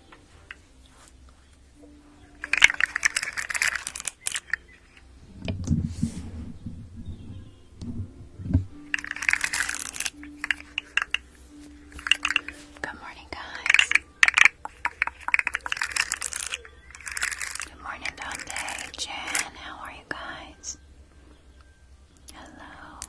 Good morning, guys. Good morning, Dante. Jen, how are you guys? Hello.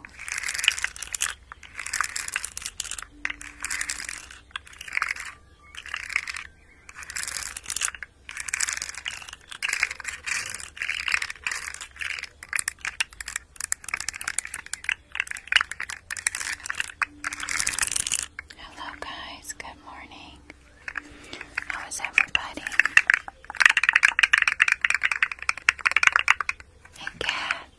Hello, guys. Good morning. How is everybody? And Kat,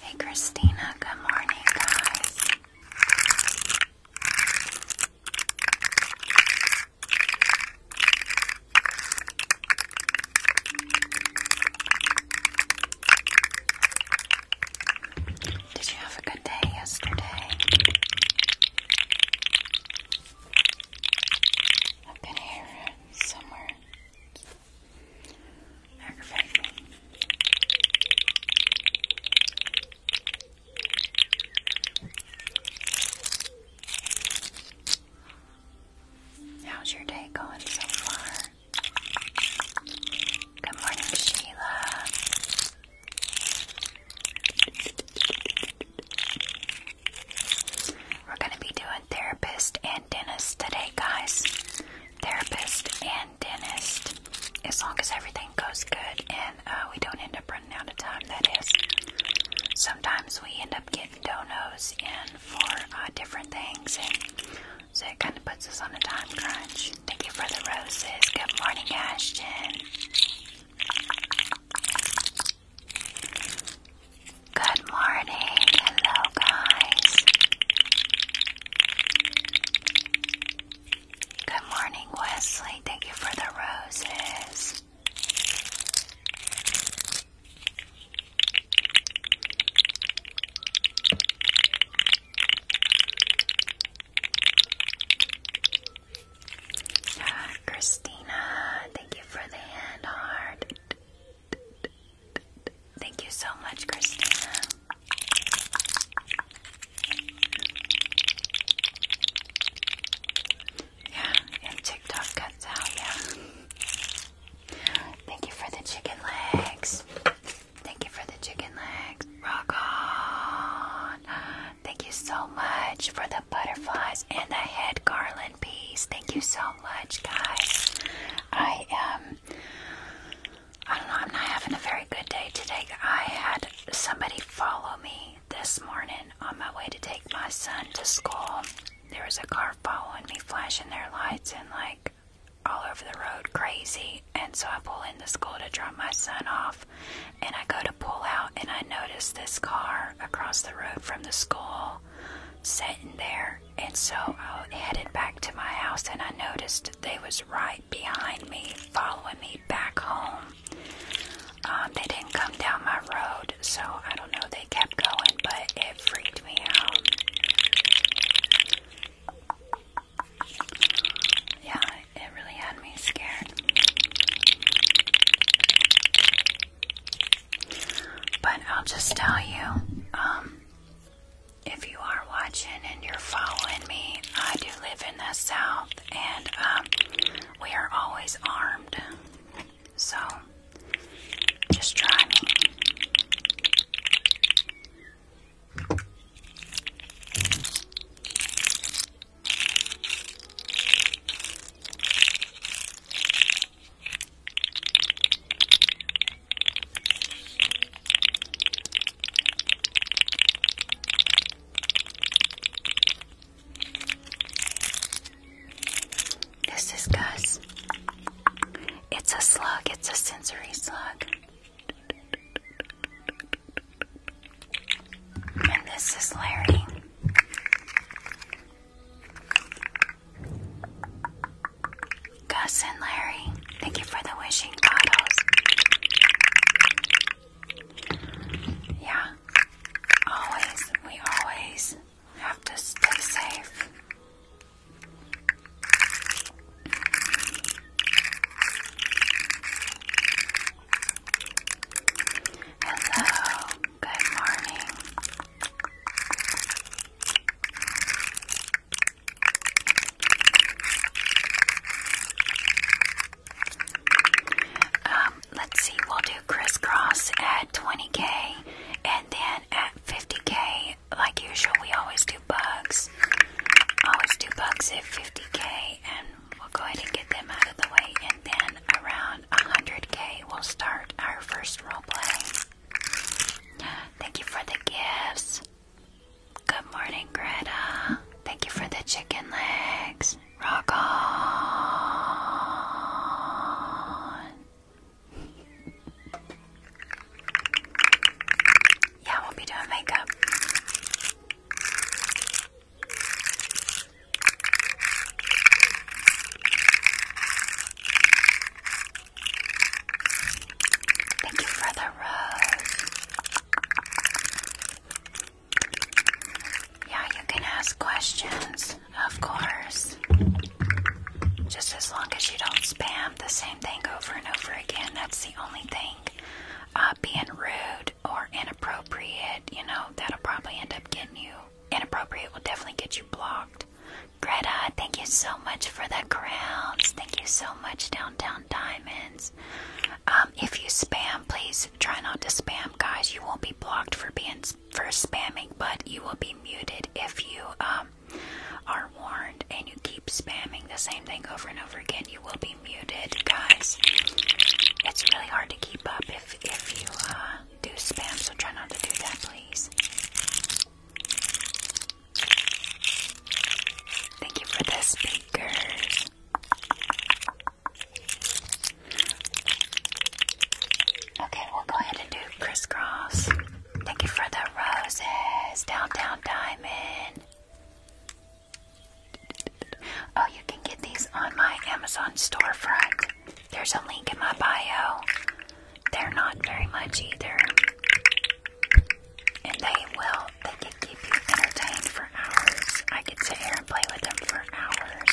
Hey Christina, good morning, guys. Did you have a good day yesterday? I can hear it somewhere. Aggravating me. How's your day going so far? Good morning, Sheila. We're going to be doing therapist dentist today, guys. Therapist and dentist. As long as everything goes good and uh, we don't end up running out of time, that is. Sometimes we end up getting donos in for uh, different things, and so it kind of puts us on a time crunch. Thank you for the roses. Good morning, Ashton. Good morning, hello guys. Good morning, Wesley. Thank you for the roses. Ah, Christina, thank you for the hand heart. Thank you so much, Christina. Yeah, and TikTok cuts out, yeah. Thank you for the chicken legs. Thank you for the chicken legs. Rock on. Thank you so much for the butterflies and the head garland piece. Thank you so much, guys. I am. Um, I don't know, I'm not having a very good day today. I had somebody follow me this morning on my way to take my son to school. There was a car following me, flashing their lights and like all over the road, crazy. And so I pull into school to drop my son off, and I go to pull out, and I notice this car across the road from the school sitting there. And so I headed back to my house and I noticed they was right behind me, following me back home. Um, they didn't come down my road, so I don't know, they kept going, but it freaked me out. Yeah, it really had me scared. But I'll just tell you, um, if you are watching and you're following me, I do live in the South, and um, we are always armed. So just try me. This is Gus. It's a slug, it's a sensory slug. And this is Larry. Gus and Larry, thank you for the wishing bottles. Yeah, always, we always have to stay safe. Hello, good morning. Um, let's see, we'll do crisscross at 20k and then at 50k, like usual, we always do bugs. Always do bugs at 50k, and we'll go ahead and get them out of the way, and then around 100k, we'll start our first role play. Thank you for the gifts. Good morning, Greta. Thank you for the chicken legs. Rock on. Yeah, we'll be doing makeup. Thank you for the rose. Yeah, you can ask questions, of course. Just as long as you don't spam the same thing over and over again. That's the only thing. Uh, being rude or inappropriate, you know, that'll probably end up getting you. Inappropriate will definitely get you blocked. Greta, thank you so much for the crowns. Thank you so much, Downtown Diamonds. Um, if you spam, please try not to spam, guys. You won't be blocked for being for spamming, but you will be muted if you um, are warned and you keep spamming the same thing over and over again. You will be muted, guys. It's really hard to keep up if if you uh, do spam, so try not to do that, please. Thank you for the speakers. Okay, we'll go ahead and do crisscross. Thank you for the roses. Downtown Diamond. Oh, you can get these on my Amazon storefront. There's a link in my bio. They're not very much either. And they will, they can keep you entertained for hours. I could sit here and play with them for hours.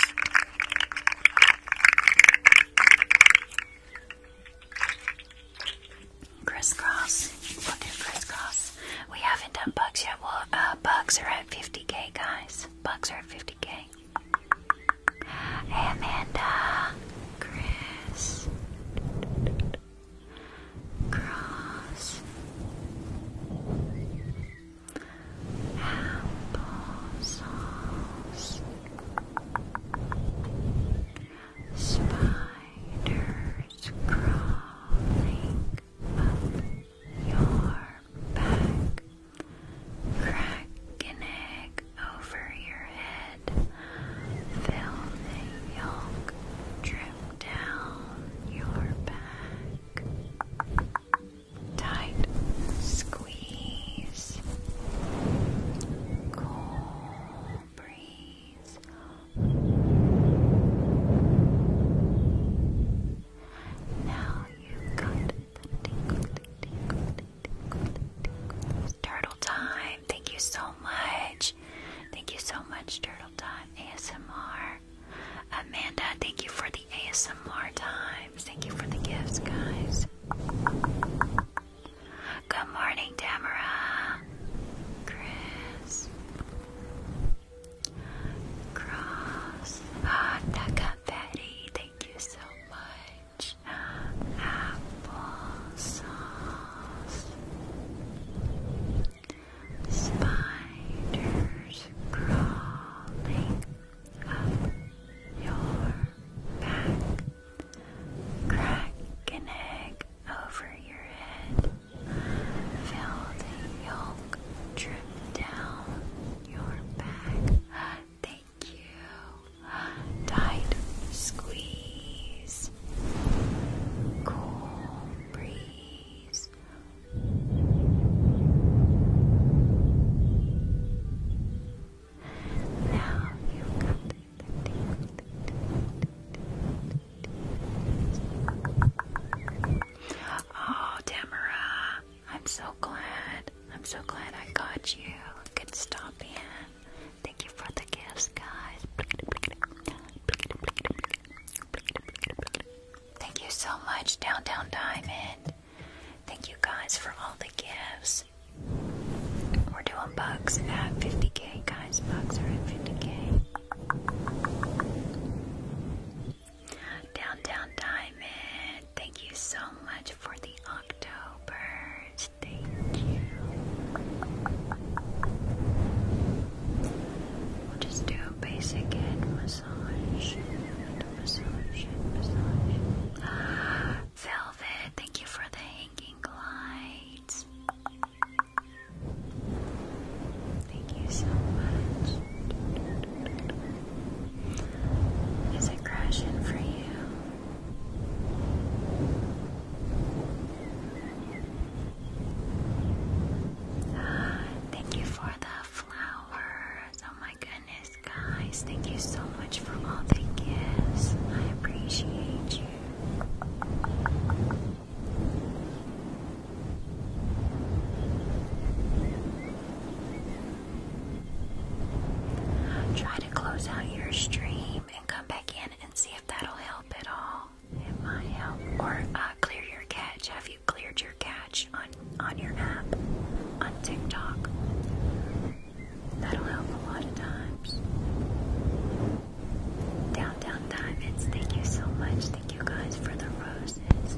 Crisscross. We'll do crisscross. We haven't done bugs yet. Well, uh, bugs are at 50k, guys. Bugs are at 50k. Amanda, Chris, Cross, Apple Spiders crawling up your back. Crack egg over your head. Feel the yolk drip down your back. Tight squeeze. Cool breeze. Now you got the Turtle Time, thank you so much. Thank you so much, Turtle Time. ASMR. Amanda, thank you for the ASMR times. Thank you for the gifts, guys. Good morning, Tamara. Chris. Cross. Ah, Taka Betty, thank you so much peach apple Spiders crawling up your back. Crack an egg over your head. Fill yolk drip down your back. Tight squeeze. Cool breeze. Now you got the Oh, Tamara, I'm so glad. I'm so glad I got you. Good stop in. Thank you for the gifts, guys. Thank you so much, Downtown Diamond. Thank you guys for all the gifts. We're doing bugs at 50k, guys. Bugs are at 50k. Downtown Diamond, thank you so much for the Octobers. Thank you. just do a basic head massage. Velvet, thank you for the hanging lights. Thank you so much. Is it crashing for you? Thank you for the flowers. Oh my goodness, guys. Thank you so much for all the gifts. I appreciate you. Try to close out your stream and come back in and see that'll help at all. It might help. Or uh, clear your catch. Have you cleared your catch on on your app on TikTok? That'll help a lot of times. Downtown Diamonds, thank you so much. Thank you guys for the roses.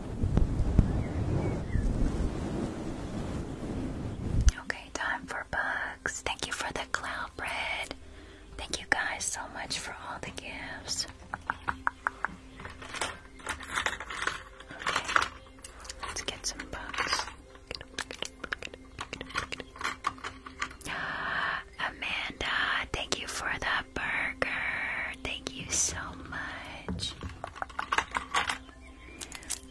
Okay, time for bugs. Thank you for the cloud bread. Thank you guys so much for all the gifts. let's get some bugs. Amanda, thank you for the burger. Thank you so much.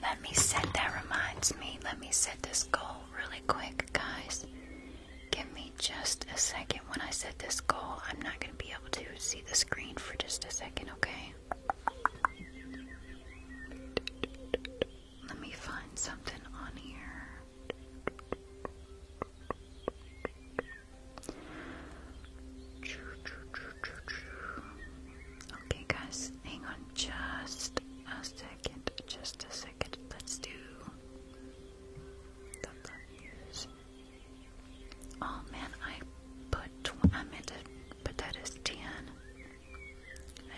Let me set, that reminds me, let me set this goal really quick, guys. Give me just a second. When I set this goal, I'm not going to be able to see the screen for just a second, okay? Let me find something on here. Okay, guys, hang on just a second. Just a second. Let's do Oh man, I put. I meant to put I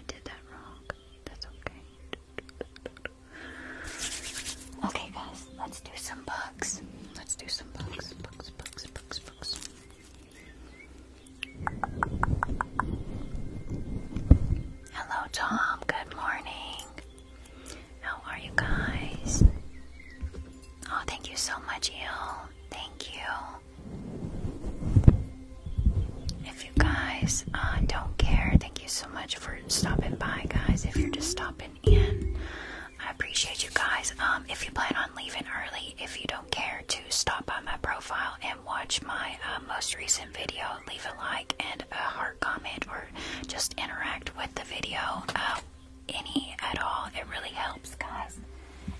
did that wrong. That's okay. Okay, guys, let's do some bugs. Let's do some bugs. Bugs, bugs, bugs, bugs. Hello, Tom. Good morning. How are you guys? Oh, thank you so much, Il. Thank you. If you guys uh, don't care, thank you so much for stopping by, guys. If you're just stopping in, I appreciate you guys. Um, if you plan on leaving early, if you don't care to stop by my profile and watch my uh, most recent video, leave a like and a heart comment or just interact with the video, uh, any at all. It really helps, guys.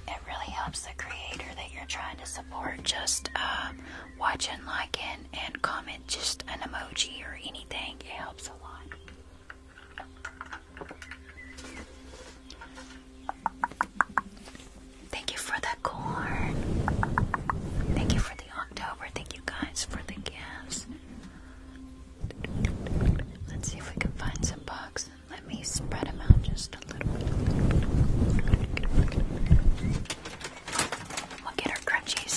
It really helps the creator that you're trying to support. Just uh, um, watching, liking, and comment just an emoji or anything. It helps a lot. Thank you for the corn. Thank you for the October. Thank you guys for the gifts. Let's see if we can find some bugs. Let me spread them out just a little. We'll our crunchies.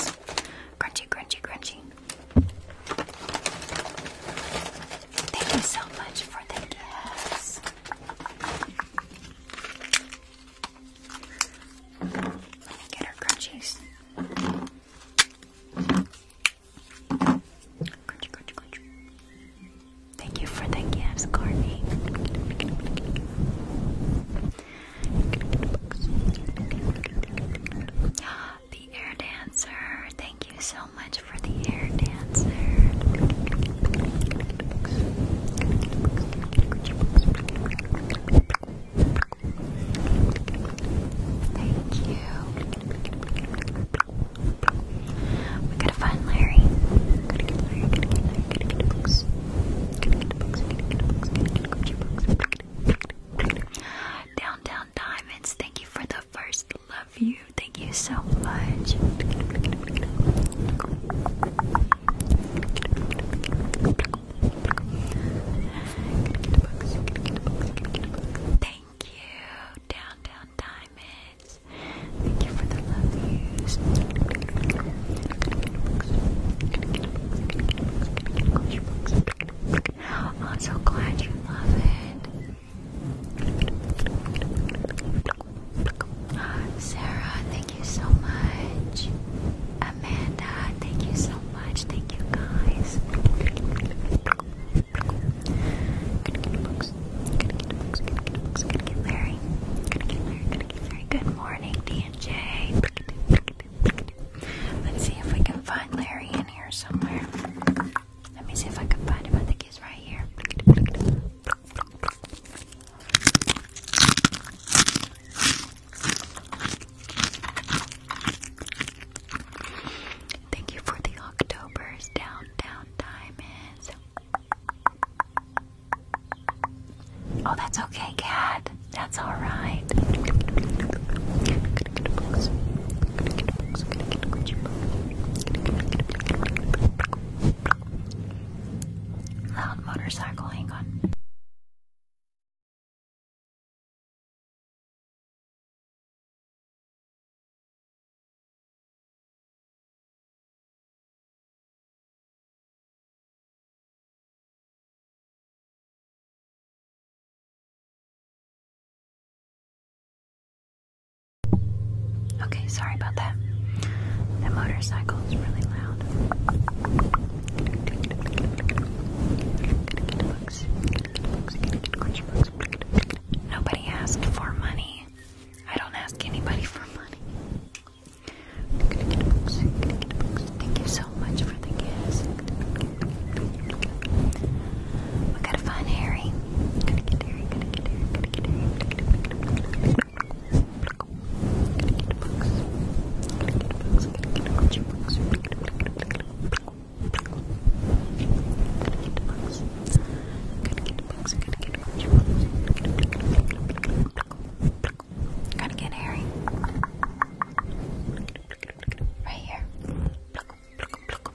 Crunchy, crunchy, crunchy. Thank you so much for the gifts. Let me get her crunchies. Crunchy, crunchy, crunchy. Thank you for the gifts, Courtney. The air dancer, thank you so so much for the air dancer. Thank you. We gotta find Larry. Downtown Diamonds, thank you for the first love. Thank you so much. Thank you, Downtown Diamonds. Thank you for the love I'm so glad you love it. Sarah, thank you so much. Amanda, thank you so much. Thank you guys. Gonna get books. Gonna get books. Gonna get books. Gonna get Larry. Gonna get Larry. Gonna get Larry. Good morning, D and J. Let's see if we can find Larry in here somewhere. Let me see if I can find him. I think he's right here. Thank you for the October's downtown diamonds. Oh, that's okay, cat. That's all right. Loud motorcycle, hang on. Okay, sorry about that. The motorcycle is really loud. Nobody asked for money. I don't ask anybody for money. Thank you so much for the gifts. We gotta find Harry. Gotta get Harry. Right here. Pluck, pluck, pluck.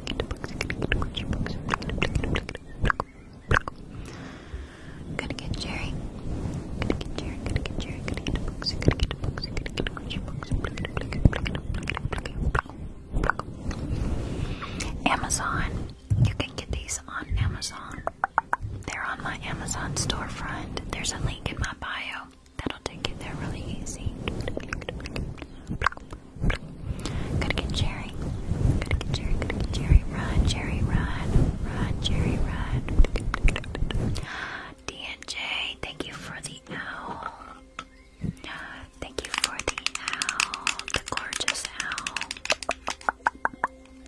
gonna get books, you're gonna get books, books, gonna get Jerry, gonna get Jerry, gonna get Jerry, gonna get books, you're gonna get books, you're gonna get books, books, Amazon, you can get these on Amazon. They're on my Amazon storefront. There's a link in my bio that'll take you there really easy. Gotta get Jerry. Gotta get Jerry. Gotta get Jerry. Run, Jerry, run. Run, Jerry, run. DNJ, thank you for the owl. Thank you for the owl. The gorgeous owl.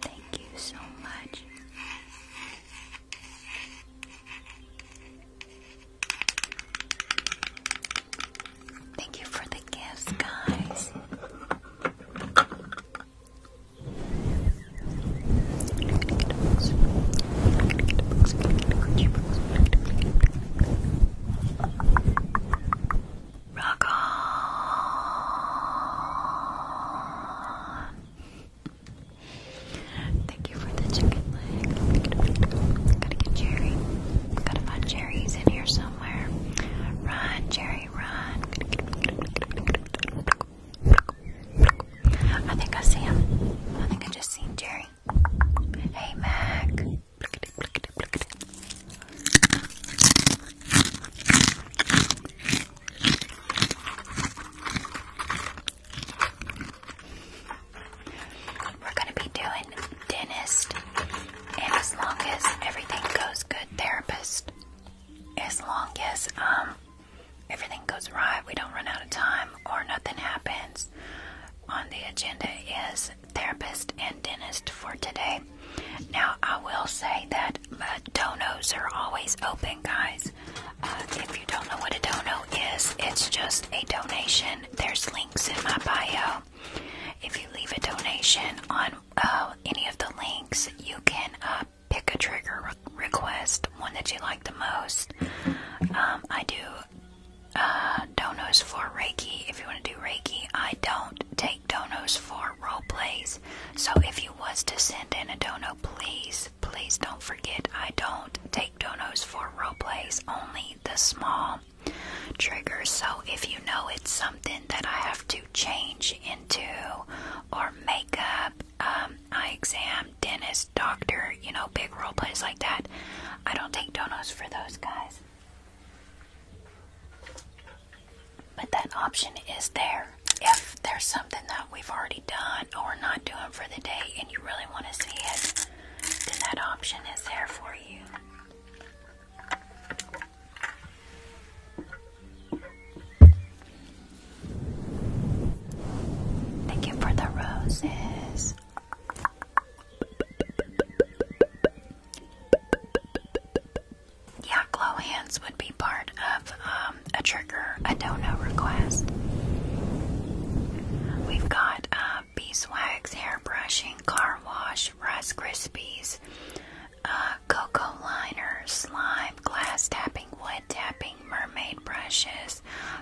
Thank you so much. Thank you for the gifts, guys. Rock on. Thank you for the chicken. Gotta get Jerry. Gotta find Jerry's in here somewhere. Run, Jerry, run. I think I see him. I think I just seen Jerry. Hey, Mac. We're going to be doing dentist, and as long as everything goes good, therapist. As long as um, everything goes right, we don't run out of time, or nothing happens. On the agenda is therapist and dentist for today. Now, I will say that uh, donos are always open, guys. Uh, if you don't know what a dono is, it's just a donation. There's links in my bio if you leave a donation on uh, any of the links, you can uh, pick a trigger request, one that you like the most. Um, I do uh, donos for Reiki. If you want to do Reiki, I don't take donos for role plays. So if you was to send in a dono, please, please don't forget I don't take donos for role plays. Only the small trigger. So if you know it's something that I have to change into, or makeup, um, eye exam, dentist, doctor, you know, big role plays like that, I don't take donuts for those guys. But that option is there. If there's something that we've already done or not doing for the day and you really want to see it, then that option is there for you. Thank you for the roses. Yeah, glow hands would be part of um, a trigger, a dono request. We've got. Um, uh, beeswax, hair brushing, car wash, Rice Krispies, uh, cocoa liners, slime, glass tapping, wood tapping, mermaid brushes,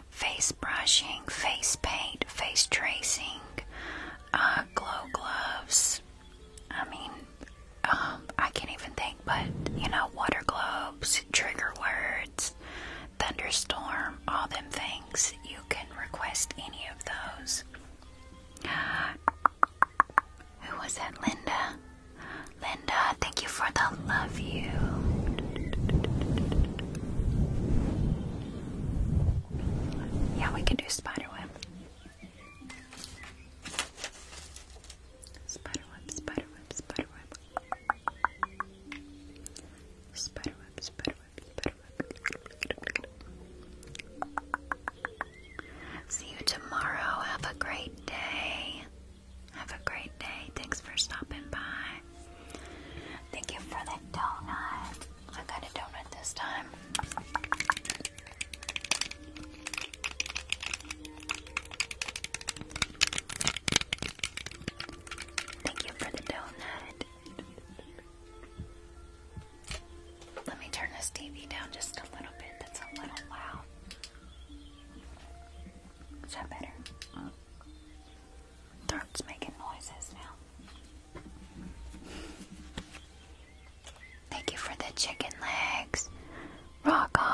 face brushing, face paint, face tracing, uh, glow gloves. I mean, um, I can't even think, but you know, water globes, trigger words, thunderstorm, all them things. You can request any of those. Who was that? Linda. Linda, thank you for the love you. Yeah, we can do spiderweb. Spiderweb, spiderweb, spiderweb. Spiderweb, spiderweb. See you tomorrow. Have a great day. Have a great day. Thanks for stopping by. Thank you for the donut. I got a donut this time. Thank you for the donut. Let me turn this TV down just a little bit. That's a little loud. Is that better? Throat's making noises now. Thank you for the chicken legs. Rock on.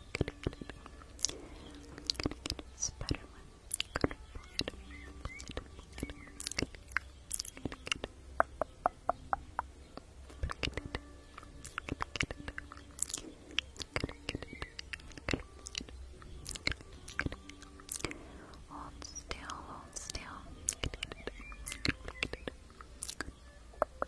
gonna get it. I'm gonna get a spider one. I'm gonna pull it, pull it, pull it. I'm gonna get it. I'm gonna get it. I'm gonna get it. I'm gonna get it. I'm gonna pull it. I'm gonna get it. Hold still, hold still. I'm gonna get it. I'm gonna get it. I'm gonna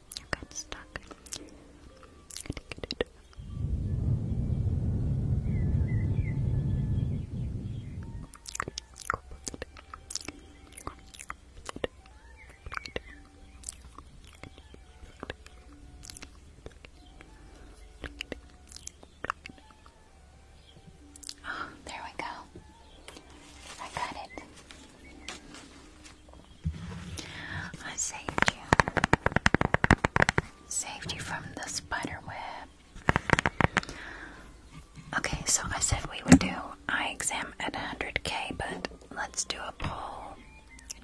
You got stuck. there we go. I got it. I saved you. Saved you from the spider web. Okay, so I said we would do eye exam at 100k, but let's do a poll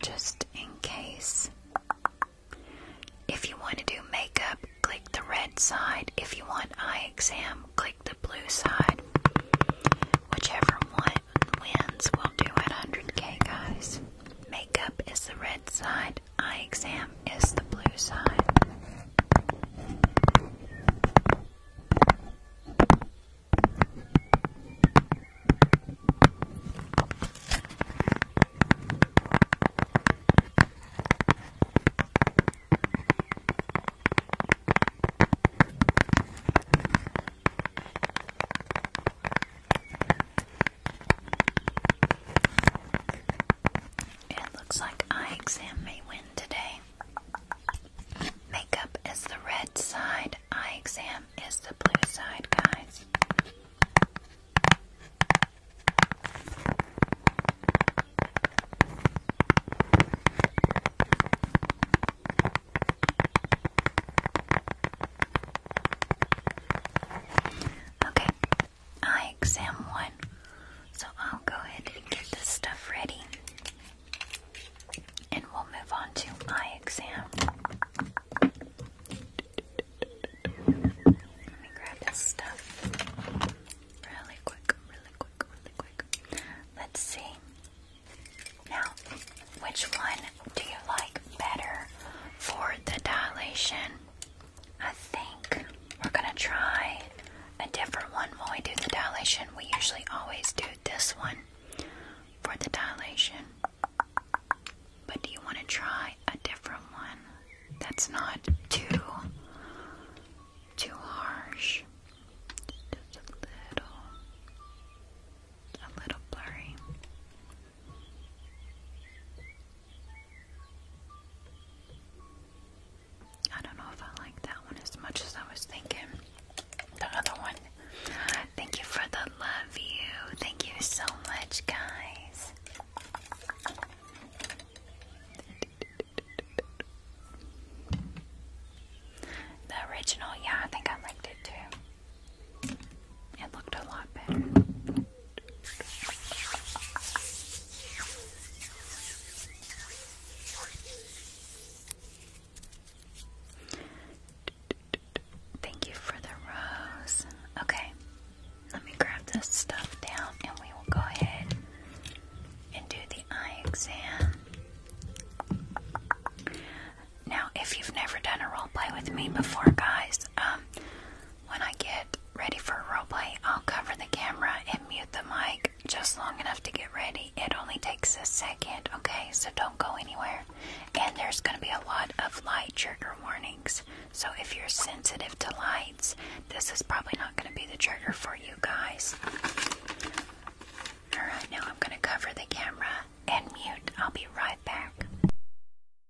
just in case. If you want to do makeup, click the red side. If you want eye exam, click the blue side. Whichever one wins will do at 100k, guys. Makeup is the red side, eye exam is the blue side. It looks like I exam may win today. Makeup is the red side, eye exam is the blue side, guys. Okay, eye exam one. So I'll go ahead and get this stuff ready. And we'll move on to my exam. Let me grab this stuff really quick, really quick, really quick. Let's see. Now, which one do you like better for the dilation? I think we're gonna try a different one when we do the dilation. We usually always do this one for the dilation. But do you want to try a different one that's not too too harsh? Just a little a little blurry. I don't know if I like that one as much as I was thinking. The other one. Thank you for the love you. Thank you so much, guys. The original, yeah, I think I liked it too. It looked a lot better. Thank you for the rose. Okay, let me grab this stuff down and we will go ahead and do the eye exam. Now, if you've never done a roleplay with me before, guys, um, when I get ready for a roleplay, I'll cover the camera and mute the mic just long enough to get ready. It only takes a second, okay? So don't go anywhere. And there's going to be a lot of light trigger warnings. So if you're sensitive to lights, this is probably not going to be the trigger for you guys. Alright, now I'm going to cover the camera and mute. I'll be right back.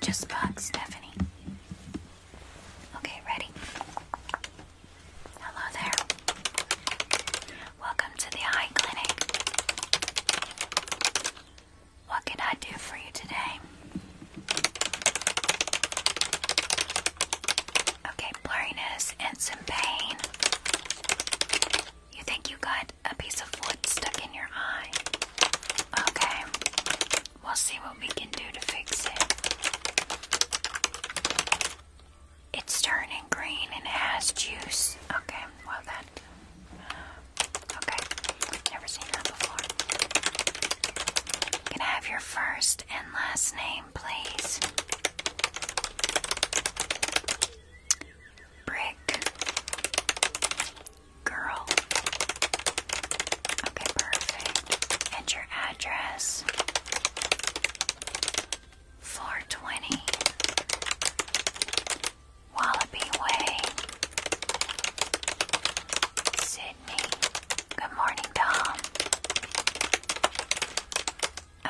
Just bug Stephanie. Okay, ready? Hello there. Welcome to the eye clinic. What can I do for you today? Okay, blurriness and some pain. You think you got a piece of wood stuck in your eye? Okay, we'll see what we can do to fix it. It's turning green and it has juice. Okay, well, that Okay, never seen that before. Can I have your first and last name, please? Brick Girl. Okay, perfect. And your address? 420 Wallaby Way, Sydney. Good morning, Tom.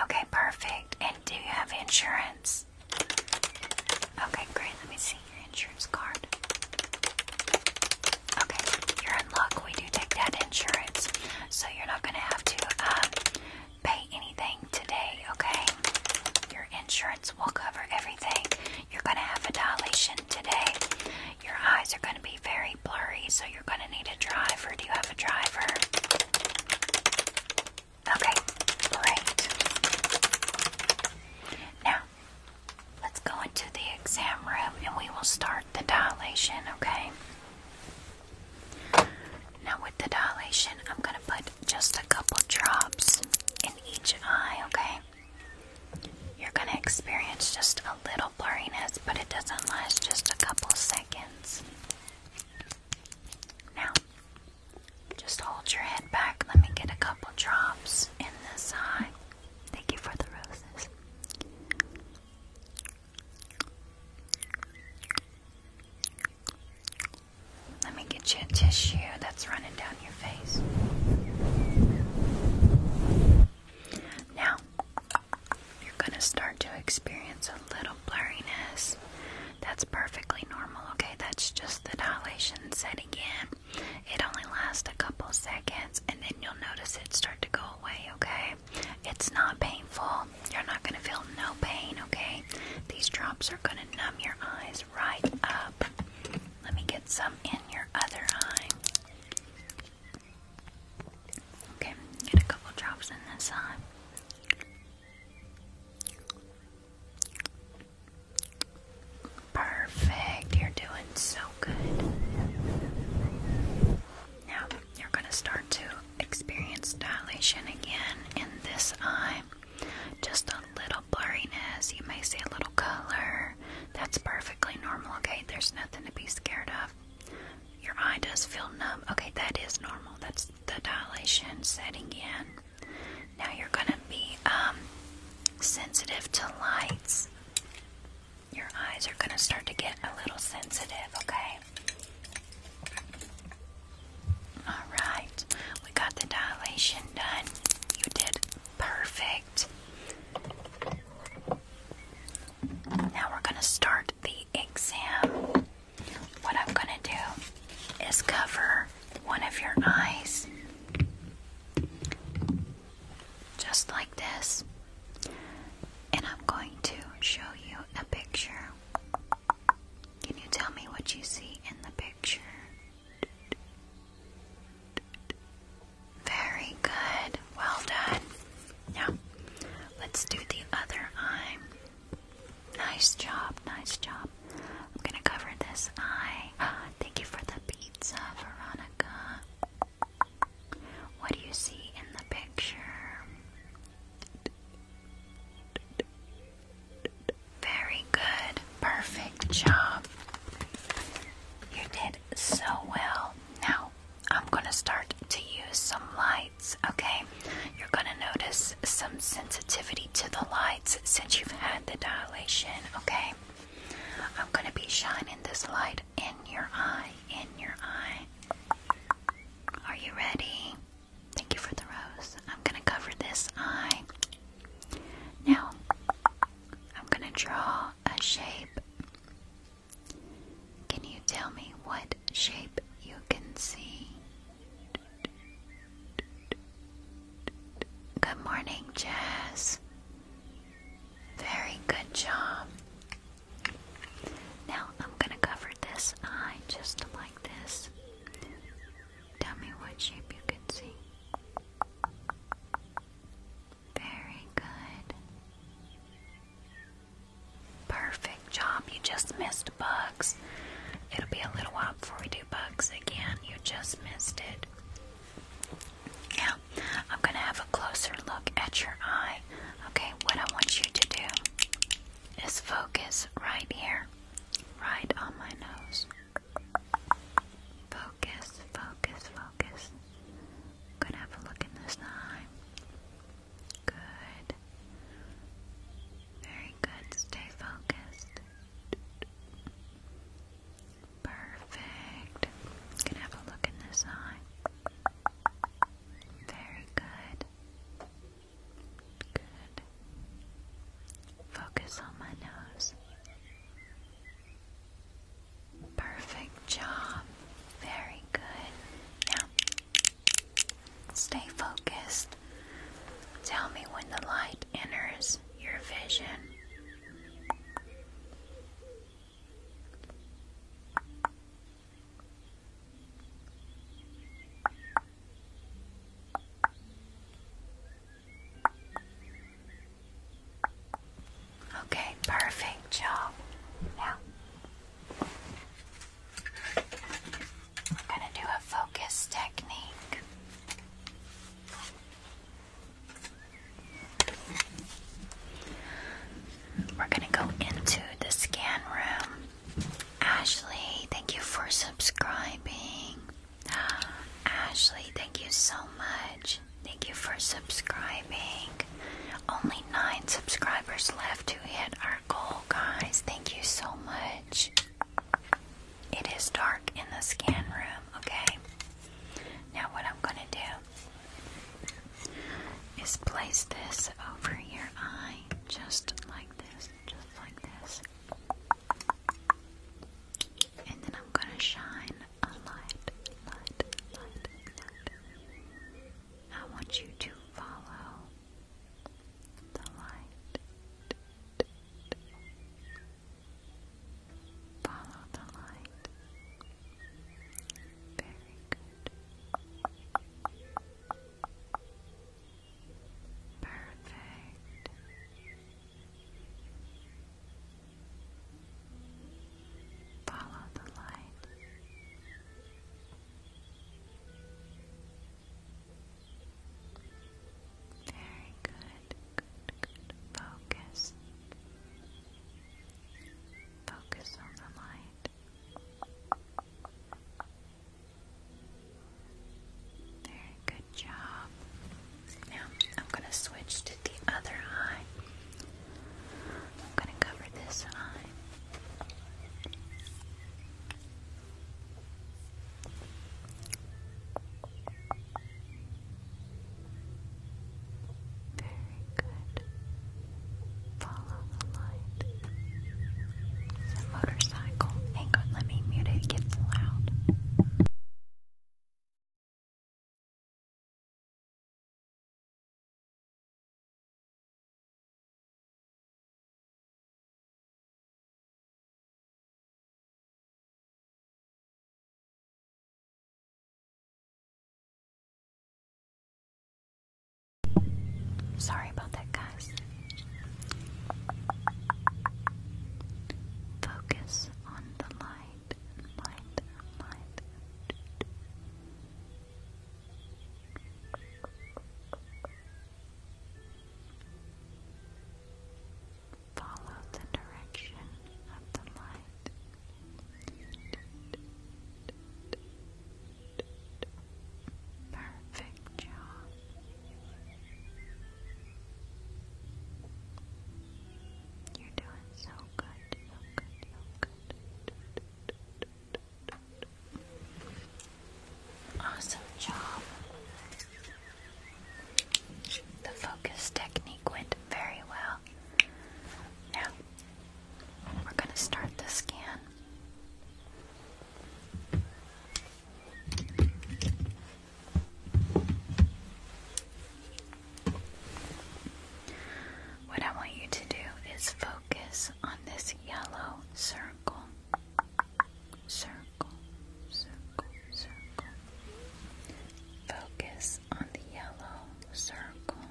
Okay, perfect. And do you have insurance? Okay, great. Let me see your insurance card. Okay, you're in luck. We do take that insurance, so you're not going to have to um, pay anything today, okay? Your insurance will cover everything. You're going to have a dilation today. Your eyes are going to be very blurry, so you're going to need a driver. Do you have a driver? Okay, great. Now, let's go into the exam room and we will start the dilation, okay? Now, with the dilation, I'm going to put just a couple drops in each eye, okay? You're gonna experience just a little blurriness, but it doesn't last just a couple seconds. Now, just hold your head back. Let me get a couple drops in this eye. Thank you for the roses. Let me get you a tissue that's running down your face. Now, you're going to start to experience a little blurriness. That's perfectly normal, okay? That's just the dilation setting in. It only lasts a couple seconds and then you'll notice it start to go away, okay? It's not painful. You're not going to feel no pain, okay? These drops are going to numb your eyes right up. Let me get some in your other eye. Okay, get a couple drops in this eye. Perfect. You're doing so good. Now, you're going to start to experience dilation again in this eye. Just a blurriness, you may see a little color. That's perfectly normal, okay? There's nothing to be scared of. Your eye does feel numb. Okay, that is normal. That's the dilation setting in. Now you're going to be um, sensitive to lights. Your eyes are going to start to get a little sensitive, okay? Alright, we got the dilation done. You did perfect. Now we're going to start the exam. What I'm going to do is cover one of your eyes. Just like this. And I'm going to show you a picture. Can you tell me what you see in the picture? Very good. Well done. Now, let's do the other eye. Nice job. Nice job. I'm going to cover this eye. Ah, thank you for the pizza, Veronica. What do you see in the picture? Very good. Perfect job. You did so well. Now, I'm going to start to use some lights, okay? You're going to notice some sensitivity to the lights since you've had the dilation, okay? I'm going to be shining this light in your eye, in your eye. Are you ready? Thank you for the rose. I'm going to cover this eye. Now, I'm going to draw a shape. Can you tell me what shape you can see? Good morning, Jazz. Very good job. Now I'm going to cover this eye just like this. Tell me what shape you can see. Very good. Perfect job. You just missed bugs. It'll be a little while before we do bugs again. You just missed it. Now, I'm going to have a closer look at your eye. Okay, what I want you to do is focus right here, right on my nose. Focus, focus, focus. gonna have a look in this eye. Good. Very good. Stay focused. Perfect. gonna have a look in this eye. Very good. Good. Focus on my nose. Perfect job. Very good. Now, stay focused. Tell me when the light enters your vision. Okay, perfect job. Now, I'm going to do a focus technique. We're going to go into the scan room. Ashley, thank you for subscribing. Ashley, thank you so much. Thank you for subscribing. Only nine subscribers left to hit our goal, guys. Thank you so much. It is dark in the scan room, okay? Now, what I'm gonna do is place this over your eye, just like this, just like this and then I'm gonna shine a light, I want you to follow the light. Follow the light. Very good. Perfect. Follow the light. Very good, good, good. Focus. Focus on the light. Very good job. Now I'm going to switch to the other eye. I'm going to cover this eye. Very good. Follow the light. It's a motorcycle. Hang on, let me mute it. It gets loud. Sorry about that, guys. Focus on and the light light light. Follow the direction of the light. Perfect job. You're doing so good, so good, so good. Awesome job. The focus technique went very well. Now, we're going to start the scan. What I want you to do is focus on this yellow circle. Circle, circle, circle. Focus on the yellow circle.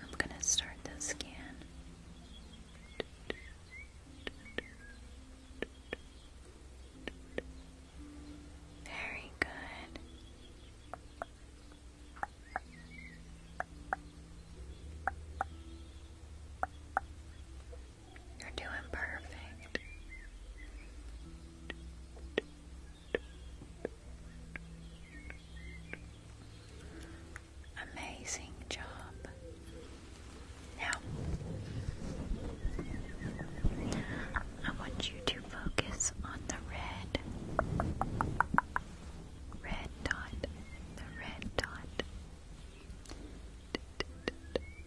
I'm going to start the scan. Very good. You're doing perfect. Amazing job. Now, I want you to focus on the red, red dot, the red dot.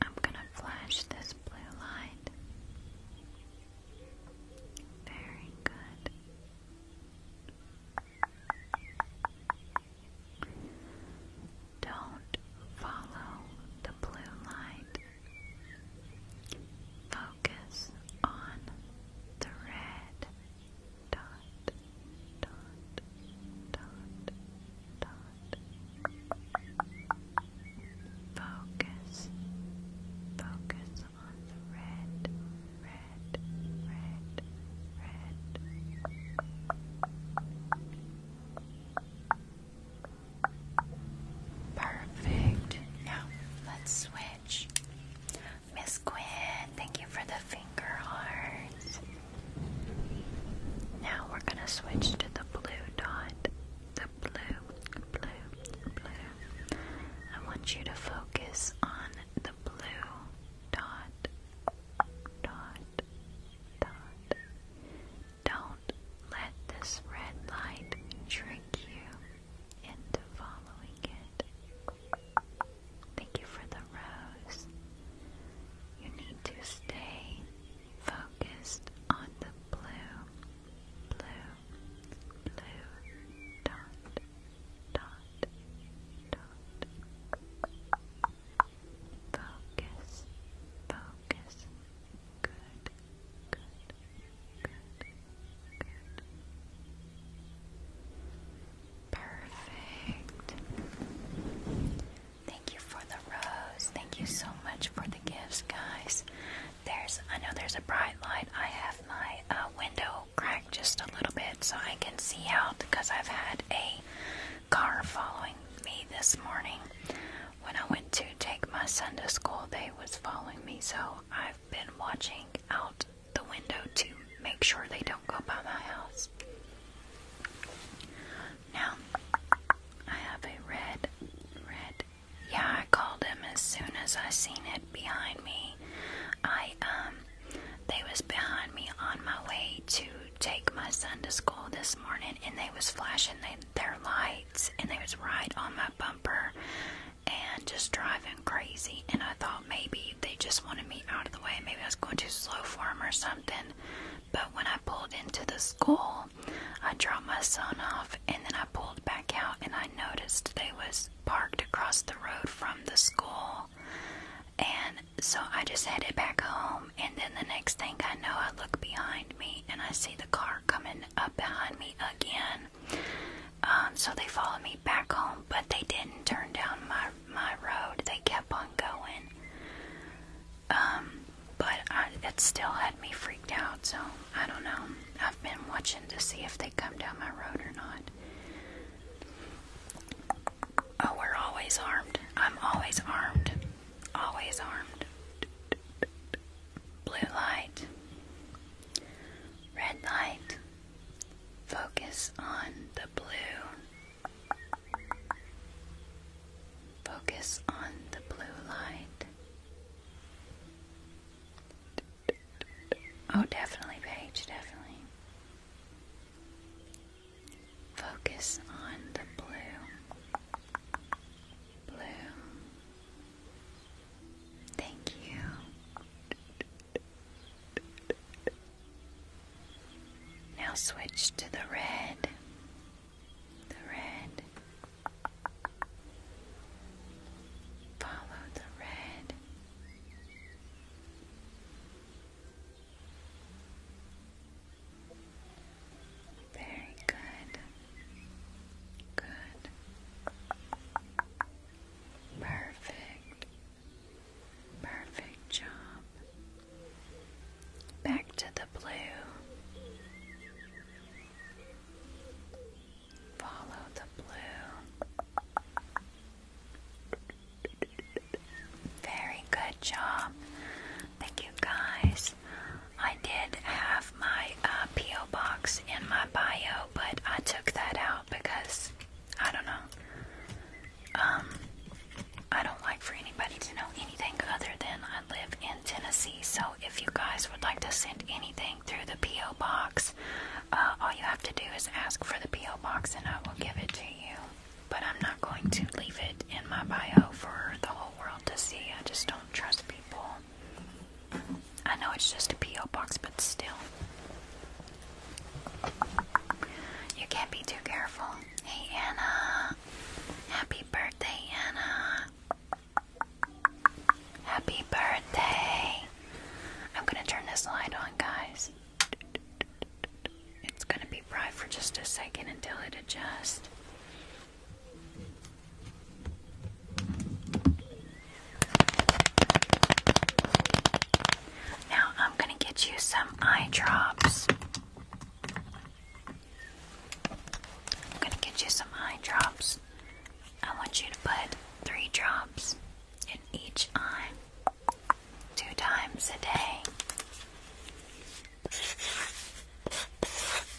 I'm gonna flash this blue light. Very good. Don't follow the blue light. Focus on the red dot, dot, dot, dot. Focus, focus on the red, red, red, red. Perfect. Now let's switch. Miss Quinn, thank you for the finger hearts. Now we're gonna switch to the blue dot. The blue, blue, blue. I want you to focus on the blue dot, dot, dot. Don't let this red light trick you into following it. Thank you for the rose. You need to stay focused on the blue, blue, blue dot, dot, dot. Focus. Focus. Good. Good. Good. Good. Perfect. Thank you for the rose. Thank you so much for the gifts, guys. There's I know there's a bright light. I have my uh, window cracked just a little bit so I can see out because I've had a car following me this morning when I went to take my son to school, they was following me, so I've been watching out the window to make sure they don't go by my house. Now, I have a red, red, yeah, I called him as soon as I seen it behind me. I, um, they was behind me on my way to take my son to school this morning, and they was flashing their lights and they was right on my bumper and just driving crazy and I thought maybe they just wanted me out of the way. Maybe I was going too slow for them or something. But when I pulled into the school, I dropped my son off and then I pulled back out and I noticed they was parked across the road from the school. And so I just headed back home and then the next thing I know I look behind me, and I see the car coming up behind me again. Um, so they followed me back home, but they didn't turn down my my road. They kept on going. Um, but it still had me freaked out. So I don't know. I've been watching to see if they come down my road or not. Oh, we're always armed. I'm always armed. Always armed. Blue light. Red light. Focus on the blue. Focus on the blue light. Oh, definitely, Paige, definitely. Focus on the blue. Bloom. Thank you. Now switch to the red. The red. Follow the red. Very good. Good. Perfect. Perfect job. Back to the blue. Follow the blue. Very good job. Thank you guys. I did have my uh, P.O. box in my bio, but I took that out because I don't know. Um, I don't like for anybody to know anything other than I live in Tennessee. So if you guys would like to send anything through the P.O. box, uh, all you have to do is ask for the P.O. box and I will give it to you. But I'm not going to leave it in my bio for the whole world to see. I just don't trust people. I know it's just a P.O. box, but still. You can't be too careful. Hey, Anna. Happy birthday, Anna. Happy birthday. I'm gonna turn this light on, guys. It's gonna be bright for just a second until it adjusts. Now I'm going to get you some eye drops. I'm going to get you some eye drops. I want you to put three drops in each eye two times a day.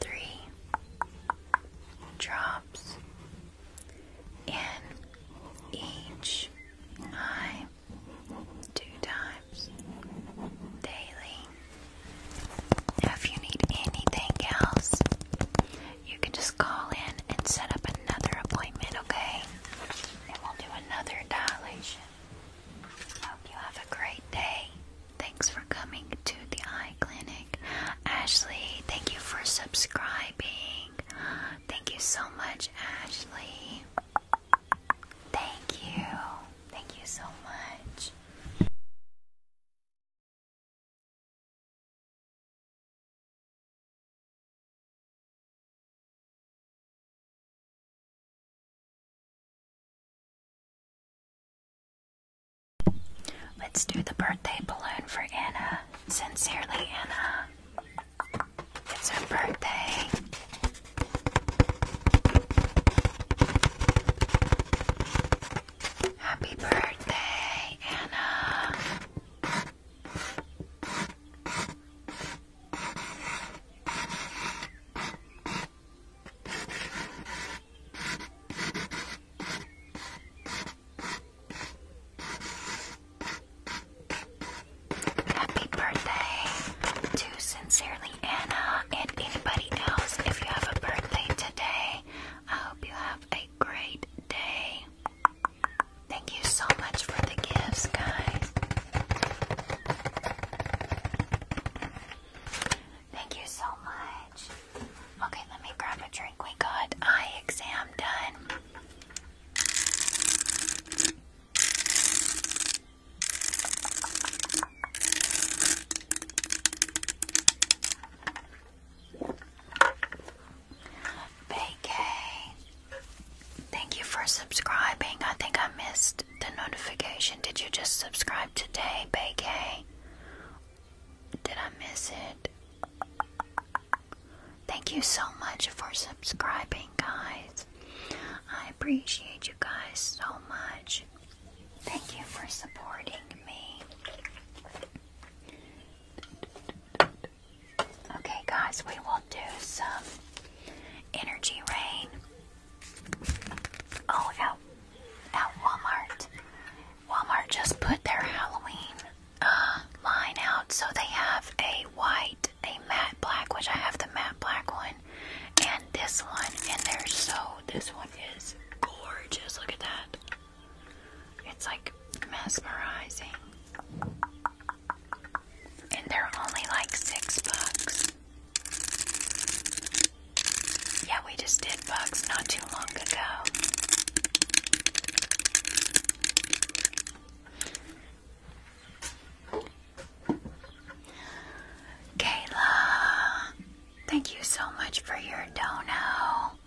three drops in each eye two times daily. if you need anything else, you can just call in and set up another appointment, okay? And we'll do another dilation. Hope you have a great day. Thanks for coming to the eye clinic. Ashley, thank you for subscribing. Thank you so much, Ashley. Thank you. Thank you so much. Let's do the birthday balloon for Anna. Sincerely, Anna. It's her birthday. Happy birthday, Anna. Happy birthday to Sincerely Anna and anybody else. If you have a birthday today, I hope you have a great day. Thank you so much for the gifts, guys. Thank you so much. Okay, let me grab a drink. We got eye exam done. Bakey, thank you for subscribing. I think I missed the notification. Did you just subscribe today, Bakey? Did I miss it? Thank you so much for subscribing, guys. I appreciate you guys so much. Thank you for supporting me. Okay, guys, we will do some energy rain. Oh, no at Walmart. Walmart just put their Halloween uh, line out, so they have a white, a matte black, which I have the matte black one, and this one. And they're so. This one is gorgeous. Look at that. It's like mesmerizing. And they're only like six bucks. Yeah, we just did bugs not too long ago. Kayla, thank you so much for your dono.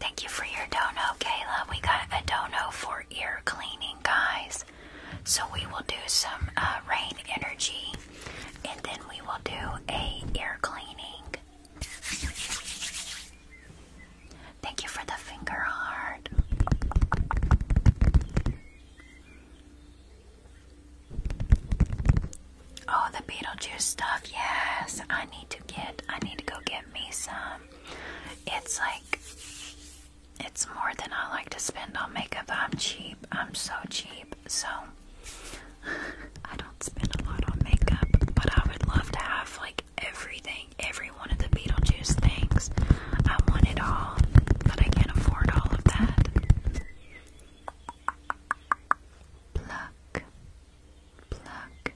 Thank you for your dono, Kayla. We got a dono for ear cleaning, guys. So we will do some uh, rain energy, and then we will do a ear cleaning. Thank you for the finger heart. Oh, the Beetlejuice stuff. Yes, I need to get. I need to go get me some. It's like it's more than I like to spend on makeup. I'm cheap. I'm so cheap. So I don't spend a lot on makeup, but I would love to have like everything, every one of the Beetlejuice things. I want it all, but I can't afford all of that. Pluck, pluck,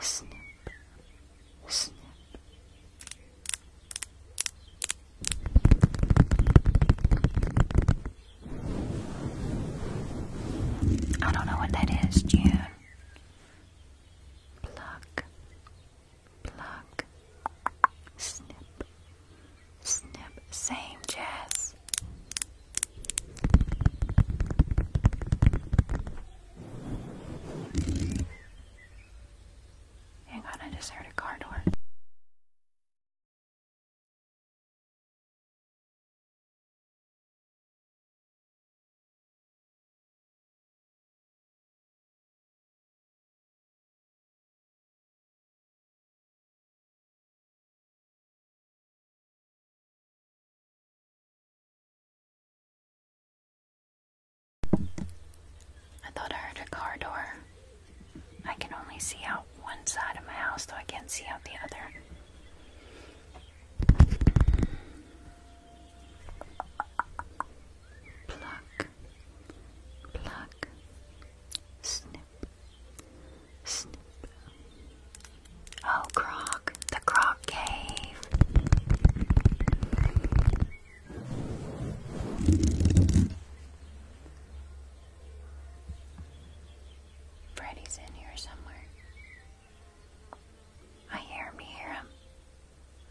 snip, snip. I don't know what that is, June. Pluck, pluck, snip, snip, same jazz. Hang on, I just heard a car door. I thought I heard a car door. I can only see out one side of my house, though I can't see out the other. Pluck, pluck, snip, snip. Oh, Croc, the Croc Cave. Freddie's in here somewhere. I hear him, hear him.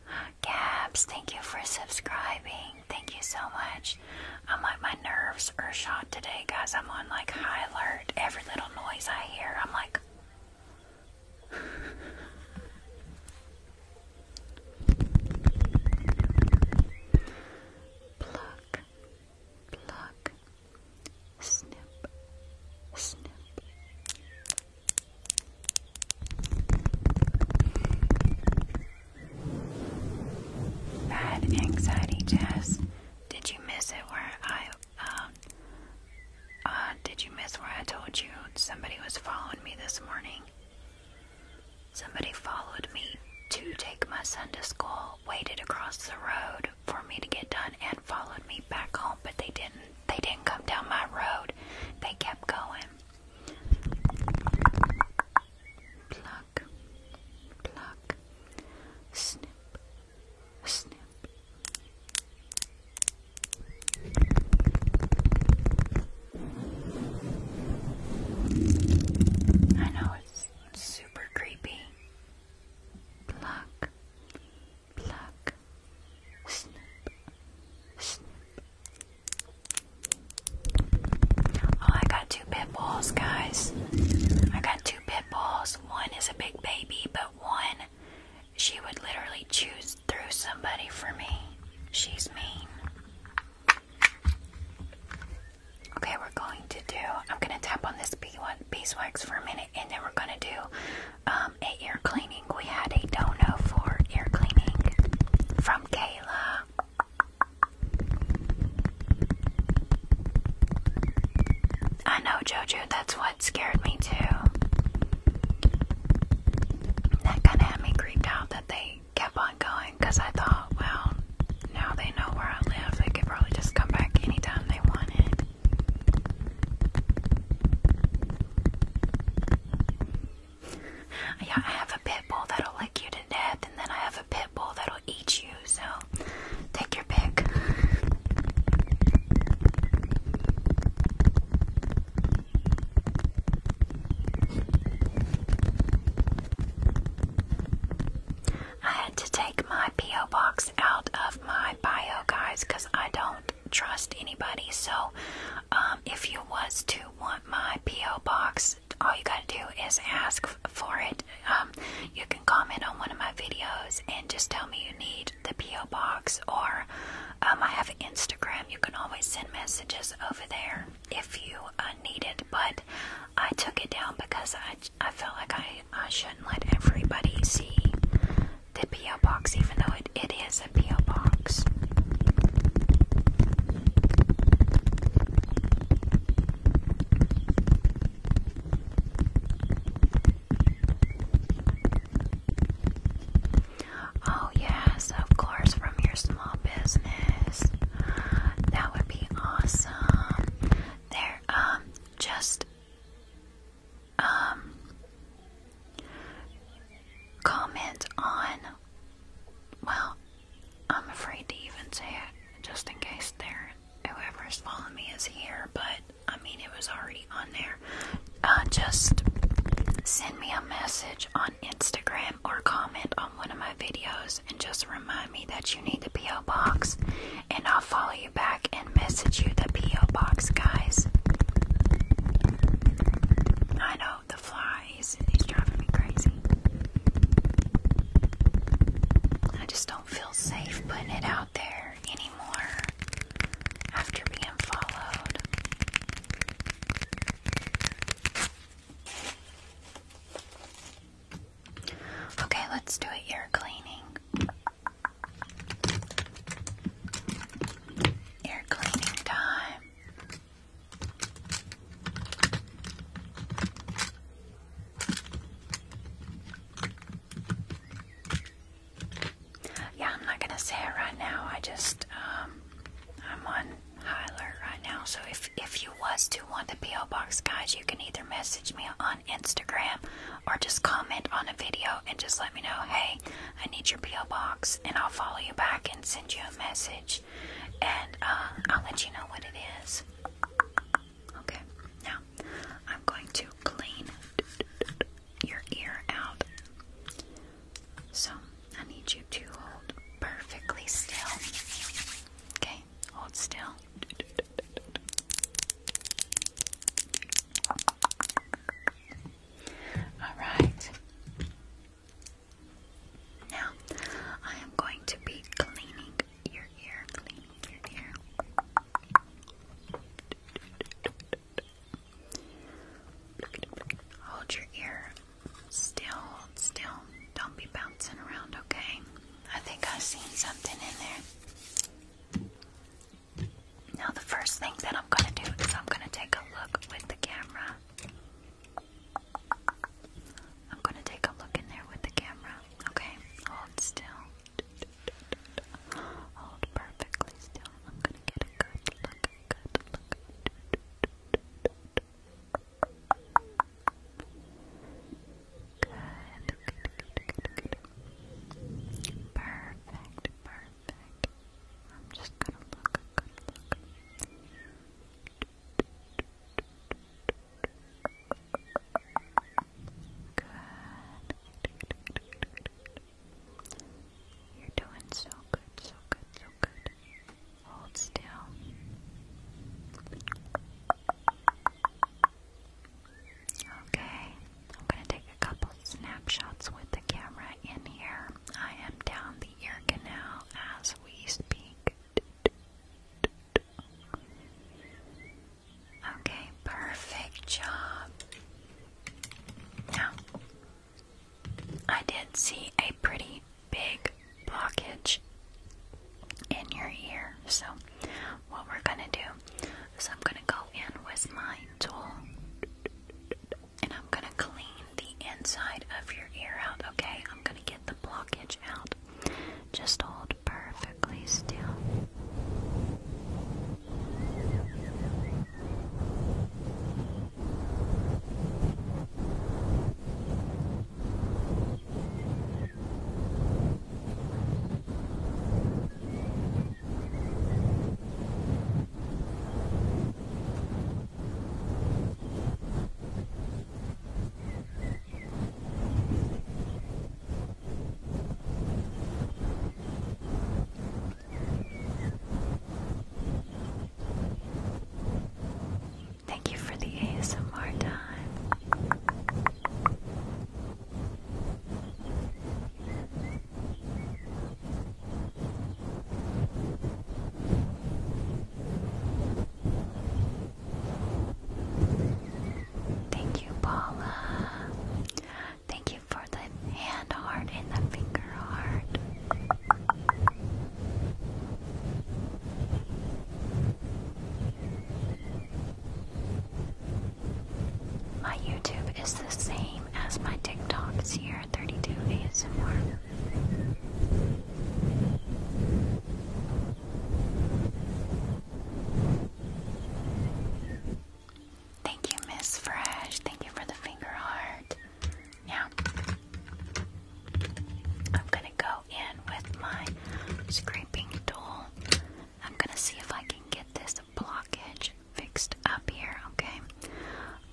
Gabs, thank you for subscribing. Thank you so much. I'm like, my nerves are shot today, guys. I'm on like high alert. Every little noise I hear, I'm like. Pluck, pluck, snip, snip. Bad anxiety jazz. Did you miss it where I um, uh, did you miss where I told you somebody was following me this morning? Somebody followed me to take my son to school waited across the road for me to get done and followed me back home, but they didn't. They didn't come down my road. They kept going. Pluck, pluck, snip, snip. I know it's super creepy pluck, pluck, snip, snip. Oh, I got two pit bulls, guys. I got two pit bulls. One is a big baby, but one, she would literally choose through somebody for me. She's mean. Okay, we're going to do, I'm going to tap on this beeswax for a minute and then we're going to do um, a ear cleaning. We had a dono for ear cleaning from Kayla. I know, Jojo, that's what scared me too. That kind of had me creeped out that they kept on going because I thought, well, now they know where I live. They could probably just come back anytime they wanted. yeah, I have a pit bull that'll lick you to death, and then I have a pit bull that'll eat you, so take your pick. I had to take my P.O. box out of my bio, guys, because I don't trust anybody. So, um, if you was to want my PO box, all you gotta do is ask for it. Um, you can comment on one of my videos and just tell me you need the PO box, or um, I have Instagram. You can always send messages over there if you uh, need it. But I took it down because I. I, feel like I, I shouldn't let everybody see the P.O. box, even though it, it is a P.O. box. Oh, yes, of course, from your small business. That would be awesome. There, um, just um, comment on. Well, I'm afraid to even say it, just in case there whoever is following me is here. But I mean, it was already on there. Uh, just send me a message on Instagram or comment on one of my videos, and just remind me that you need the PO box, and I'll follow you back and message you the P.O. box, guys. I know, the flies, he's driving me crazy. I just don't feel safe putting it out there anymore after being followed. Okay, let's do an ear cleaning. Ear cleaning time. Yeah, I'm not gonna say it right now. I just um I'm on high alert right now. So if if you was to want the PO box guys, you can either message me on Instagram or just comment on a video and just let me know, hey, I need your P.O. box, and I'll follow you back and send you a message. And uh, I'll let you know what it is. Okay, now I'm going to clean your ear out. So I need you to hold perfectly still. Okay, hold still. All right. Now, I am going to be cleaning your ear, Hold your ear still, still. Don't be bouncing around, okay? I think i seen something in there. Now, the first thing that I'm going to do is I'm going to take a look with the camera. I'm going to take a look in there with the camera. Okay, hold still. Hold perfectly still. I'm going to get a good look. Good look. Good. Perfect, perfect. I'm just gonna look. Good. You're doing so good, so good, so good. Hold still. Okay, I'm gonna take a couple snapshots with the camera in here. I am down the ear canal as we speak. Okay, perfect job. Now, I did see a pretty big blockage in your ear, so what we're gonna do is I'm gonna go and was my tool. And I'm gonna clean the inside of your ear out, okay? I'm gonna get the blockage out. Just hold perfectly still. Thank you for the ASMR time. Thank you, Paula. Thank you for the hand heart and the finger heart. My YouTube is the same as my TikTok, Sierra32 ASMR. Thank you, Miss Fresh. Thank you for the finger heart. Yeah. I'm gonna go in with my scraping tool. I'm gonna see if I can get this blockage fixed up here, okay? I'm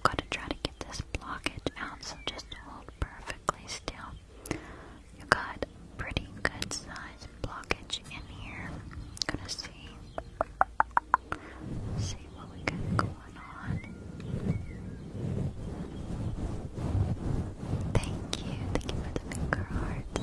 going to try to get this blockage out, so just hold perfectly still. You got pretty good size blockage in here. gonna see, see what we got going on. Thank you, thank you for the finger hearts.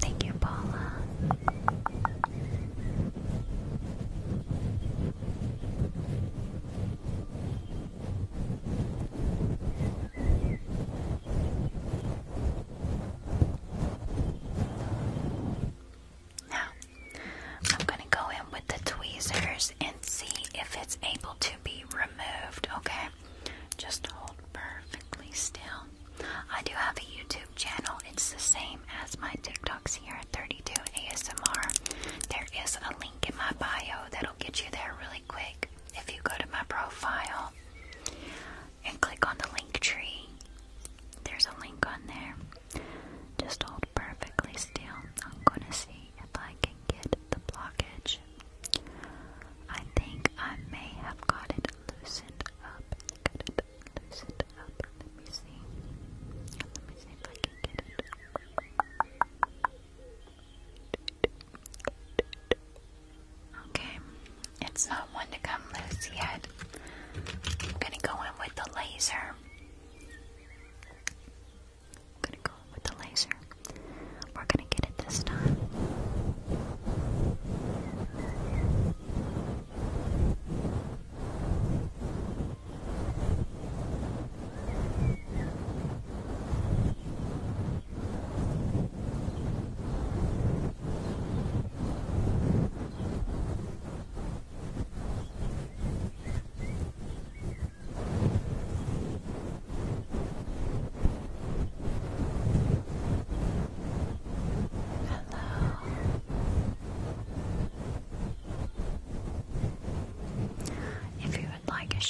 Thank you, Paula. Now, I'm going to go in with the tweezers and see if it's able to be removed, okay? Just hold perfectly still. I do have a YouTube channel. It's the same as my TikToks here at 32 ASMR. There is a link in my bio that'll get you there really quick if you go to my profile and click on the link tree. There's a link on there. Just hold perfectly still. I'm gonna see if I can get the blockage. I think I may have Got it loosened up. Let me see. Let me see if I can get it. Okay, it's not one to come loose yet. I'm gonna go in with the laser. I'm gonna go with the laser. We're gonna get it this time. If you would like a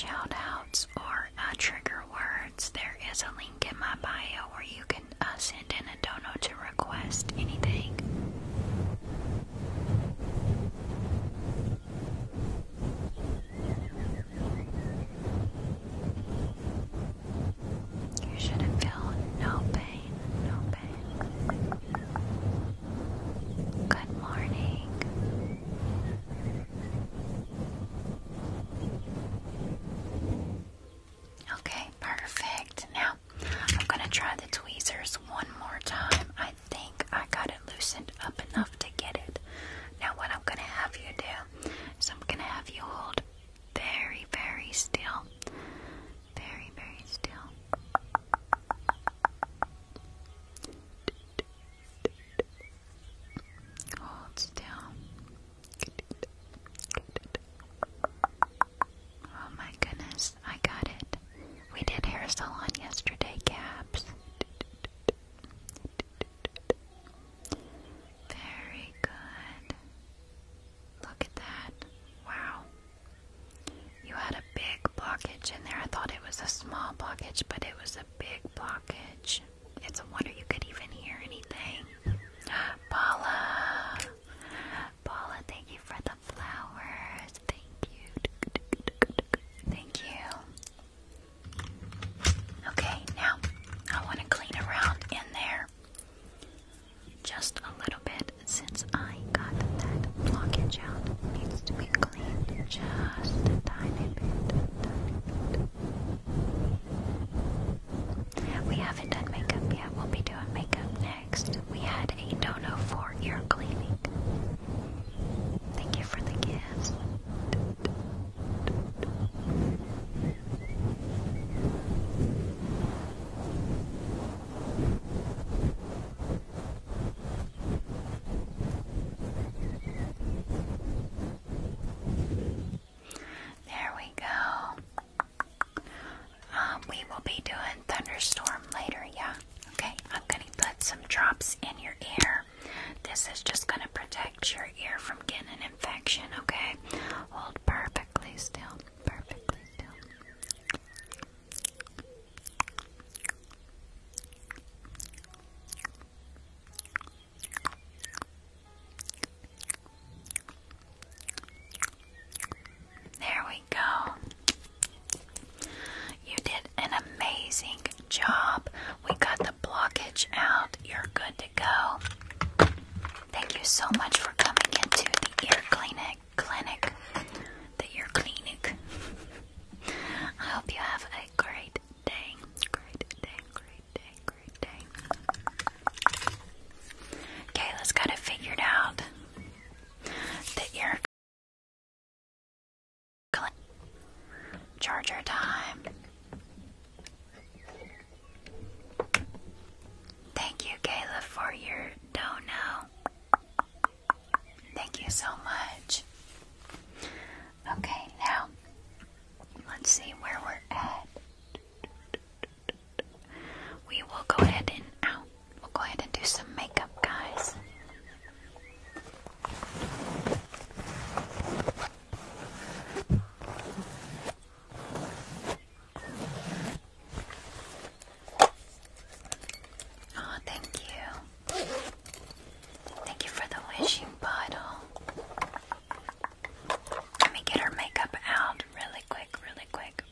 or trigger words, there is a link in my bio where you can uh, send in a dono to request anything. You should feel no pain, no pain. Good morning. Okay, perfect. Now I'm going to try the tweezers one more time. I think I got it loosened up enough to get it. Now what I'm gonna have you do is I'm gonna have you hold very, very still. Very, very still. Hold still. Oh my goodness, I got it. We did hair salon yesterday, Gabs. Very good. Look at that. Wow. You had a big blockage in there. I thought it was a small blockage, but it was a big blockage. It's a wonder you could even hear anything. Paula! Paula, thank you for the flowers. Thank you. Thank you. Okay, now I want to clean around in there just a little bit since I got that blockage out. needs to be cleaned just a tiny bit, We haven't done makeup yet. We'll be doing makeup next. We had a dono for ear cleaning. Thank you for the gifts. There we go. Um, we will be doing thunderstorm later, yeah. Okay, I'm gonna put some drops in your ear. This is just going to protect your ear from getting an infection, okay? Hold perfectly still. Perfectly still. There we go. You did an amazing job. We got the blockage out. You're good to go. Thank you so much for coming into the ear clinic. Clinic. The ear clinic. I hope you have a great day. Great day, great day, great day. Kayla's got it figured out. The ear Click. Charger time. Thank you, Kayla, for your dono. Thank you so much. Okay, now let's see where we're at. We will go ahead and out. We'll go ahead and do some makeup, guys. Oh, thank you. Thank you for the wishing bottle. Let me get her makeup out really quick, really quick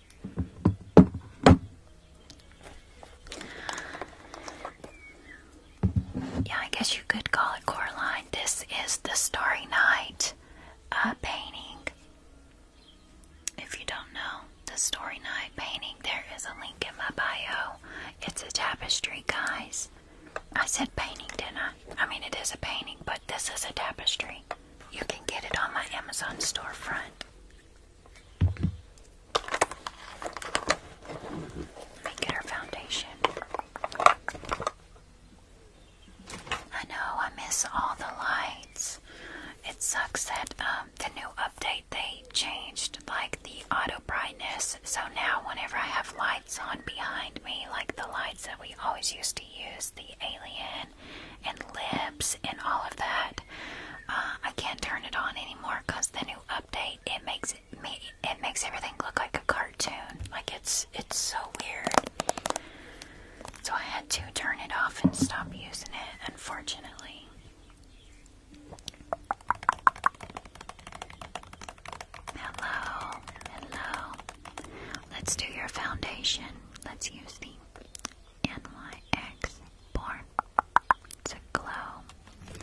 yeah, I guess you could call it Coraline. This is the Starry Night uh, painting. If you don't know the Starry Night painting, there is a link in my bio. It's a tapestry, guys. I said painting, didn't I? I mean, it is a painting, but this is a tapestry. You can get it on my Amazon storefront. Let me get her foundation. I know I miss all the lights. It sucks that um, the new update they changed like the auto brightness. So now whenever I have lights on behind me, like the lights that we always used to use, the alien and lips and all of that, uh, I can't turn it on anymore because the new update it makes it it makes everything look like a cartoon. Like it's it's so weird. So I had to turn it off and stop using it, unfortunately. Hello, hello. Let's do your foundation. Let's use the NYX Born to Glow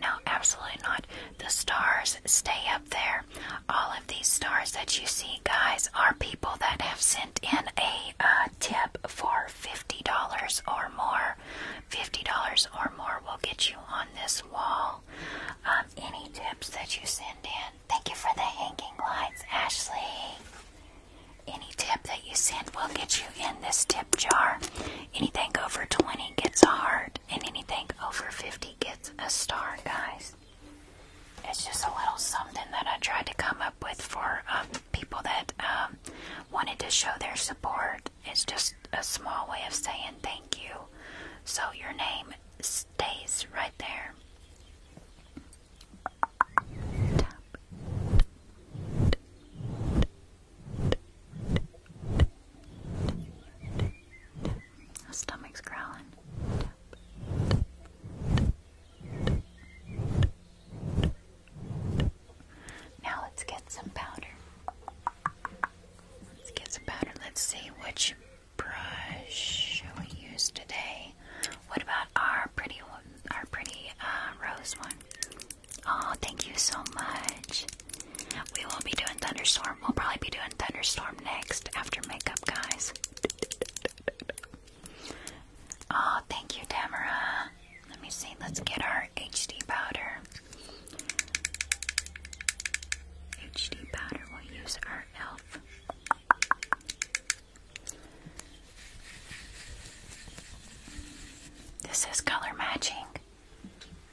no, absolutely not. The stars stay up there. All of these stars that you see, guys, are people that have sent in a uh, tip for $50 or more. $50 or more will get you on this wall. Um, any tips that you send in. Thank you for the hanging lights, Ashley. Any tip that you send will get you in this tip jar. Anything over 20 gets a heart, and anything over 50 gets a star, guys. It's just a little something that I tried to come up with for um, people that um, wanted to show their support. It's just a small way of saying thank you. So your name stays right there my stomach's growling. Now let's get some powder. Let's get some powder. Let's see which brush shall we use today. What about our pretty our pretty uh, rose one? Oh, thank you so much. We will be doing thunderstorm. We'll probably be doing thunderstorm next after makeup, guys. Oh, thank you, Tamara. Let me see. Let's get our HD powder. HD powder. We'll use our elf. This is color matching.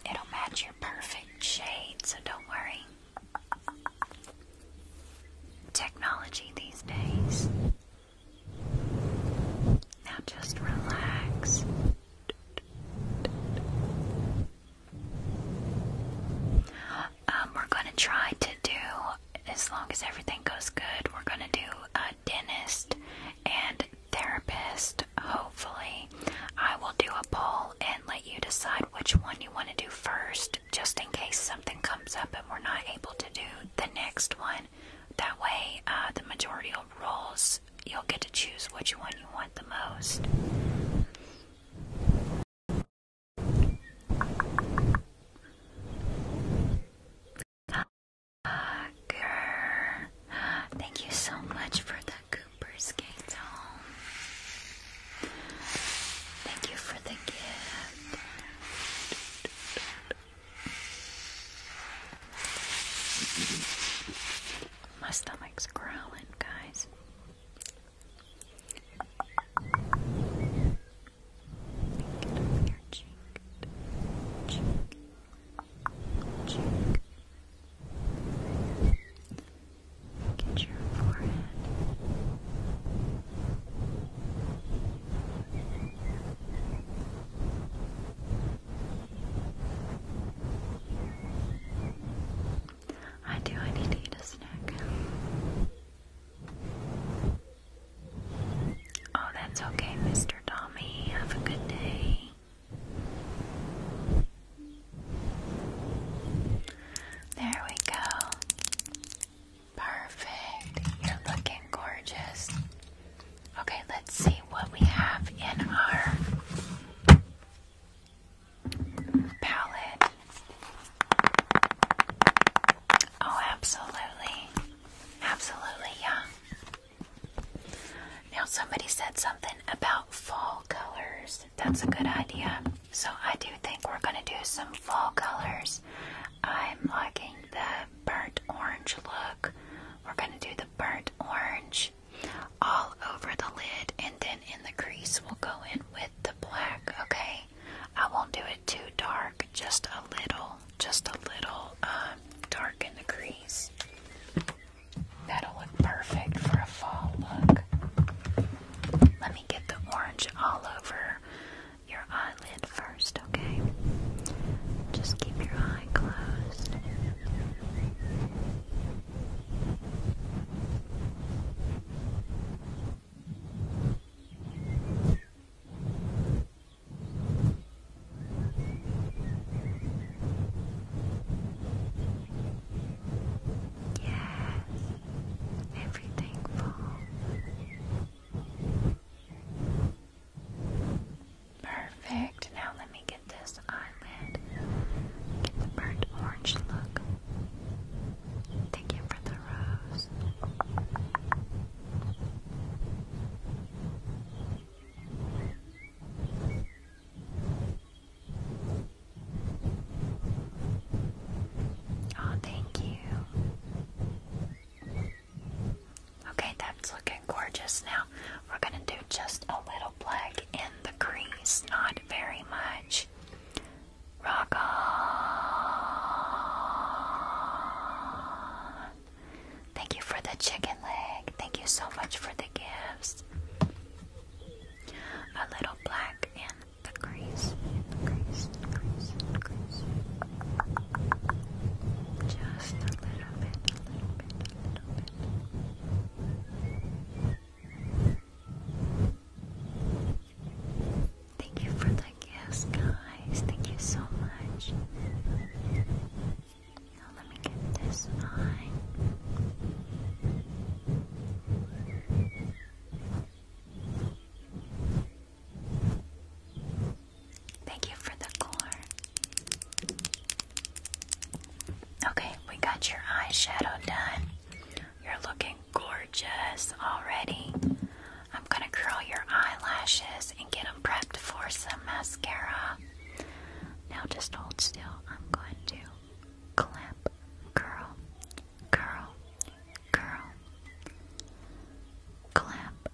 It'll match your perfect shade, so don't worry. Technology these days. Now just relax. Um, we're going to try to do as long as everything goes good, we're gonna do a dentist and therapist. Hopefully, I will do a poll and let you decide which one you want to do first, just in case something comes up and we're not able to do the next one. That way, uh, the majority of rules, you'll get to choose which one you want the most thank you so much for the Cooper's Gate home. Thank you for the gift. My stomach's growling, guys. Make your cheek. Cheek. Cheek. Get your forehead. I do, I need to eat a snack. Oh, that's okay, Mr. Tommy. Have a good day. There we go. Perfect. You're looking gorgeous. Okay, let's see what we have in our palette. Oh, absolutely. Absolutely, yeah. Now, somebody said something about fall colors. That's a good idea. So, I do think we're going to do some fall colors. I'm liking the burnt orange look. We're going to do the burnt orange all over the lid, and then in the crease, we'll go in with the black, okay? I won't do it too dark, just a little just a little um, dark in the crease. That'll look perfect for a fall look. Let me get the orange all over your eyelid first, okay? Just keep your eye closed. Yes, everything falls. Perfect. Now let me get this eyelid. Get the burnt orange look. Thank you for the rose. Oh, thank you. Okay, that's looking gorgeous now. We're going to do just a little black in the crease, not very much. Rock on. Thank you for the chicken leg. Thank you so much for the gifts. A little black in the crease. Just a little bit. Thank you for the Yes, guys, thank you so much. Now let me get this on. Thank you for the core. Okay, we got your eyeshadow done. You're looking gorgeous already. I'm gonna curl your eyelashes and get them prepped for some mascara. Now just hold still. I'm going to clamp, curl, curl, curl, clamp,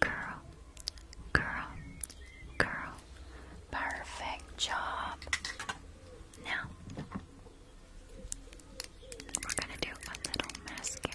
curl, curl, curl. Perfect job. Now we're gonna do a little mascara.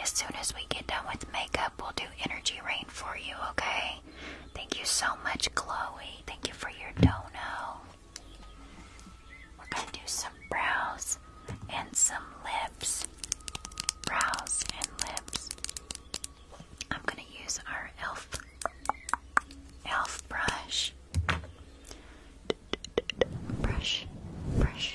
As soon as we get done with makeup, we'll do energy rain for you, okay? Thank you so much, Chloe. Thank you for your dono. We're going to do some brows and some lips. Brows and lips. I'm going to use our e.l.f. elf brush. Brush, brush,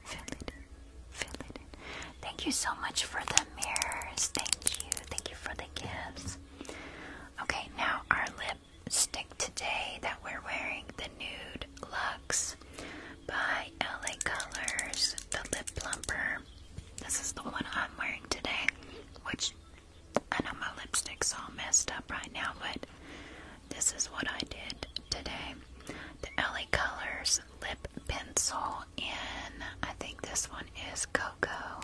Fill it in. Fill it in. Thank you so much for the mirrors. Thank you. Thank you for the gifts. Okay, now our lipstick today that we're wearing, the Nude Luxe by LA Colors, the Lip Plumper. This is the one I'm wearing today, which I know my lipstick's all messed up right now, but this is what I did today. The LA Colors lip pencil in, I think this one is Cocoa.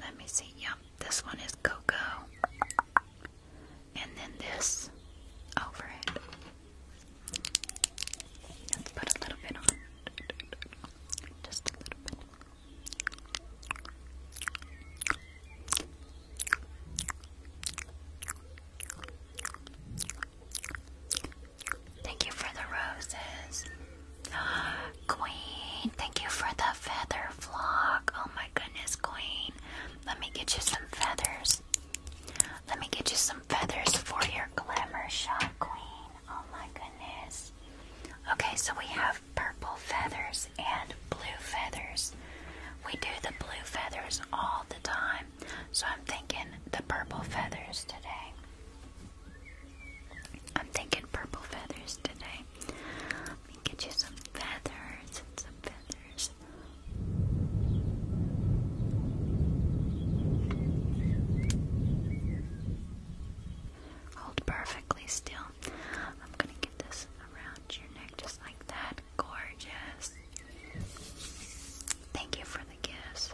Let me see. Yep, this one is Cocoa. And then this over it. Let's put a little bit on. Just a little bit. Thank you for the roses. Queen, thank you for the feather flock. Oh my goodness, Queen. Let me get you some feathers. Let me get you some feathers for your glamour shot, Queen. Oh my goodness. Okay, so we have purple feathers and blue feathers. We do the blue feathers all the time. So I'm thinking the purple feathers today. I'm thinking purple feathers today. Let me get you some feathers and some feathers. Hold perfectly still. I'm gonna get this around your neck just like that. Gorgeous. Thank you for the gifts.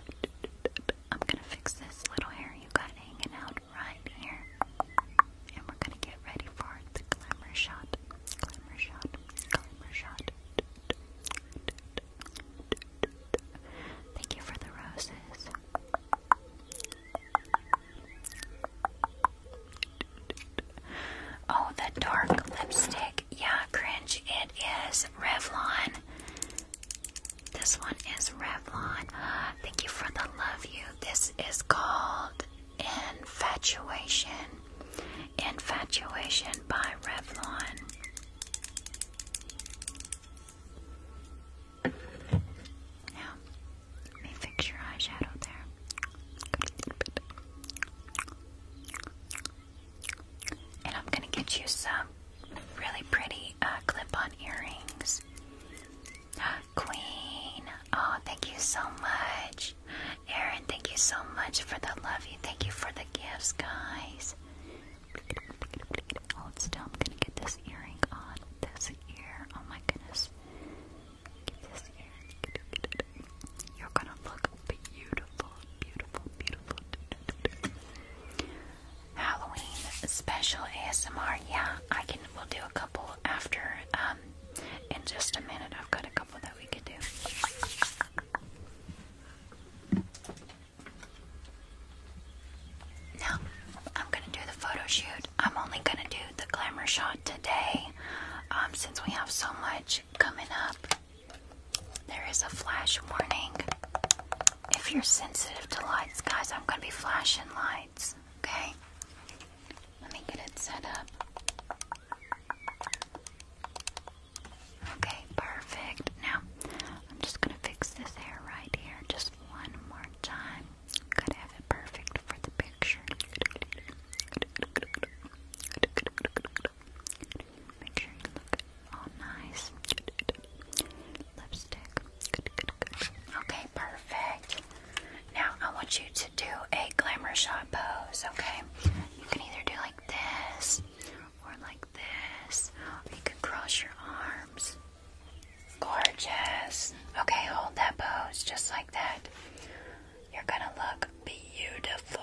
I'm gonna fix this little hair you got hanging out right here. And we're gonna get ready for the glamour shot. Glamour shot. Glamour shot. Thank you for the roses. Oh, the dark lipstick. Yeah, cringe. It is Revlon. This one is Revlon. Thank you for the love you. This is called Infatuation. Infatuation by Revlon. Now, let me fix your eyeshadow there. And I'm gonna get you some really pretty uh, clip-on earrings. Queen, oh, thank you so much. Aaron, thank you so much for the love. You, thank you for the gifts, guys. Hold oh, still. I'm gonna get this earring on. This ear. Oh my goodness. You're gonna look beautiful, beautiful, beautiful. Halloween special ASMR. Yeah, I can. We'll do a couple after. Um, in just a minute, I've got a couple that we could do. Now, I'm gonna do the photo shoot. I'm only gonna do the glamour shot today, um, since we have so much coming up. There is a flash warning. If you're sensitive to lights, guys, I'm going to be flashing lights. Okay? Let me get it set up. Okay, perfect. Now, I'm just going to fix this hair right here just one more time. Gotta have it perfect for the picture. Make sure you look all nice. Lipstick. Good, good, good. Okay, perfect. Now I want you to do a glamour shot pose, okay? You can either do like this or like this. you can cross your arms. Gorgeous. Okay, hold that pose just like that. You're gonna look beautiful.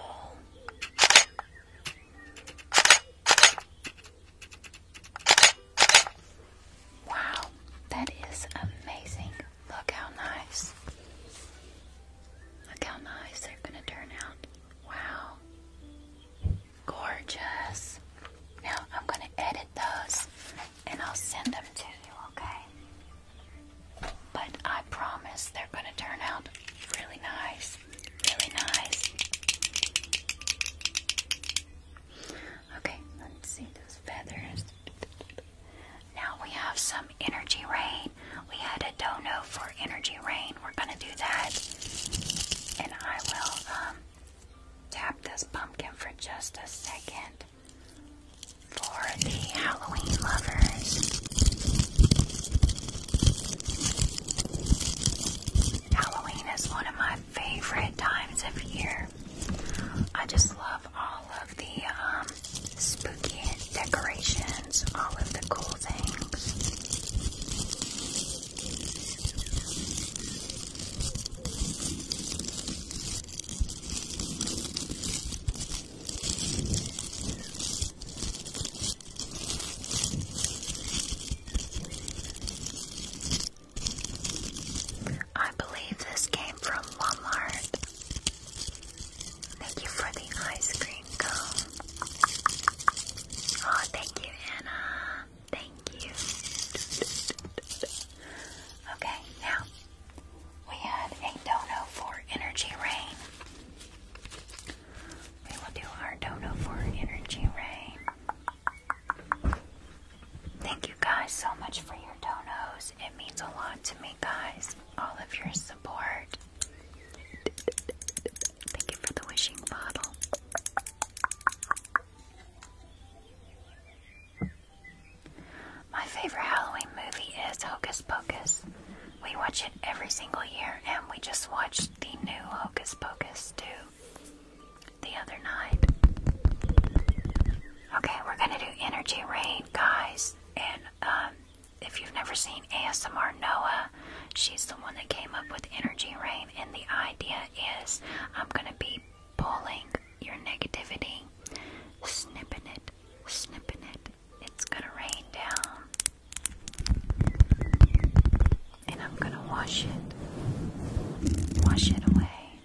Wow, that is amazing. Look how nice. Look how nice they're going to turn out. Wow. Gorgeous. Now I'm going to edit those and I'll send them to you, okay? But I promise they're going to turn out really nice. Really nice. Okay, let's see those feathers. Now we have some energy rain. We had a dono for energy rain. We're gonna do that. And I will um, tap this pumpkin for just a second for the Halloween lovers. Halloween is one of my favorite times of year. I just love all of the um, spooky decorations, all of the cool things. I believe this came from Walmart. Thank you for the ice cream cone. Oh, thank you, Anna. Thank you. Okay, now we had a dono for energy rain. We will do our dodo for energy ray. Thank you guys so much for your donos. It means a lot to me, guys. All of your support. Thank you for the wishing bottle. My favorite Halloween movie is Hocus Pocus. We watch it every single year, and we just watched the new Hocus Pocus 2 the other night. Okay, we're gonna do Energy Rain, guys. And um, if you've never seen ASMR Noah, she's the one that came up with Energy Rain. And the idea is I'm gonna be pulling your negativity, snipping it, snipping it. It's gonna rain down. And I'm gonna wash it. Wash it away.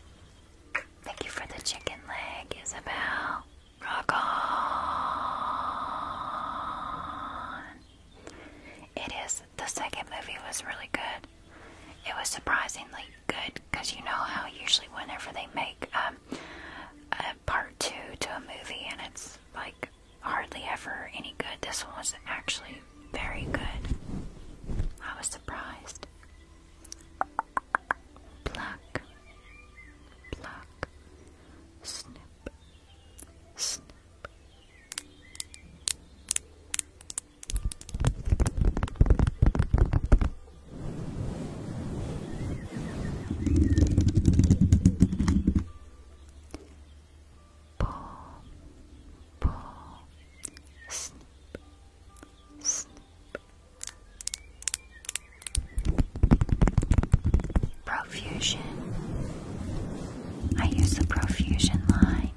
Thank you for the chicken leg, Isabel. Rock on! It is. The second movie was really good. It was surprisingly good because you know how usually whenever they make um, a part two to a movie and it's like hardly ever any good. This one was actually very good. I was surprised. Pluck, pluck, snip, snip paw, paw, snip, snip. Profusion. I use the profusion line.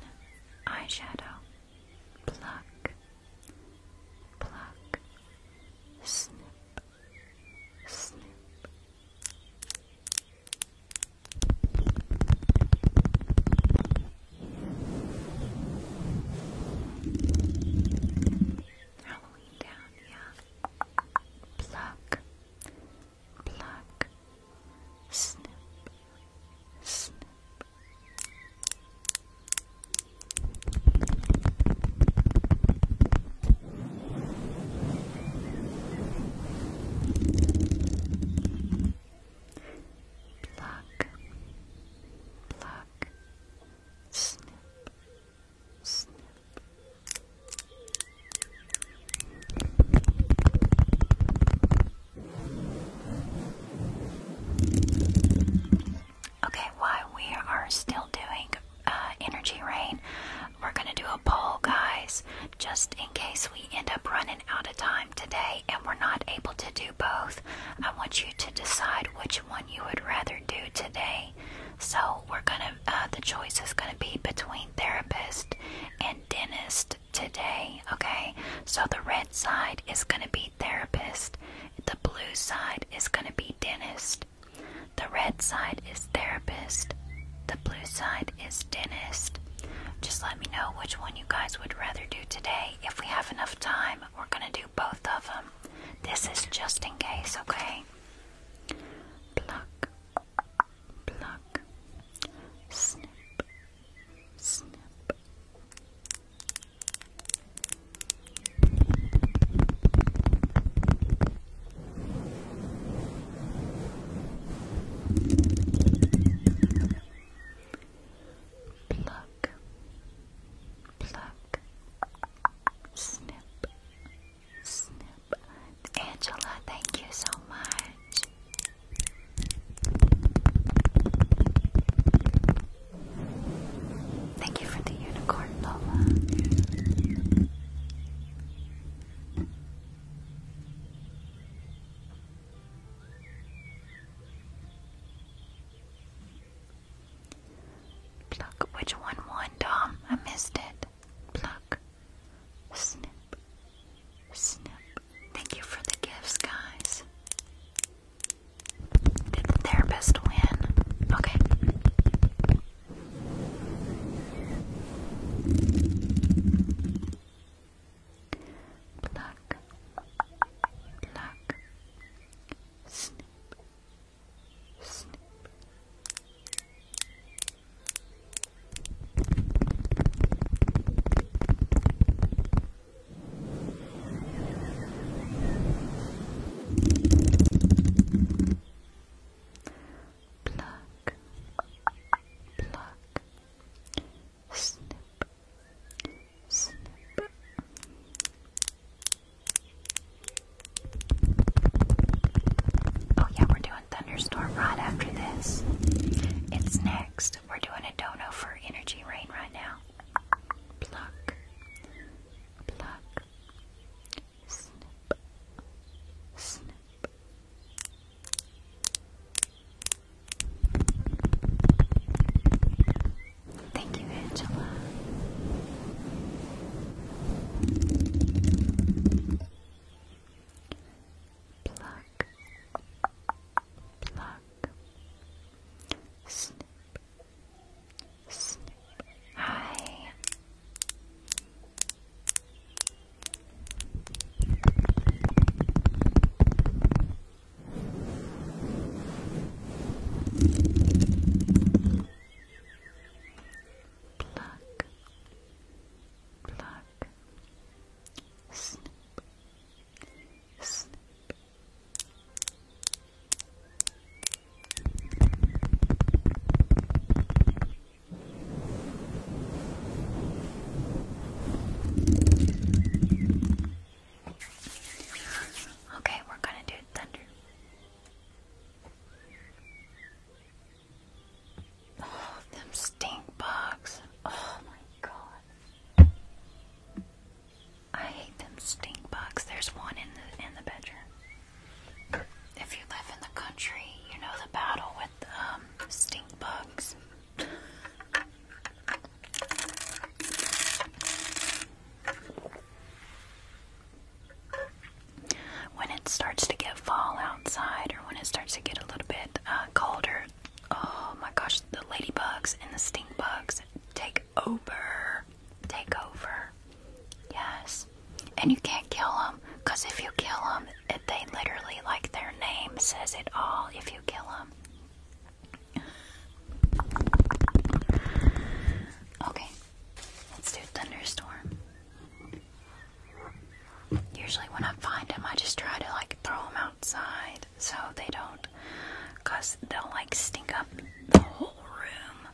Eyeshadow. Pluck. Pluck. Snip. Snip. Halloween down, yeah. Uh, pluck, pluck, snip, snip. Pluck, Pluck, pluck, Okay, while we are still doing uh, energy rain, we're gonna do a poll, guys, just in case we end up running out of time today and we're not able to do both. I want you to decide which one you would rather do today. So we're gonna, uh, the choice is gonna be between therapist and dentist today, okay? So the red side is gonna be therapist, the blue side is gonna be dentist. The red side is therapist, the blue side is dentist. Just let me know which one you guys would rather do today. If we have enough time, we're going to do both of them. This is just in case, okay? Pluck, pluck, snip, snip. Pluck, pluck, snip, snip. Angela, thank you so much. Thank you for the unicorn, Lola. Pluck. Which one won, Dom? I missed it. Pluck. Snip. Snip. Thank you for the gifts, guys. Did the therapist win? Okay. Pluck, pluck, snip, snip. Pluck, pluck, Oh yeah, we're doing thunderstorm right after this. It's next. We're doing a dono for energy rain right now. Pluck, pluck, snip, snip. Thank you, Angela. Pluck, pluck, snip, snip. Hi. Pluck, pluck, snip, snip. Pluck, Okay, we're gonna do thunder. Oh, them stink bugs. Oh my god. I hate them stink bugs. There's one in the in the bedroom. If you live in the country, you know the battle with um, stink bugs. When it starts to get fall outside, or when it starts to get a little bit uh, colder, oh my gosh, the ladybugs and the stink bugs take over. Take over. Yes. And you can't kill them, because if you kill them, it, they literally like their name says it all if you kill them. Okay, let's do thunderstorm. Usually when I find them, I just try to like throw them outside so they don't, cause they'll like stink up the whole room.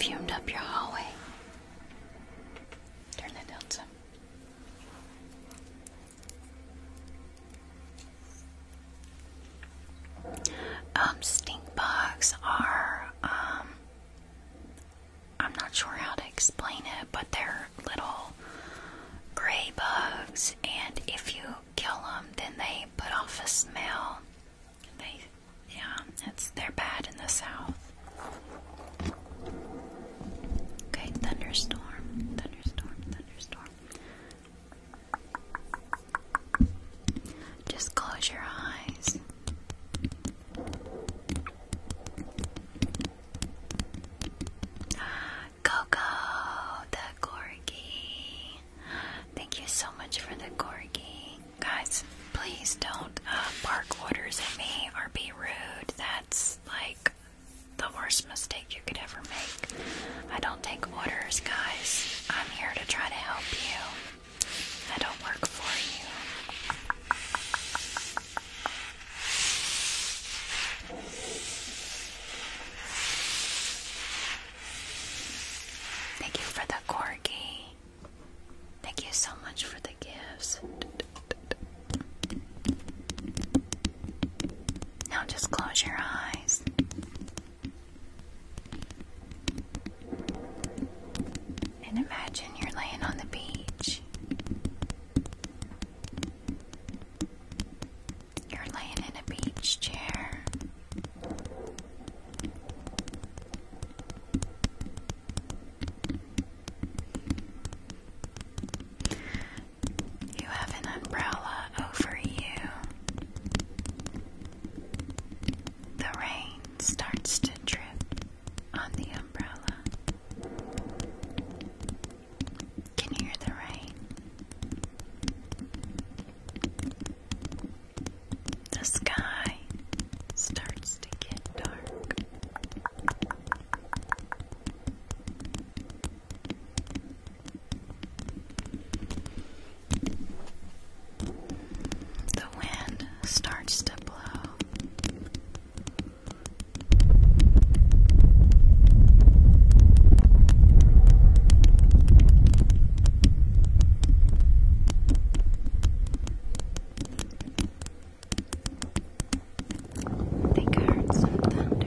Fumed up your hallway. Turn that down some. Um, stink bugs are, um, I'm not sure how to explain it, but they're little gray bugs, and if you kill them, then they put off a smell. They, yeah, it's they're bad in the south. Okay, thunderstorm, thunderstorm, thunderstorm. Just close your eyes. Coco, the corgi. Thank you so much for the corgi. Guys, please don't bark uh, orders at me or be rude. That's like the worst mistake you could ever make. I don't take orders, guys. I'm here to try to help you. I don't work for you. Thank you for the corgi. Thank you so much for the gifts. Now just close your eyes. And imagine you're laying on the beach. You're laying in a beach chair. You have an umbrella over you. The rain starts to drip on the umbrella. Can hear the rain? The sky starts to get dark. The wind starts to blow. They heard some thunder.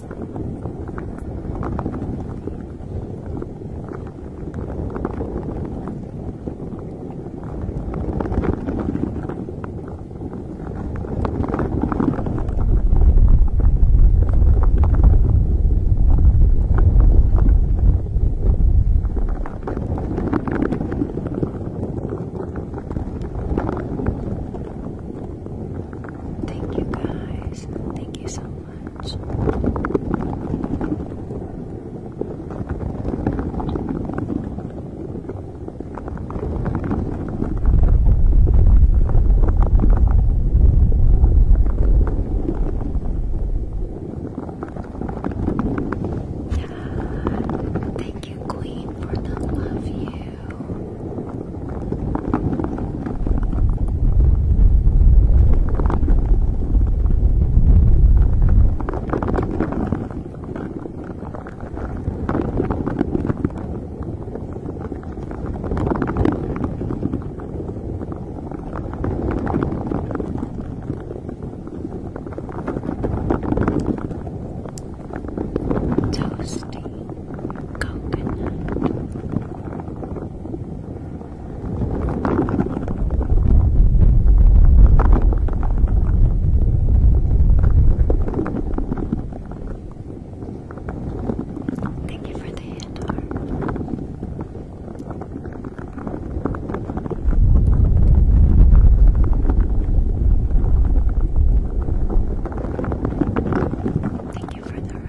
Thank you guys. Thank you so much times. Thank you, Queen, for the love you. Toasty. Thank you for the hand Thank you for the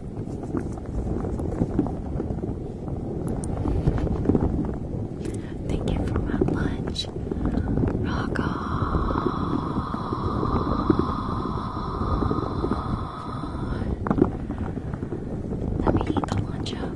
Thank you for my lunch. Rock on. Let me eat the lunch up.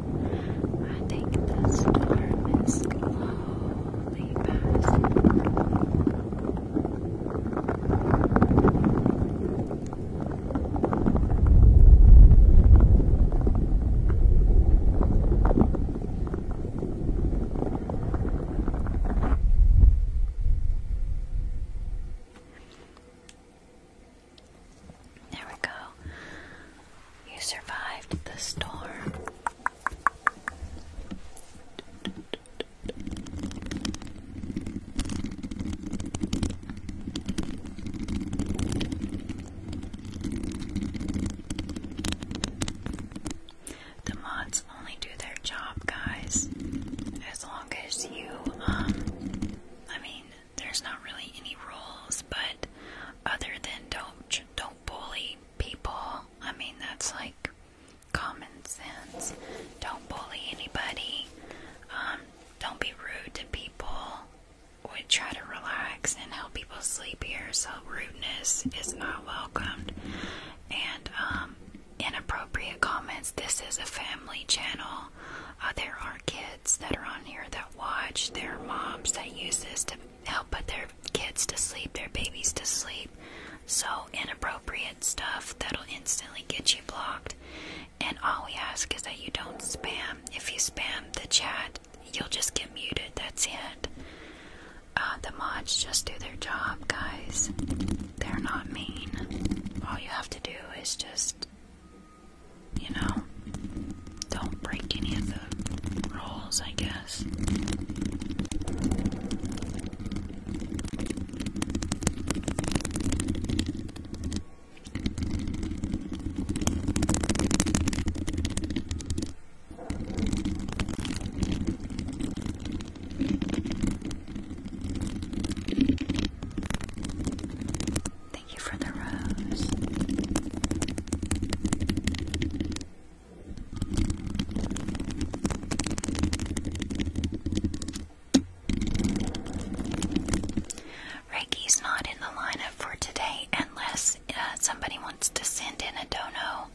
I think the storm is slowly passing. There we go. You survived the storm. The mods only do their job, guys. As long as you, um, I mean, there's not really any rules, but other than don't don't bully people. I mean, that's like common sense. Don't bully anybody. Um, don't be rude to people. We try to relax and help people sleep here, so rudeness is not welcomed. And um, inappropriate comments. This is a family channel. Uh, there are kids that are on here that watch, their moms that use this to help put their kids to sleep, their babies to sleep. So, inappropriate stuff that'll instantly get you blocked. And all we ask is that you don't spam. If you spam the chat, you'll just get muted. That's it. Uh, the mods just do their job, guys. They're not mean. All you have to do is just you know, don't break any of the rules, I guess. Thank you for the rose. Reiki's not in the lineup for today unless uh, somebody wants to send in a dono.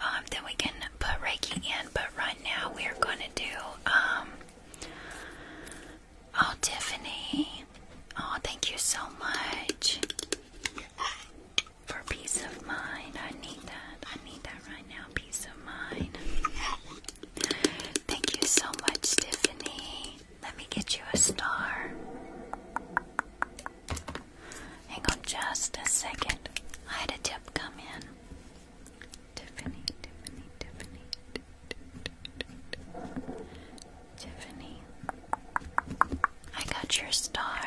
Um, then we can put Reiki in, but right now we are going to do um, Oh, Tiffany. Oh, thank you so much for peace of mind. I need that. I need that right now. Peace of mind. Thank you so much, Tiffany. Let me get you a star. Hang on just a second. I had a tip come in. Tiffany, Tiffany, Tiffany, Tiffany, I got your star.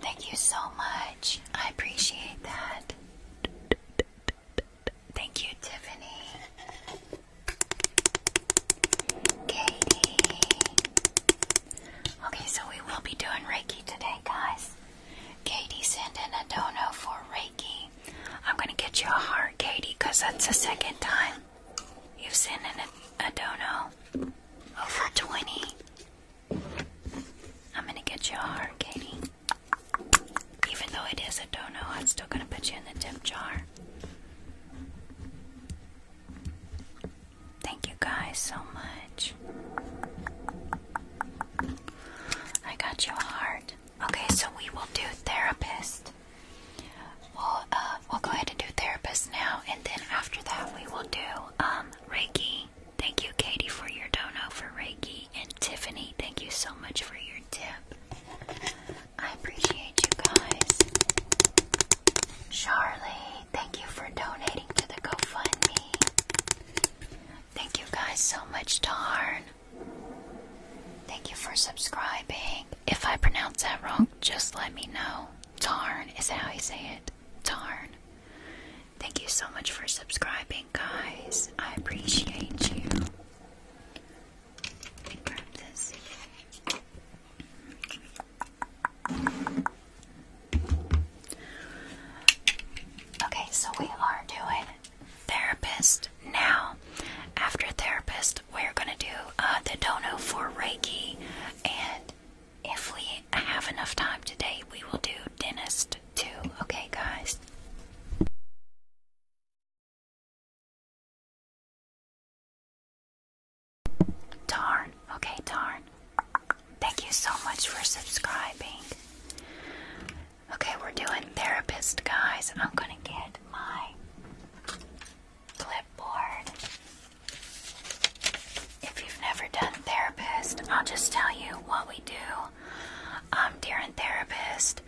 Thank you so much. I appreciate that. Thank you, Tiffany. Katie. Okay, so we will be doing Reiki today, guys. Katie, send in a dono for Reiki. I'm going to get you a heart, Katie, because that's the second time you've sent in a, a dono. Over 20. I'm going to get you a heart, Katie. Even though it is a dono, I'm still going to put you in the tip jar. Thank you guys so much. I got you a heart. Okay, so we will do therapist. We'll uh, we'll go ahead and do therapist now, and then after that we will do um Reiki. Thank you, Katie, for your dono for Reiki, and Tiffany. Thank you so much for your tip. I appreciate you guys. Charlie, thank you for donating to the GoFundMe. Thank you guys so much, Darn. Thank you for subscribing. If I pronounce that wrong, just let me know. Tarn is how you say it. Tarn. Thank you so much for subscribing, guys. I appreciate you. Okay, so we are doing therapist now. After therapist, we're gonna do uh, the dono for Reiki, and if we have enough time today, we will do dentist too. Okay, guys. Darn. Okay, darn. Thank you so much for subscribing. Okay, we're doing therapist, guys. I'm gonna get my clipboard. If you've never done therapist, I'll just tell you what we do. Um, during therapist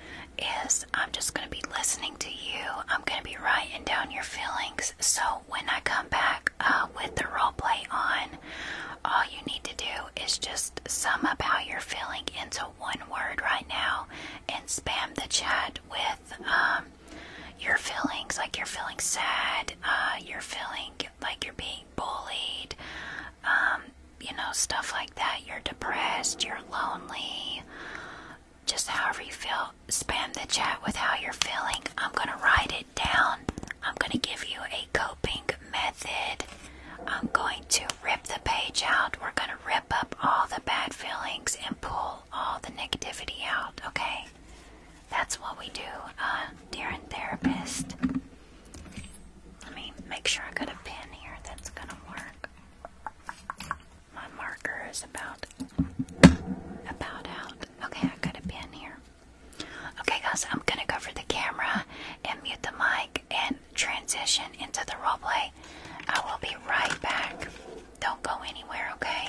is I'm just gonna be listening to you. I'm gonna be writing down your feelings. So when I come back uh, with the role play on, all you need to do is just sum up how you're feeling into one word right now and spam the chat with um, your feelings like you're feeling sad, uh, you're feeling like you're being bullied, um, you know, stuff like that. You're depressed, you're lonely, just however you feel. Spam the chat with how you're feeling. I'm going to write it down. I'm going to give you a coping method I'm going to rip the page out. We're going to rip up all the bad feelings and pull all the negativity out, okay? That's what we do, uh, dear and therapist. Let me make sure I got a pen here that's going to work. My marker is about about out. Okay, I got a pen here. Okay, guys, I'm gonna cover the camera and mute the mic, and transition into the roleplay, I will be right back. Don't go anywhere, okay?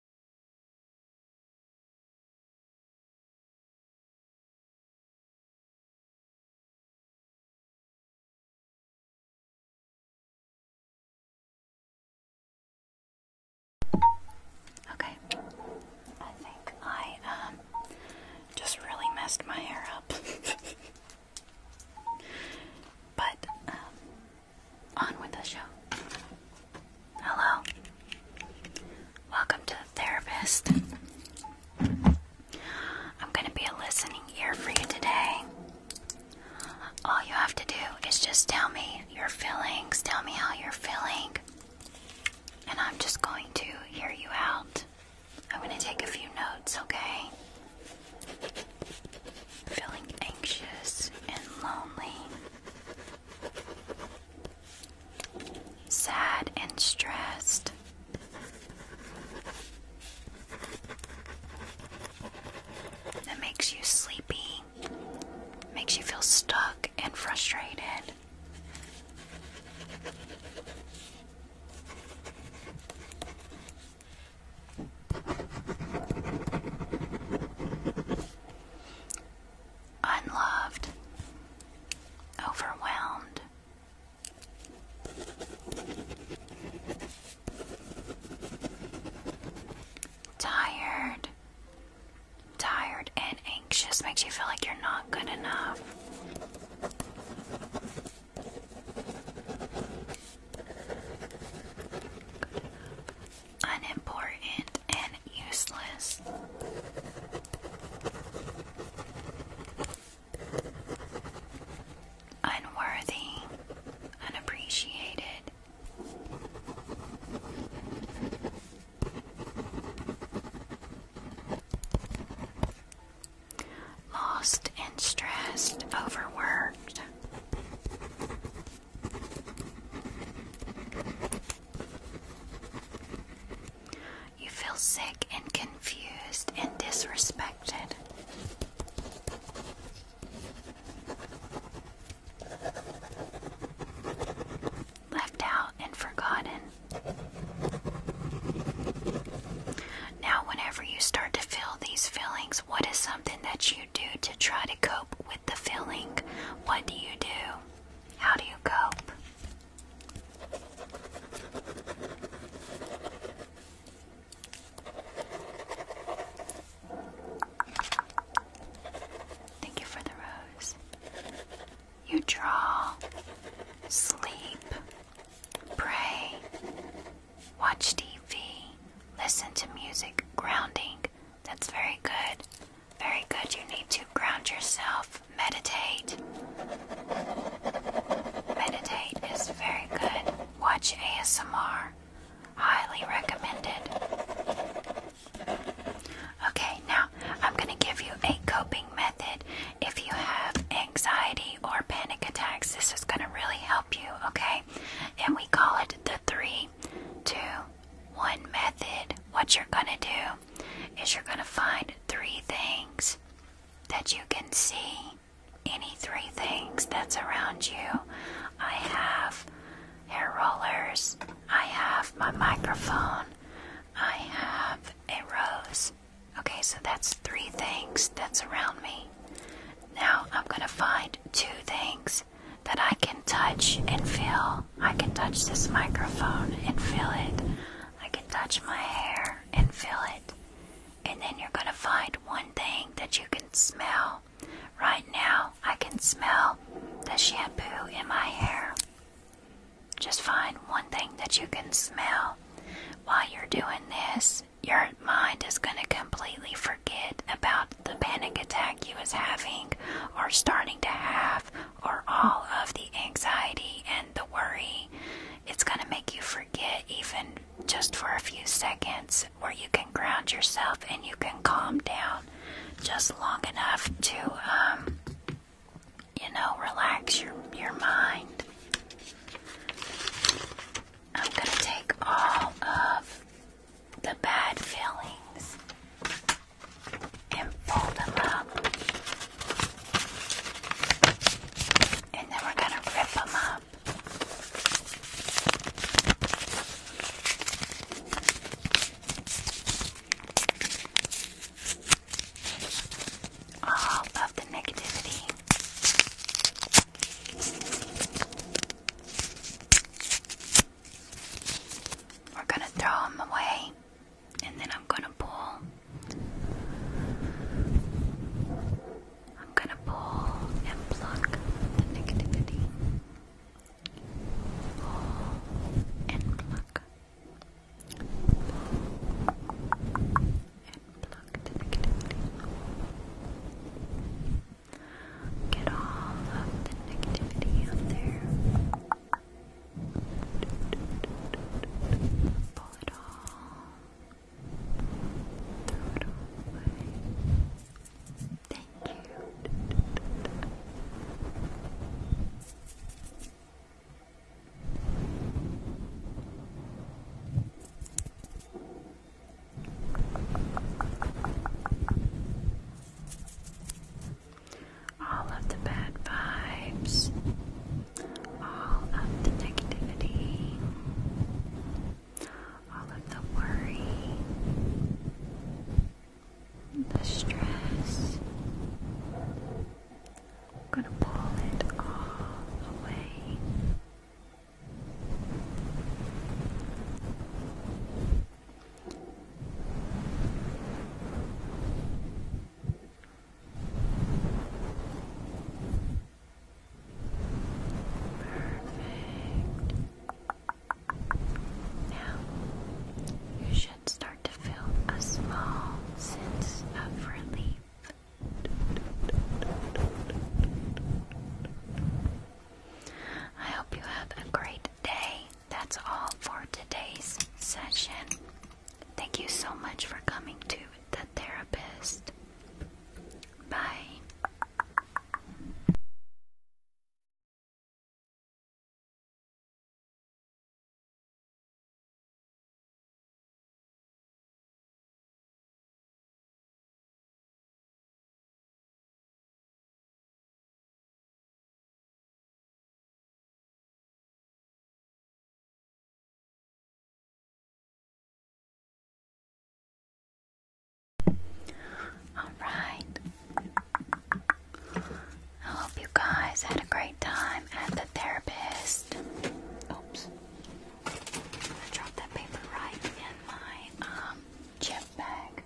Okay, I think I um, just really messed my hair up. but um, on with the show. Hello. Welcome to the therapist. I'm going to be a listening ear for you today. All you have to do is just tell me your feelings, tell me how you're feeling, and I'm just going to hear you out. I'm going to take a few notes, okay? Feeling anxious and lonely sad and stressed. That makes you sleepy, makes you feel stuck and frustrated unloved, overwhelmed. Tired, tired, and anxious makes you feel like you're not good enough. Unimportant and useless. Unworthy, unappreciated. Lost and stressed, overworked. You feel sick and confused and disrespected. Left out and forgotten. Now, whenever you start to feel these feelings, what is something that you do to try to cope with the feeling? What do you do? How do you cope? Thank you for the rose. You draw, sleep, pray, watch TV, listen to music, grounding. That's very good. Very good. You need to ground yourself. Meditate. Meditate is very good. Watch ASMR. Highly recommended. Okay, now I'm going to give you a coping method. If you have anxiety or panic attacks, this is going to really help you, okay? And we call it the three, two, one method. What you're going to do is you're going to find three things that you can see. Any three things that's around you. I have hair rollers, I have my microphone, I have a rose. Okay, so that's three things that's around me. Now I'm going to find two things that I can touch and feel. I can touch this microphone and feel it. I can touch my hair and feel it. And then you're going to find one thing that you can smell. Right now, I can smell the shampoo in my hair. Just find one thing that you can smell. While you're doing this, your mind is going to completely forget about the panic attack you was having or starting to have or all of the anxiety and the worry. It's going to make you forget, even just for a few seconds, where you can ground yourself and you can calm down just long enough to, um, you know, relax your, your mind. I'm going to take all of the bad feelings and fold them up. And then we're going to rip them up. All of the negativity. We're going to throw them away and then I'm gonna pull. I'm gonna pull and pluck the negativity. Pull and pluck. Pull and pluck the negativity. Get all of the negativity out there. Pull it all. away. Thank you all of the bad vibes, all of the negativity, all of the worry, the stress. I'm going to pull it all away. Now, you should start to feel a small sense of relief. I hope you have a great day. That's all for today's session. Thank you so much for coming to the therapist. Bye. All right. I hope you guys had a great time at the therapist. Oops. I dropped that paper right in my um bag.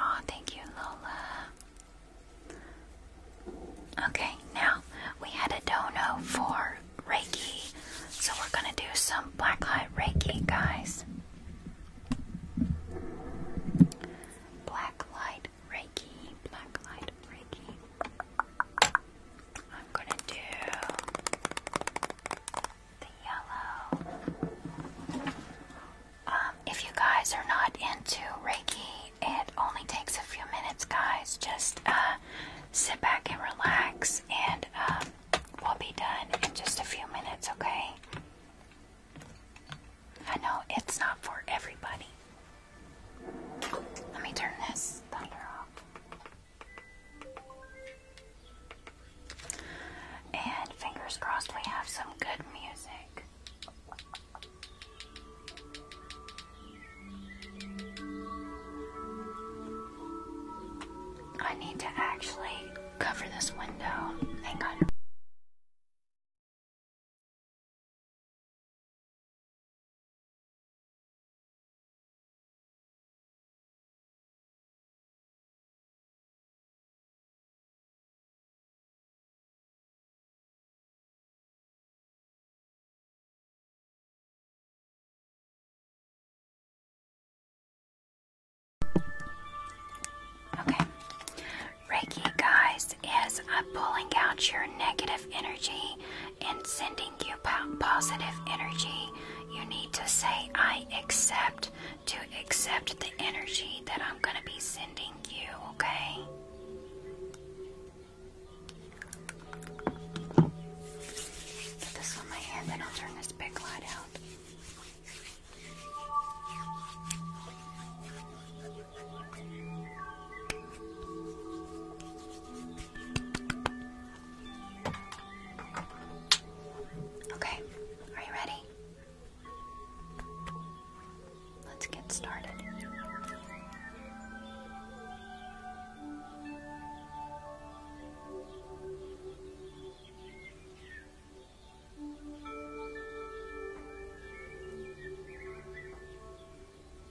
Oh, thank you, Lola. Okay, now we had a dono for Reiki, so we're gonna do some black light Reiki, guys. Black light Reiki, black light Reiki. I'm gonna do the yellow. Um, if you guys are not into Reiki, it only takes a few minutes, guys. Just uh, sit back and relax, and um, we'll be done in just a few minutes, okay? I know it's not for everybody. Let me turn this thunder off. And fingers crossed we have some good music. I need to actually cover this window. Hang on. Okay. Reiki, guys, is uh, pulling out your negative energy me and sending you positive energy, you need to say, I accept, to accept the energy that I'm going to be sending you, okay? this on my hand, then I'll turn this big light out. Okay, are you ready? Let's get started.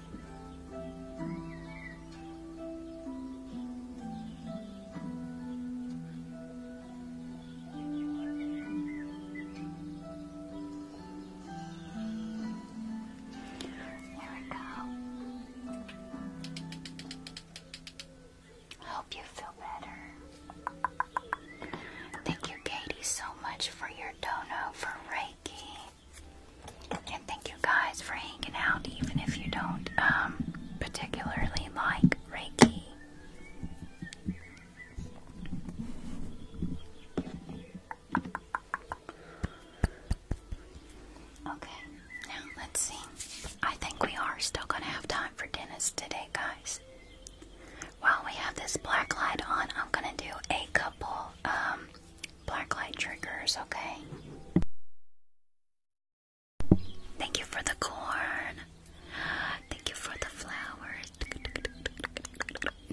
Here we go. Hope you feel better. Thank you, Katie, so much for your dono for Reiki. And thank you guys for hanging out, even if you don't um, particularly like Reiki. Okay, now let's see. I think we are still going to have time for dentist today, guys. While we have this black light on, I'm going to do a couple um, Blacklight triggers, okay? Thank you for the corn. Thank you for the flowers.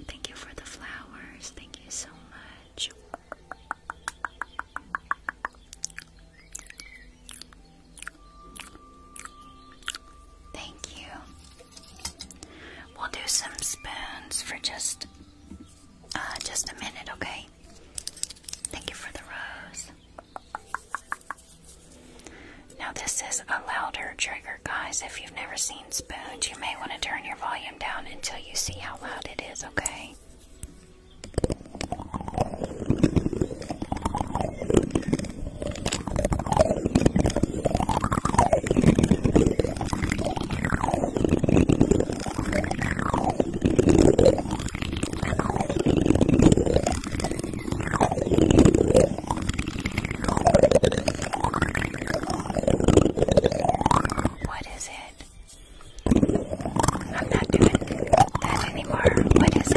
Thank you for the flowers. Thank you so much. Thank you. We'll do some spoons for just uh, just a minute, okay? Thank you for the rose. Now, this is a louder trigger, guys. If you've never seen spoons, you may want to turn your volume down until you see how loud it is, okay? What is it? I'm not doing that anymore. What is it?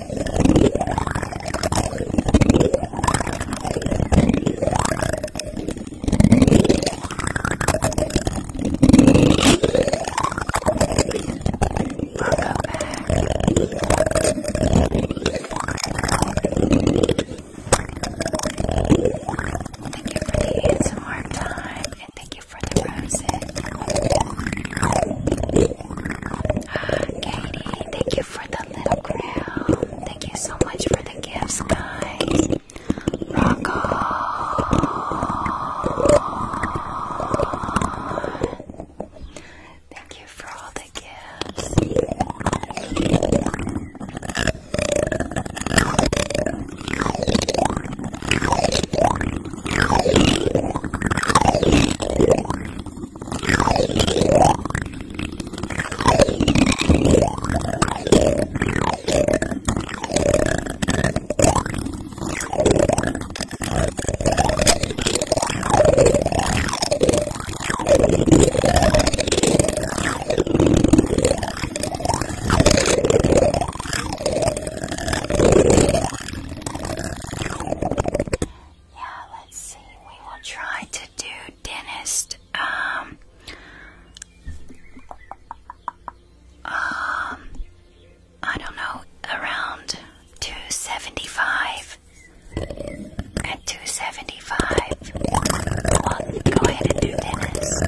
some more time, and thank you for the roses. Katie, thank you for the little crown. Thank you so much for the gifts, guys. Rock on. Thank you for all the gifts. Yeah, let's see. We will try to do dentist. Um, um, I don't know, around 275. At 275, go ahead and do dentist.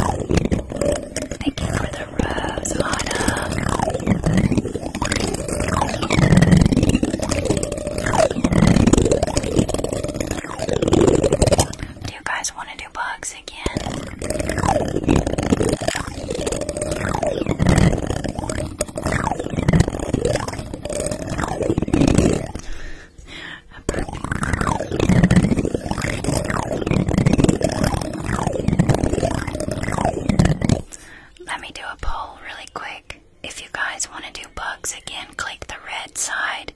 Thank you for the rose, Anna. Do you guys want to do bugs again? Let me do a poll really quick. If you guys want to do bugs again, click the red side.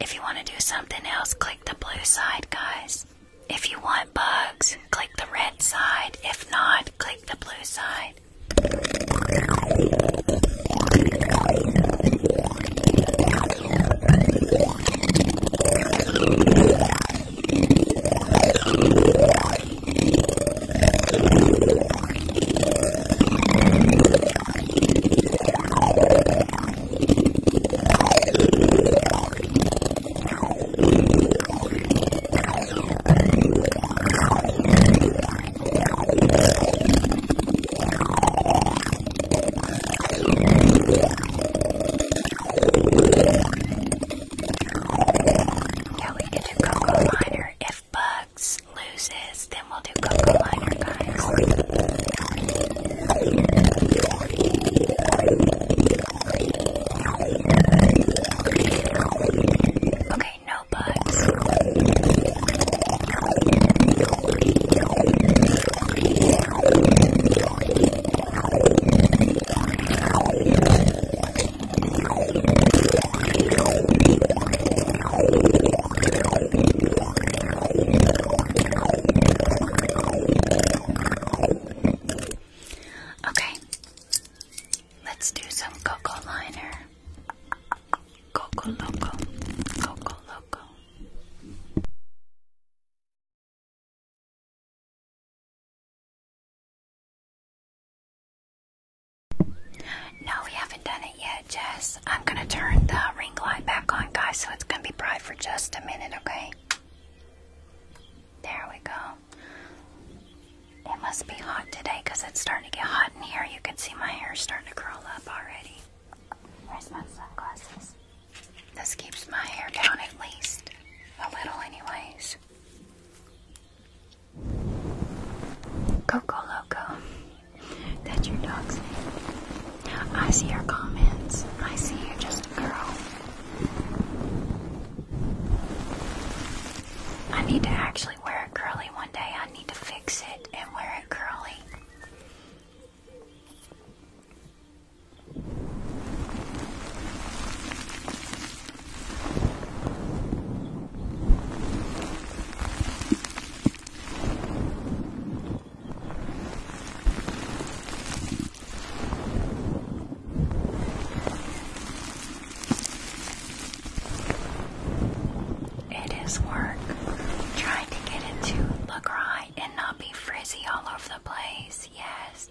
If you want to do something else, click the blue side, guys. If you want bugs, click the red side. If not, click the blue side. Yeah, we could do cocoa liner if Bugs loses, then we'll do Coco Liner, guys. Okay, no Bugs. Okay, let's do some cocoa liner. Coco loco, coco loco. No, we haven't done it yet, Jess. I'm gonna turn the ring light back on, guys, so it's gonna be bright for just a minute, okay? There we go. It must be hot today because it's starting to get hot in here. You can see my hair starting to curl up already. Where's my sunglasses? This keeps my hair down at least. A little, anyways. Coco Loco. That's your dog's name. I see your comments. I see you are just a girl. I need to actually wear it curly one day. I need to fix it and wear it curly. It is work. Trying to get it to look right and not be frizzy all over the place. Yes.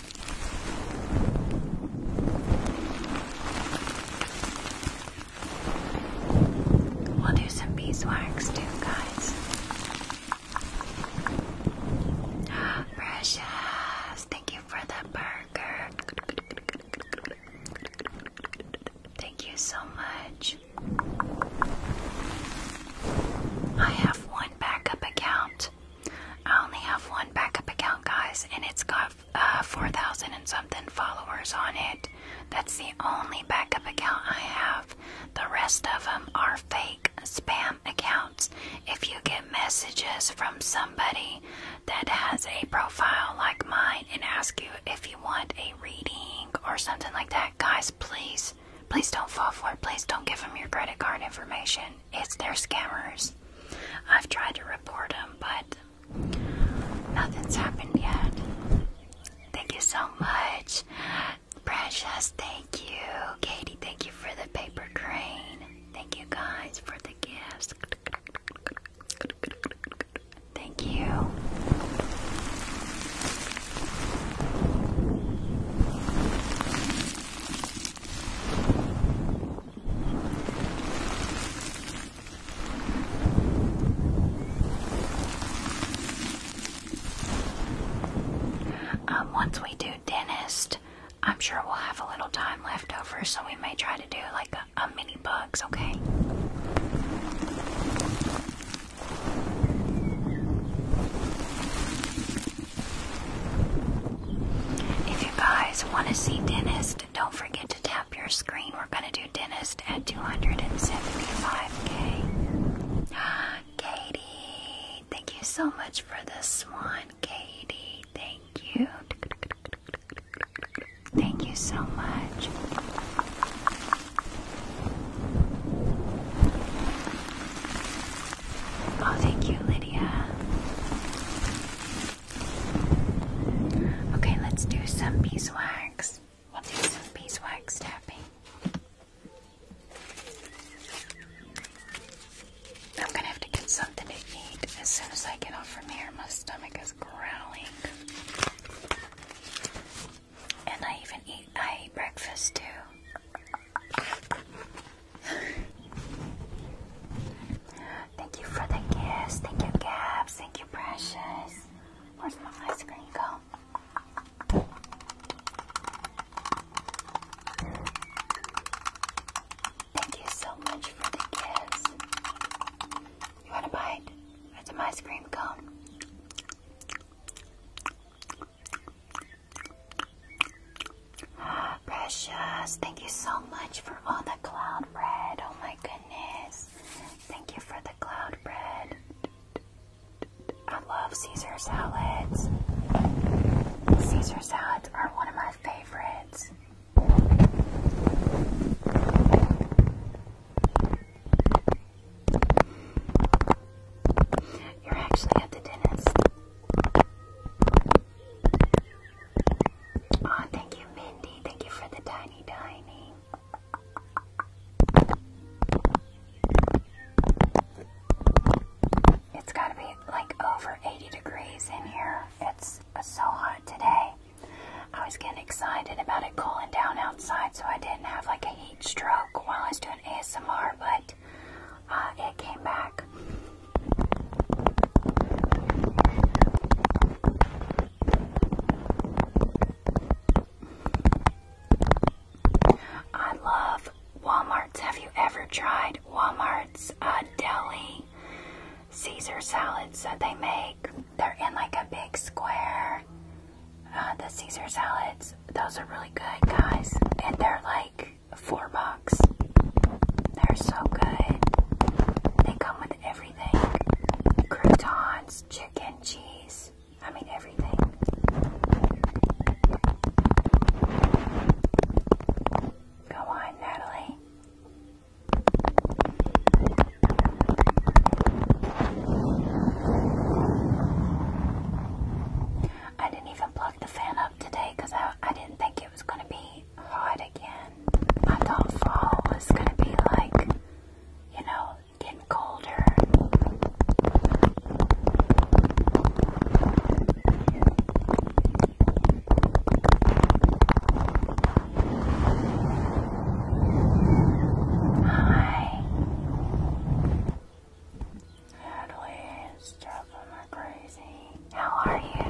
We'll do some beeswax too, guys. precious, thank you for the burger. Thank you so much. I have one backup account. I only have one backup account, guys, and it's got uh, 4,000 and something followers on it. That's the only backup account I have. The rest of them are fake spam accounts. If you get messages from somebody that has a profile like mine and ask you if you want a reading or something like that, guys, please, please don't fall for it. Please don't give them your credit card information it's their scammers. I've tried to report them, but nothing's happened yet. Thank you so much, Precious. Thank you, Katie. Thank you for the paper crane. Thank you guys for the gifts. Thank you. Um, once we do dentist, I'm sure we'll have a little time left over, so we may try to do like a mini bugs, okay? If you guys want to see Dentist, don't forget to tap your screen. We're going to do Dentist at 275k. Katie, thank you so much for this one, Katie. Thank you. Thank you so much. Oh, thank you, Lydia. Okay, let's do some beeswax. We'll do some beeswax tapping. I'm gonna have to get something to eat as soon as I get off from here. My stomach is growling. And I even eat I eat breakfast too. Thank you for the gifts. Thank you, Gabs. Thank you, Precious. Where's my ice cream cone? Thank you so much for the gifts. You want a bite? That's an ice cream cone. Precious, thank you so much for all the cloud bread. Oh my goodness. Thank you for the cloud bread. I love Caesar salads. Caesar salads are one of my favorites. You're actually at the dentist. Oh, thank you, Mindy. Thank you for the tiny tiny. It's got to be like over 80 degrees in here. It's so hot today. I was getting excited about it cooling down outside so I didn't have like a heat stroke while I was doing ASMR, but uh, it came back. I love Walmart's. Have you ever tried Walmart's uh, deli Caesar salads that they make? They're in like a big square. Uh, the Caesar salads, those are really good, guys. And they're like four bucks. They're so good. They come with everything. Croutons, chicken, cheese. I mean everything. Go on, Natalie. I didn't even plug the fan up today because I, I didn't think it was going to be fall again. I thought fall was gonna be like, you know, getting colder. Hi. Natalie how are you?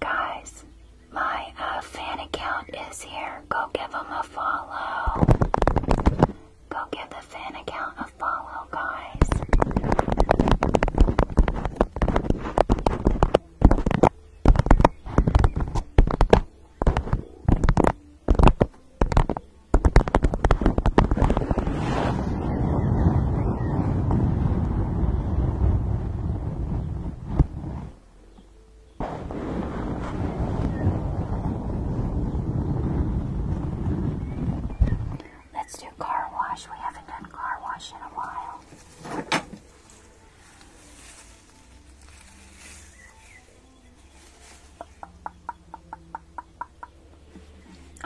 Guys, my uh, fan account is here. Go give them a follow. Go give the fan account a follow, guys. Let's do car wash. We haven't done car wash in a while.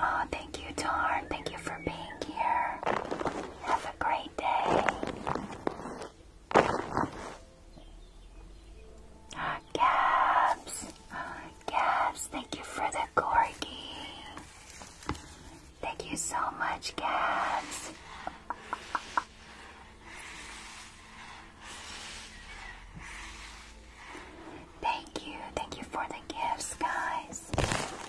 Oh, thank you, Darn. Thank you for being here. Have a great day. Ah, Gabs. Ah, Gabs, thank you for the corgi. Thank you so much, Gabs. Thank you, thank you for the gifts, guys. Hi.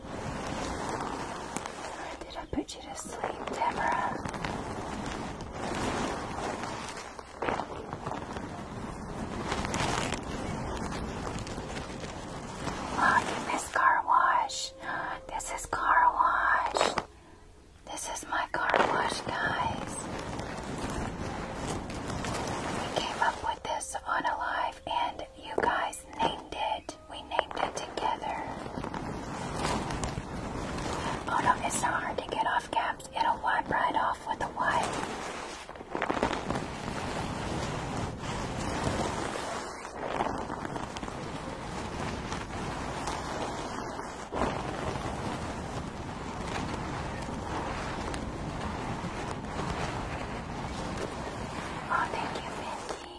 Did I put you to sleep, Deborah? Oh, you missed car wash. This is car wash. This is my car wash, guys. We came up with this on a and you guys named it. We named it together. Oh no, it's not hard to get off caps. It'll wipe right off with a wipe. Oh, thank you, Mindy.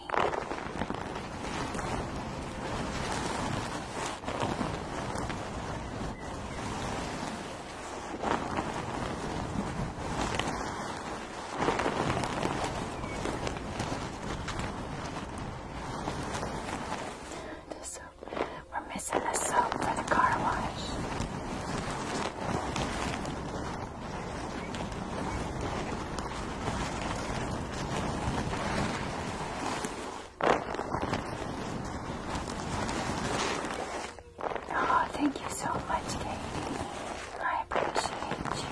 This We're missing the soap for the car wash. Oh, thank you so much, Katie. I appreciate you.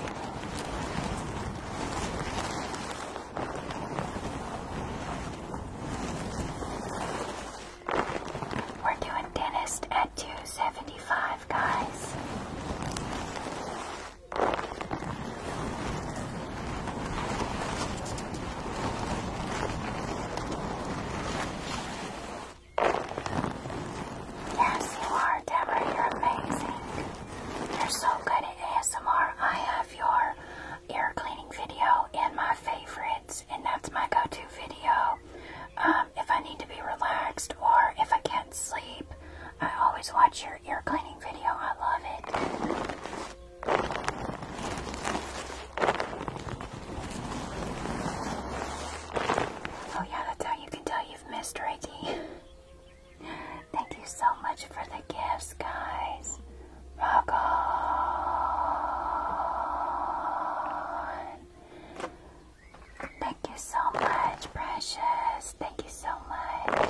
We're doing dentist at 275. Yes, you are, Deborah. You're amazing. You're so good at ASMR. I have your ear cleaning video in my favorites, and that's my go-to video. Um, um, if I need to be relaxed or if I can't sleep, I always watch your ear cleaning video. I love it. Oh yeah, that's how you can tell you've missed Reiki. Thank you so much for the gifts, guys. Rock Thank you so much, precious. Thank you so much.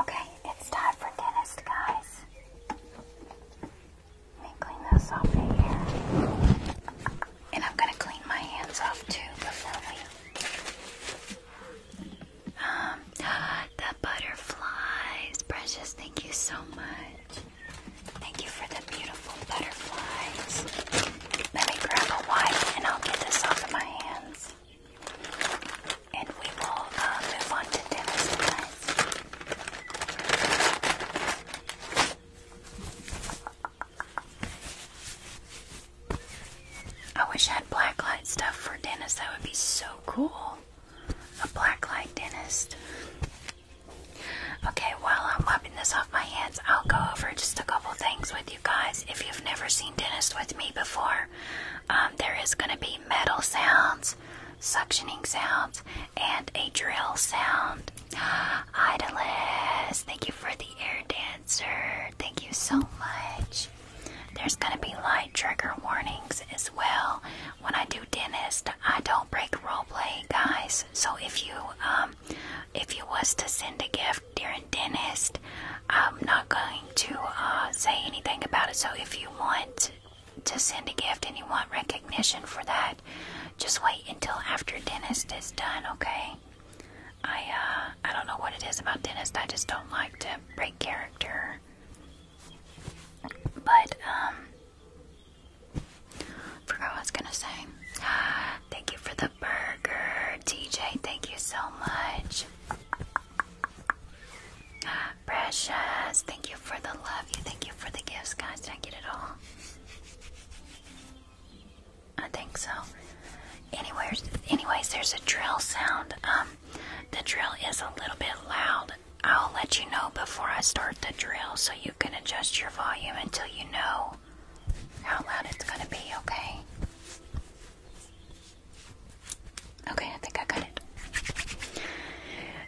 Okay, it's time for dentist, guys. Let me clean this off here. And I'm gonna clean my hands off too before we um, the butterflies, precious. Thank you so much. Thank you for the beautiful butterflies. Let me grab a wipe and I'll get this off of my hands. And we will uh, move on to Dennis I wish I had black light stuff for Dennis. That would be so cool. A black light dentist. Okay, while I'm wiping this off my hands, I'll go over just a couple things with you guys. If you've never seen Dentist with me before, um, there is going to be metal sounds, suctioning sounds, and a drill sound. Idolist, thank you for the air dancer. Thank you so much. There's going to be light trigger warnings as well when I do dentist, I don't break roleplay, guys. So if you um, if you was to send a gift during dentist, I'm not going to uh, say anything about it. So if you want to send a gift and you want recognition for that, just wait until after dentist is done, okay? I uh, I don't know what it is about dentist. I just don't like to break character. But um, Forgot what I was gonna say. Thank you for the burger, TJ. Thank you so much. Precious, thank you for the love. You thank you for the gifts, guys. Did I get it all? I think so. Anyways, anyways, there's a drill sound. Um, the drill is a little bit loud, I'll let you know before I start the drill so you can adjust your volume until you know how loud it's going to be, okay? Okay, I think I got it.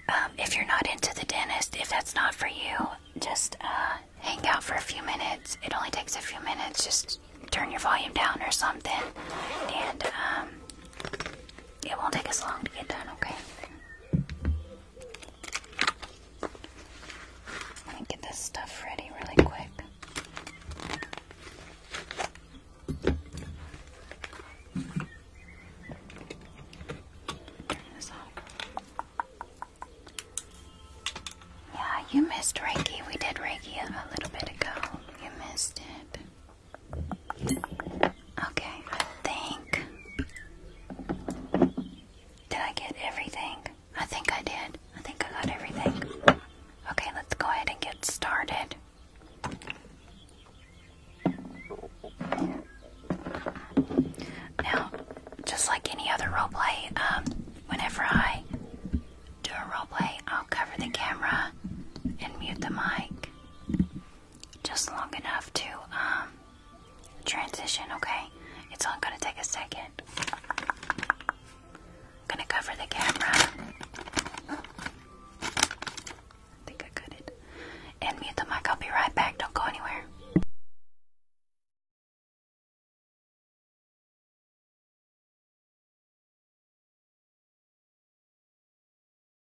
Um, if you're not into the dentist, if that's not for you, just uh, hang out for a few minutes. It only takes a few minutes. Just turn your volume down or something, and um, it won't take us long to get done, okay? I'm gonna get this stuff ready really quick. Yeah, you missed Reiki. We did Reiki a little bit ago. You missed it. Okay, I think. Did I get everything? I think I did. I think I got everything. Okay, let's go ahead and get started. Now, just like any other roleplay, um, whenever I do a roleplay, I'll cover the camera and mute the mic just long enough to um, transition, okay? It's only gonna take a second. I'm gonna cover the camera. I think I got it. And mute the mic, I'll be right back. Don't go anywhere.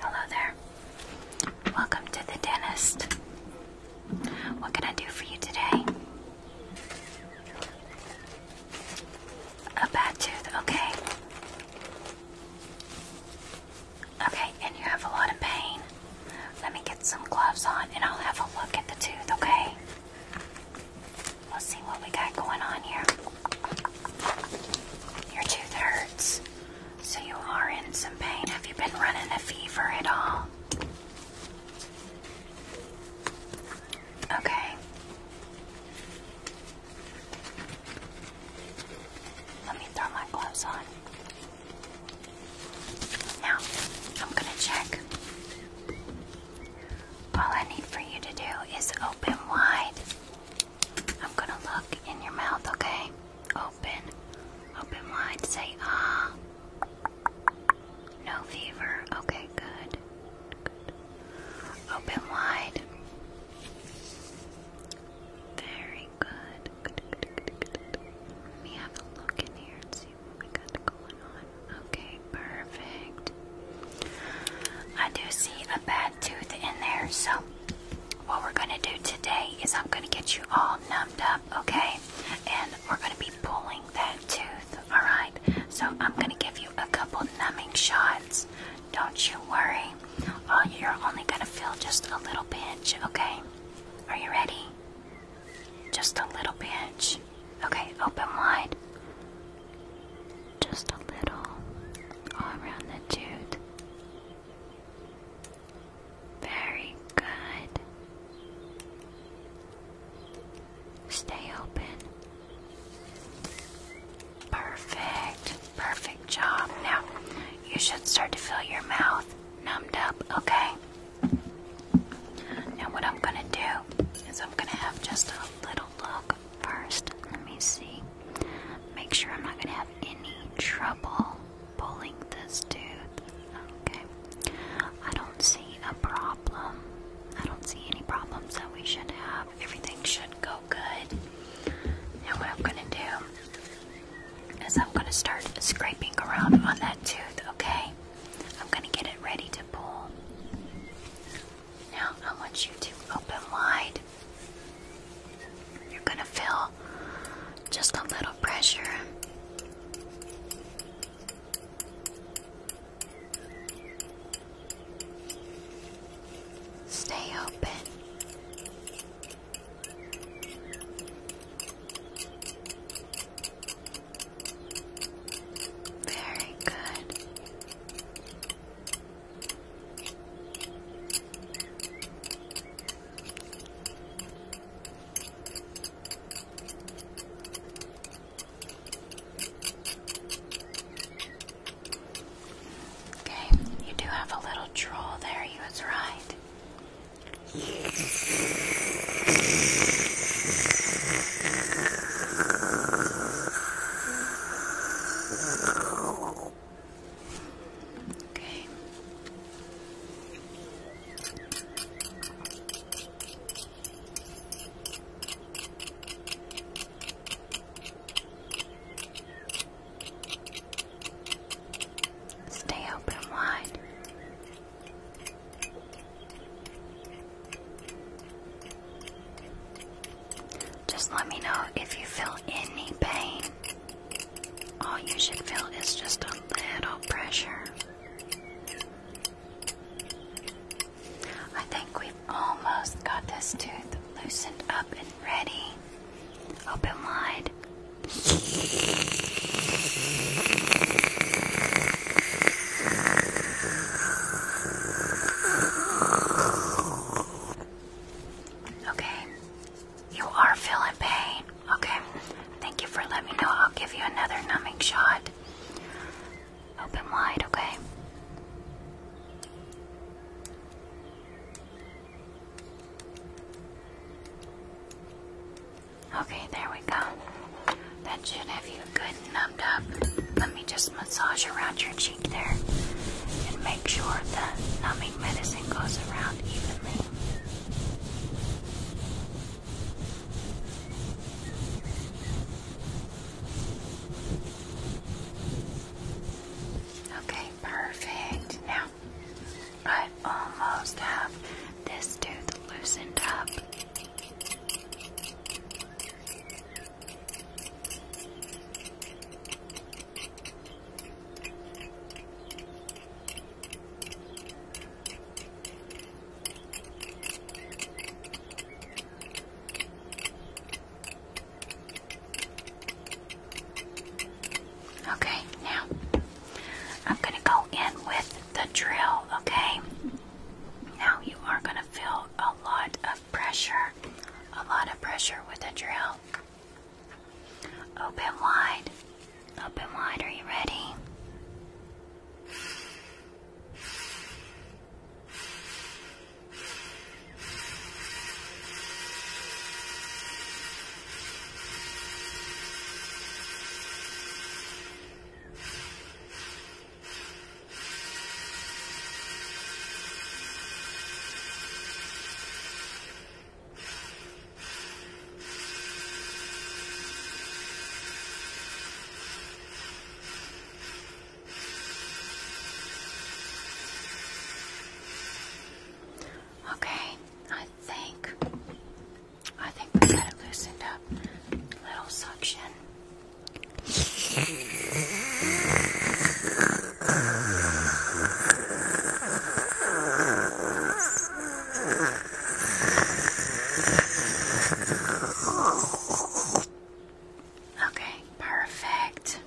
Hello there. Welcome to the dentist. What can I do for you today? A bad tooth, okay. Okay, and you have a lot of pain. Let me get some gloves on and I'll have a look at the tooth, okay? Let's see what we got going on here. Your tooth hurts. So you are in some pain. Have you been running a fever at all? Okay. Let me throw my gloves on. Now, I'm going to check. All I need for you to do is open wide. I'm going to look in your mouth, okay? Open. Open wide. Say ah. No fever. Okay, good. Open wide. Very good. good. Let me have a look in here and see what we got going on. Okay, perfect. I do see a bad tooth in there, so what we're going to do today is I'm going to get you all numbed up, okay? And we're going to be pulling that tooth, alright? So I'm going to give you a couple numbing shots. Don't you worry. Oh, you're only going to feel just a little pinch, okay? Are you ready? Just a little pinch. Okay, open wide. Just a little. All around the tooth. Very good. Stay open. Perfect. Perfect job. Now, you should start to feel your mouth numbed up, okay? Now, what I'm gonna do is I'm gonna have just a little look first. Let me see. Make sure I'm not gonna have any trouble pulling this tooth. Okay. I don't see a problem. I don't see any problems that we should have. Everything should go good. Now, what I'm going to do is I'm going to start scraping around on that tooth, okay? I'm going to get it ready to pull. Now, I want you to open wide. You're going to feel just a little pressure. Stay open. Very good. Okay, you do have a little troll there, you was right. Okay. Stay open wide. Just let me know if you feel any pain. All you should feel is just a little pressure. I think we've almost got this tooth loosened up and ready. Open wide. Okay, you are feeling pain. Okay. Thank you for letting me know. I'll give you another numbing shot. Open wide, okay? Okay, there we go. That should have you good numbed up. Let me just massage around your cheek there and make sure the numbing medicine goes around evenly. Okay, perfect. Now, I almost have this tooth loosened up. Okay, now I'm going to go in with the drill, okay? Now you are going to feel a lot of pressure, a lot of pressure with the drill. Open wide, Open wide, are you ready? Okay, I think I think we got it loosened up. Little suction. Okay, perfect.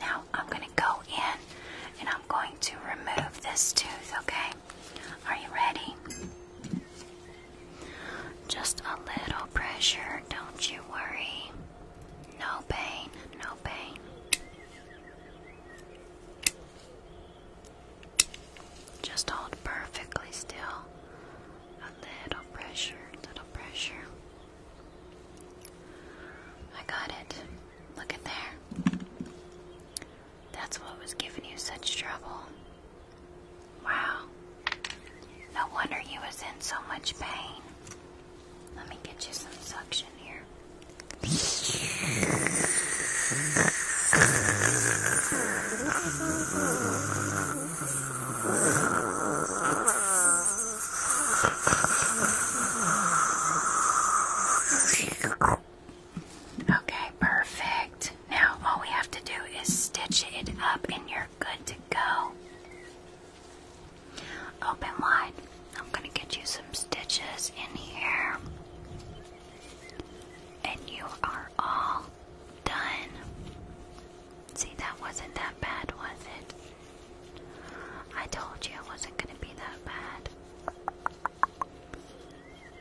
Now I'm going to go in and I'm going to remove this tooth, okay? Are you ready? Just a little pressure, don't you worry. No pain, no pain. Just hold perfectly still. A little pressure, little pressure. I got it. Look at there. That's what was giving you such trouble. Wow. No wonder you was in so much pain. Let me get you some suction here. Okay, perfect. Now all we have to do is stitch it up and you're good to go. Open wide. I'm going to get you some stitches in here. And you are all done. See, that wasn't that bad, was it? I told you it wasn't going to be that bad.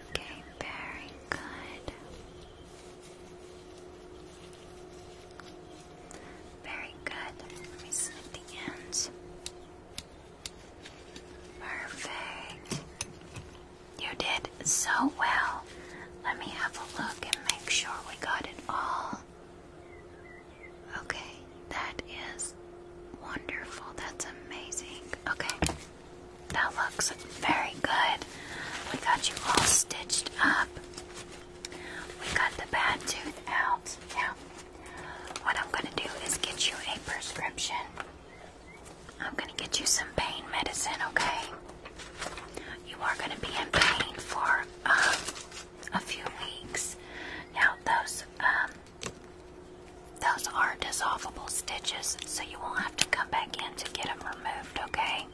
Okay, very good. Very good. Let me snip the ends. Perfect. You did so well. Let me have a look and make sure we got it all. Okay, that is wonderful. That's amazing. Okay, that looks very good. We got you all stitched up. We got the bad tooth out. Now, what I'm going to do is get you a prescription. I'm going to get you some pain medicine, okay? You are going to be in pain for um, a few weeks. Now, those um, those are dissolvable stitches, so you will have to come back in to get them removed, okay?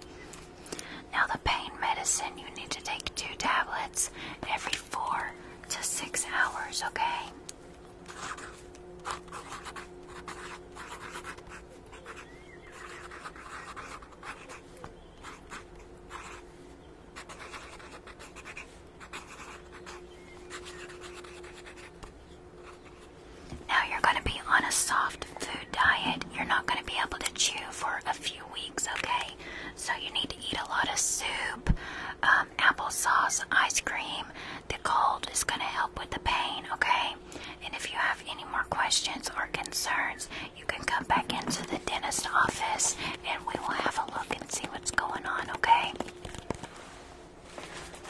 Now, the pain medicine, you need to take two tablets every four to six hours, okay? Now you're going to be on a soft food diet. You're not going to be able to chew for a few weeks, okay? So you need to eat a lot of soup, um, applesauce, ice cream, the cold is going to help with the pain, okay? And if you have any more questions or concerns, you can come back into the dentist office and we will have a look and see what's going on, okay?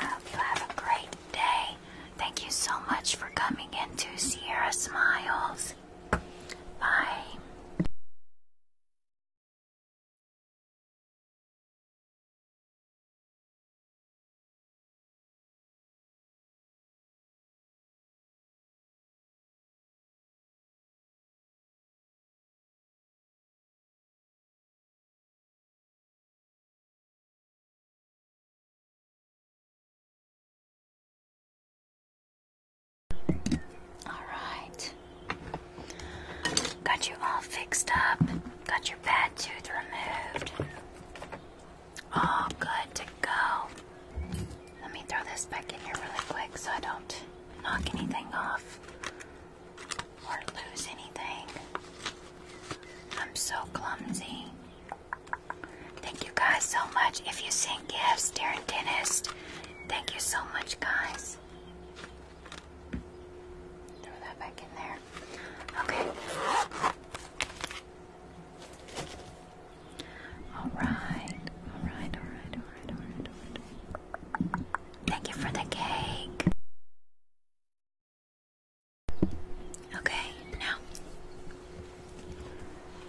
I hope you have a great day. Thank you so much for coming into Sierra Smiles. Bye. All right. Got you all fixed up. Got your bad tooth removed. All good to go. Let me throw this back in here really quick so I don't knock anything off or lose anything. I'm so clumsy. Thank you guys so much. If you send gifts, Darren Dentist, thank you so much, guys. Throw that back in there. Okay. All right. All right. All right. All right. All right. Thank you for the cake. Okay, now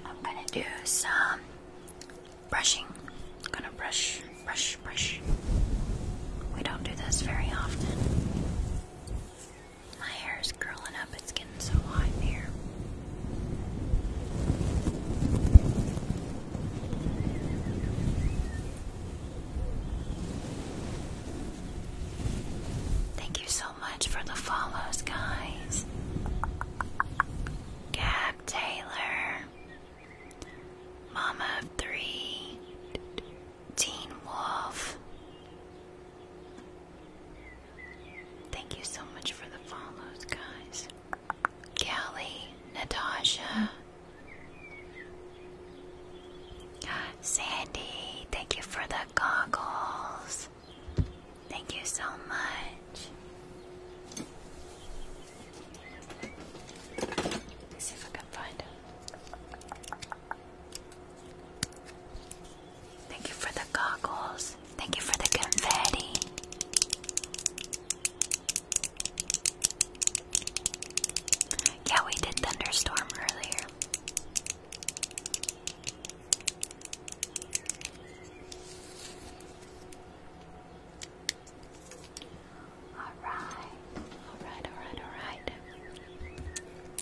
I'm gonna do some brushing. I'm gonna brush, brush, brush. We don't do this very often. My hair is curling up, it's getting so hot here. Thank you so much for the follows, guys. Gab Taylor, Mama of Three, Teen Wolf. Thank you so much for the follows, guys. Kelly, Natasha, Sandy, thank you for the goggles. Thank you so much. Let's see if I can find him. Thank you for the goggles. Thank you for the confetti. Yeah, we did thunderstorm earlier. All right. Alright, alright, alright.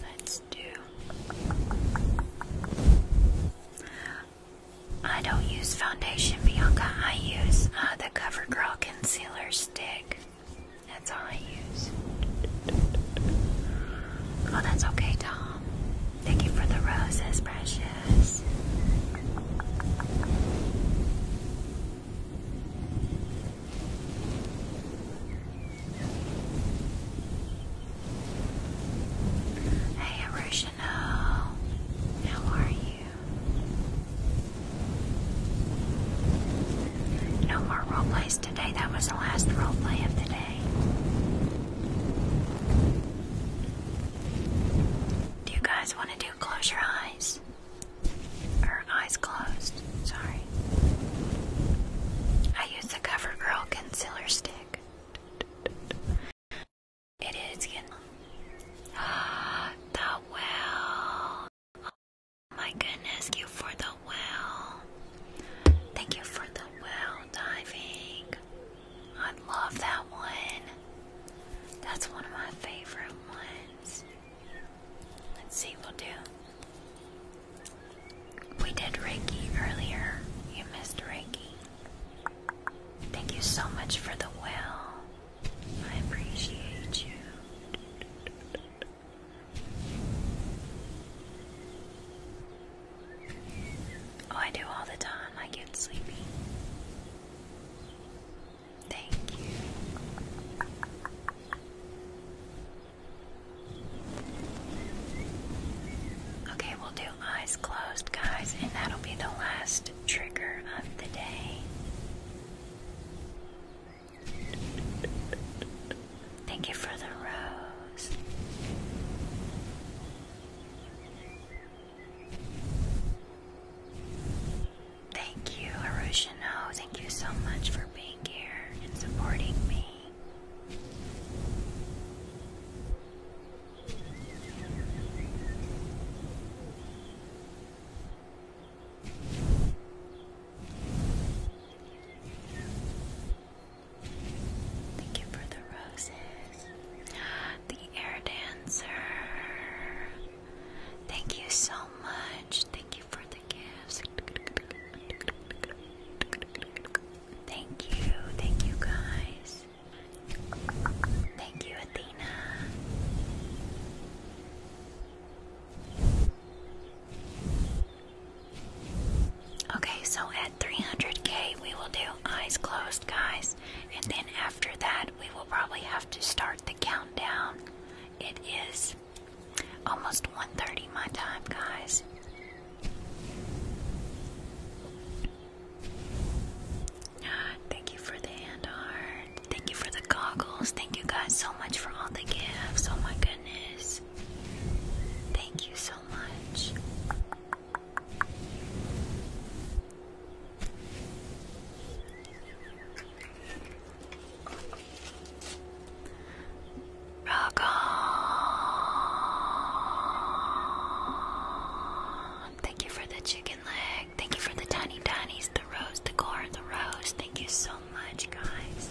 Let's do. I don't use foundation, Bianca. I use uh, the CoverGirl Concealer Stick. That's all I use. Oh, that's okay, Tom. Thank you for the roses, precious. Hey, Hiroshino. How are you? No more role today. That was the last role of the day. Do you guys want to do close your eyes? eyes closed. Sorry. I use the CoverGirl concealer stick. It is in the well. Oh my goodness, you for the well. Thank you for the well diving. I love that one. That's one of my favorite ones. Let's see, we'll do. We did Reiki earlier. You missed Reiki. Thank you so much for the well. I appreciate you. Oh, I do all the time. I get sleepy. Thank you. Okay, we'll do eyes closed, guys, and that'll be the last trigger of the day. Thank you for the rose. Thank you, Harushino. Thank you so much for being being here and supporting me. Thank you for the roses. The air dancer. Thank you so much. Thank you for Thank you, thank you guys. Thank you, Athena. Okay, so at 300k, we will do eyes closed, guys, and then after that, we will probably have to start the countdown. It is Almost 1.30 my time, guys. Thank you for the hand Thank you for the goggles. Thank you guys so much for all the gifts. Oh my goodness. Thank you so much. Rock Thank you for the chicken leg. Thank you for the tiny tinies, the rose, the core, the rose. Thank you so much, guys.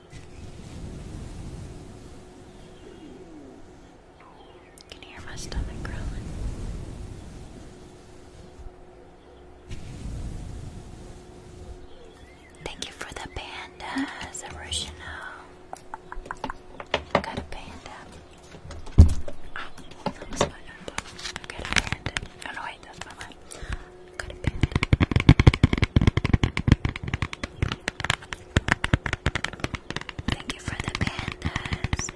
Can hear my stomach growling. Thank you for the pandas, original. got a panda. Oh, that was my got a panda. Oh no, wait, that's my mind. Thank you for the pandas.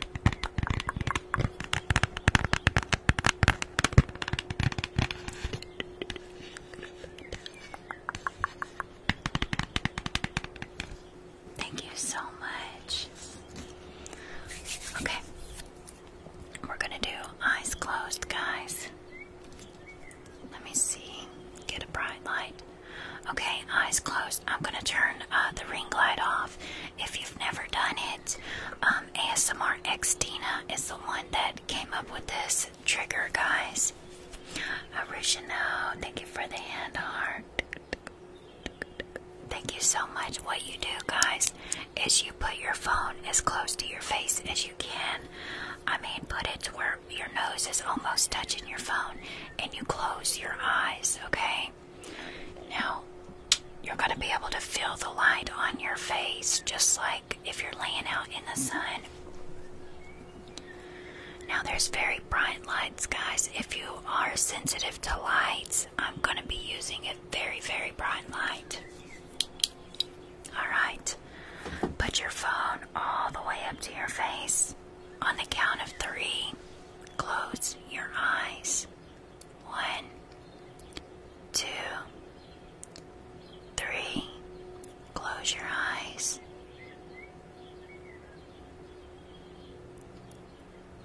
Thank you so much. Okay. We're going to do eyes closed, guys. Let me see. Get a bright light. Okay, eyes closed. I'm gonna turn uh, the ring light off. If you've never done it, um, ASMR Xtina is the one that came up with this trigger, guys. Arishino, thank you for the hand heart. Thank you so much. What you do, guys, is you put your phone as close to your face as you can. I mean, put it to work your nose is almost touching your phone and you close your eyes, okay? Now you're going to be able to feel the light on your face just like if you're laying out in the sun. Now there's very bright lights, guys. If you are sensitive to lights, I'm going to be using a very very bright light. Alright, put your phone all the way up to your face. On the count of three, close your eyes. One, two, three, close your eyes.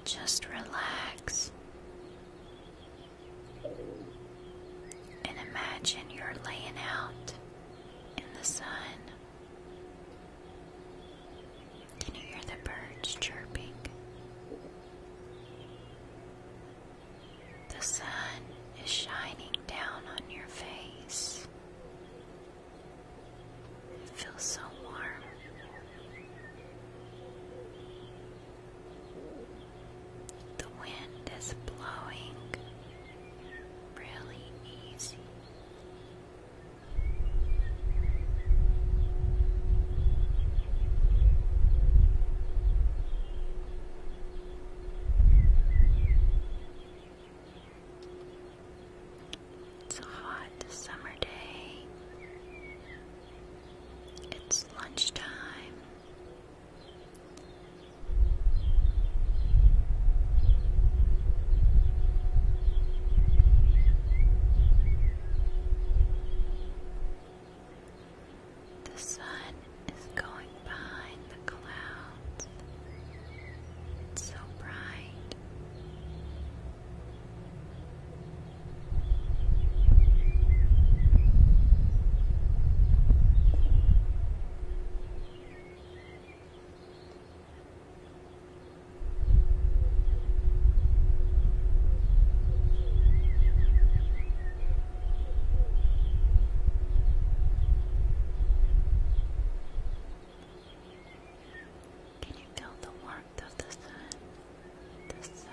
Just relax and imagine you're laying out in the sun. Can you hear the birds chirping? The sun is shining down on your face. It feels so warm. The wind is blowing really easy. It's a hot summer day. It's lunchtime. The sun is going behind the clouds. It's so bright. Can you feel the warmth of the sun? The sun.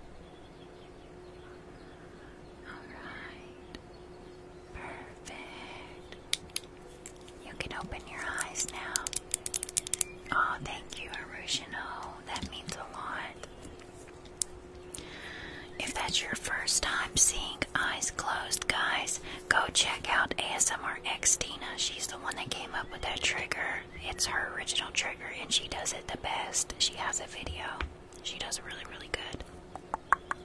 Alright. Perfect. You can open your eyes now. Oh, thank you, Arushino. That means a lot. If that's your first time seeing Eyes Closed, guys, go check out ASMR X Tina. She's the one that came up with that trigger. It's her original trigger and she does it the best. She has a video. She does it really, really good.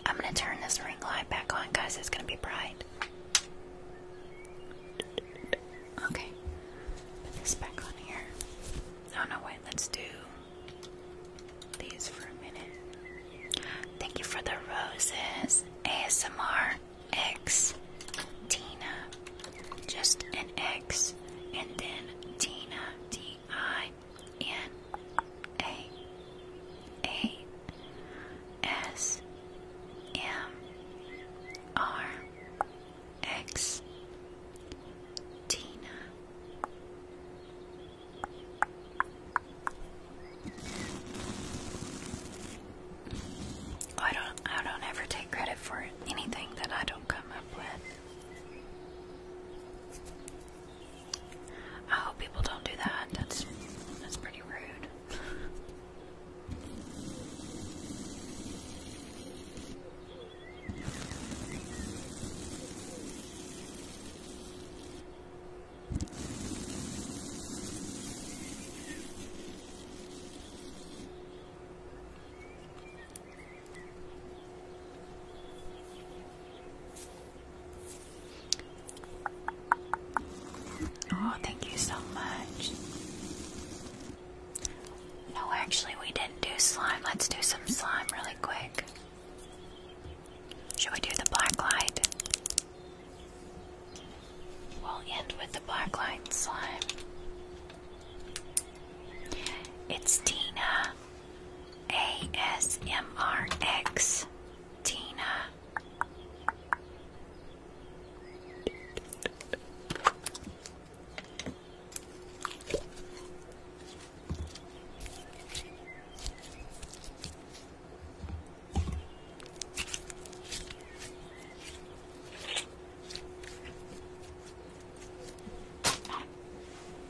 I'm gonna turn this ring light back on, guys. It's gonna be bright. Okay. Put this back on here. Oh no, wait, let's do these for a minute. Thank you for the roses. ASMR X Tina just an X, and then Tina, T I N A A S M R X Tina. I don't I don't ever take credit for anything that I come up with. I hope people don't do that. That's that's pretty rude. Oh, thank you so much. No, actually, we didn't do slime. Let's do some slime really quick. Should we do the black light? We'll end with the black light slime. It's Tina ASMRX. Tina.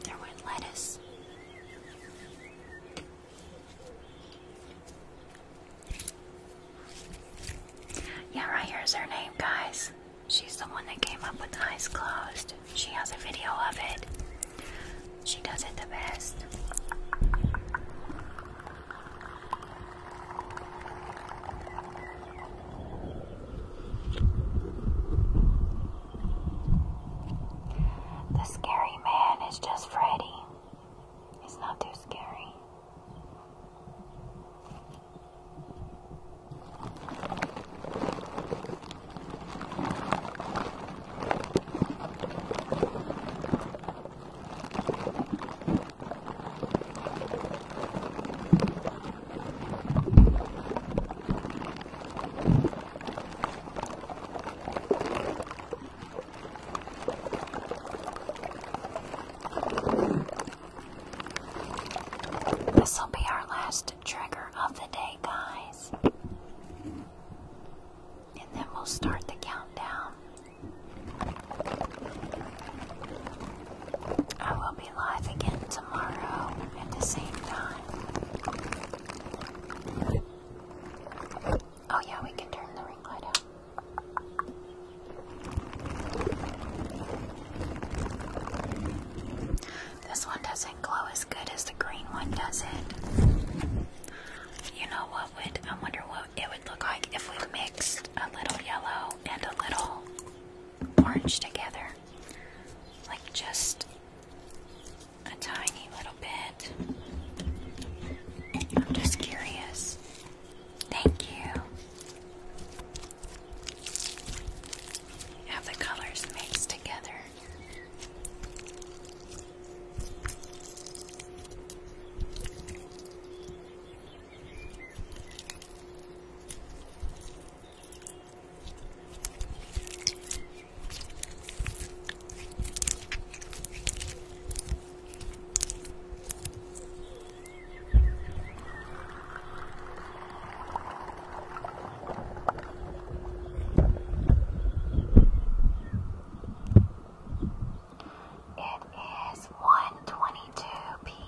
There went lettuce. Yeah, right here's her name, guys. She's the one that came up with eyes closed. She has a video of it. She does it the best. The scary man is just Freddy. It's not too scary. This will be our last trigger of the day, guys. And then we'll start the countdown. Oh, yeah, we can turn the ring light out. This one doesn't glow as good as the green one does it. You know what would I wonder what it would look like if we mixed a little yellow and a little orange together like just a tiny little bit. I'm just curious. Thank you. Have the colors mixed together. It is 1:22 p.m.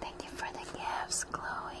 Thank you for the gifts, Chloe.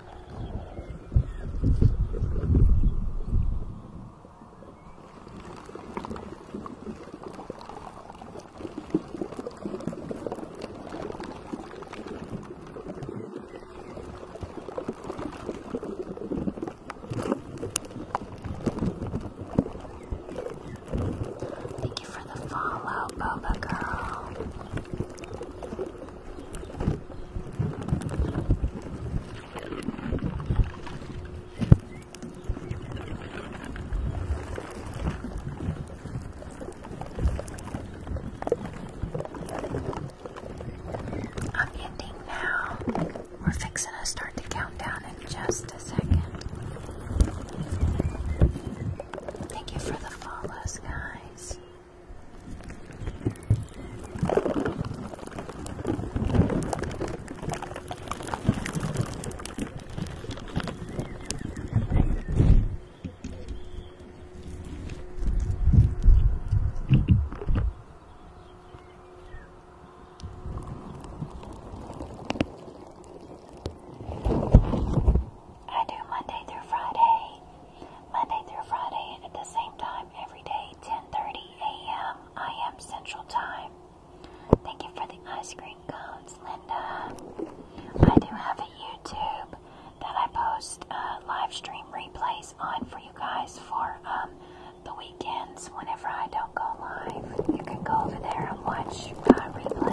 Thank you for the follow, Boba Girl. I'm ending now. We're fixing to start the countdown in just a second. Thank you for the follows, guys. I do Monday through Friday. Monday through Friday at the same time every day 10:30 a.m. I am Central Time. Thank you for the ice cream cones, Linda. I do have a YouTube that I post uh, live stream replays on for you guys for um, the weekends whenever I don't go live. You can go over there and watch replays.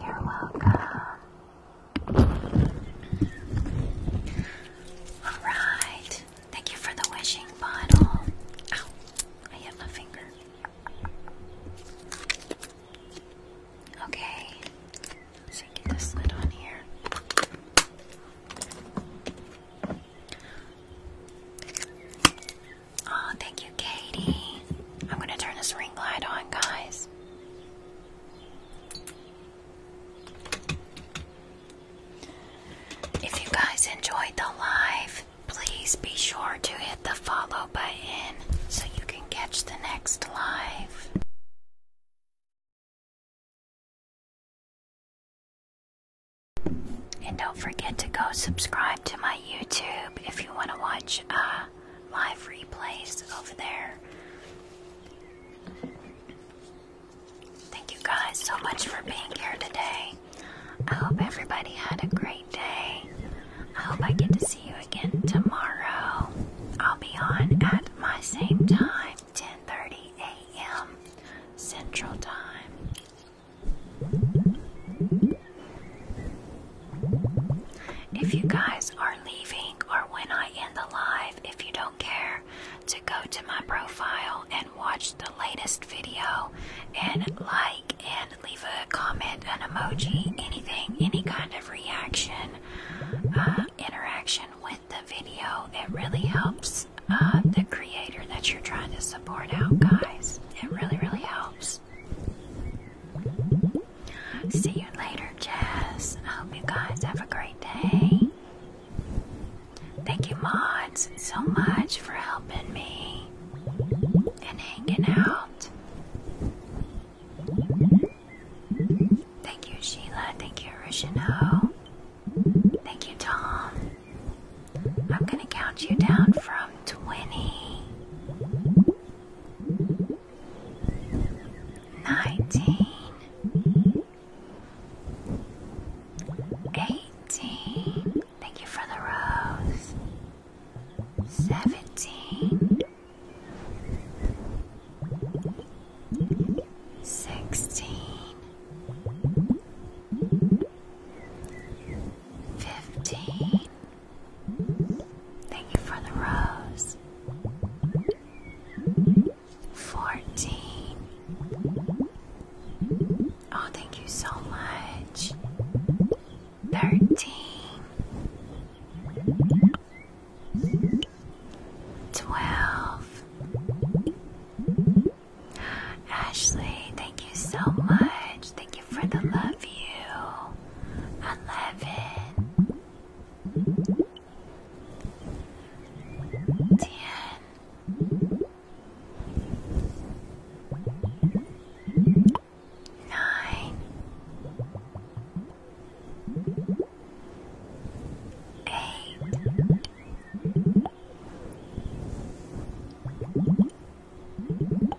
You're welcome. Alright. Thank you for the wishing bottle. Ow, I hit my finger. Okay. So get this lid on here. Oh, thank you, Katie. I'm gonna turn this ring light on, guys. If you guys enjoyed the live, please be sure to hit the follow button so you can catch the next live. And don't forget to go subscribe to my YouTube if you want to watch watch uh, replays over there. Thank you guys so much for being here today. I hope everybody had a great day. I hope I get to see you again tomorrow. I'll be on at my same time, 10:30 a.m. Central Time. If you guys are leaving or when I end the live, if you don't care to go to my profile and watch the latest video and like and leave a comment, an emoji, anything, any kind of reaction, uh, interaction with the video, it really helps uh, the creator that you're trying to support out, guys. It really, really helps. See you later, Jess. I hope you guys have a great day. Thank you, mods, so much for helping me and hanging out. Thank you, Sheila. Thank you, Rishino. Thank you, Tom. I'm gonna count you down from 20 nineteen, eighteen. Thank you for the rose. Seventeen, sixteen, fifteen. Thank you for the rose. Fourteen. Oh, thank you so much. Thirteen. Twelve. Ashley, thank you so much. Thank for the love you. I Eight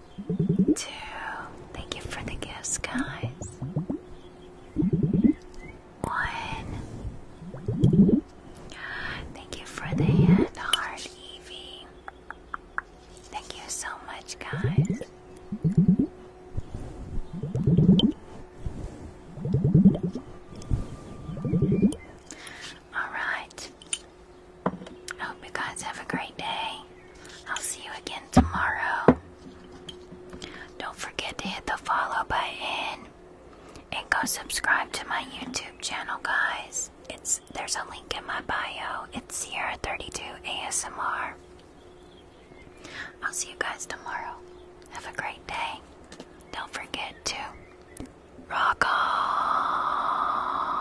two. Thank you for the gifts, guys. One. Thank you for the hand heart, Evie. Thank you so much, guys. All right. I hope you guys have a great day. I'll see you again tomorrow. Don't forget to hit the follow button and go subscribe to my YouTube channel, guys. It's there's a link in my bio. It's Sierra 32 ASMR. I'll see you guys tomorrow. Have a great day. Don't forget to rock on.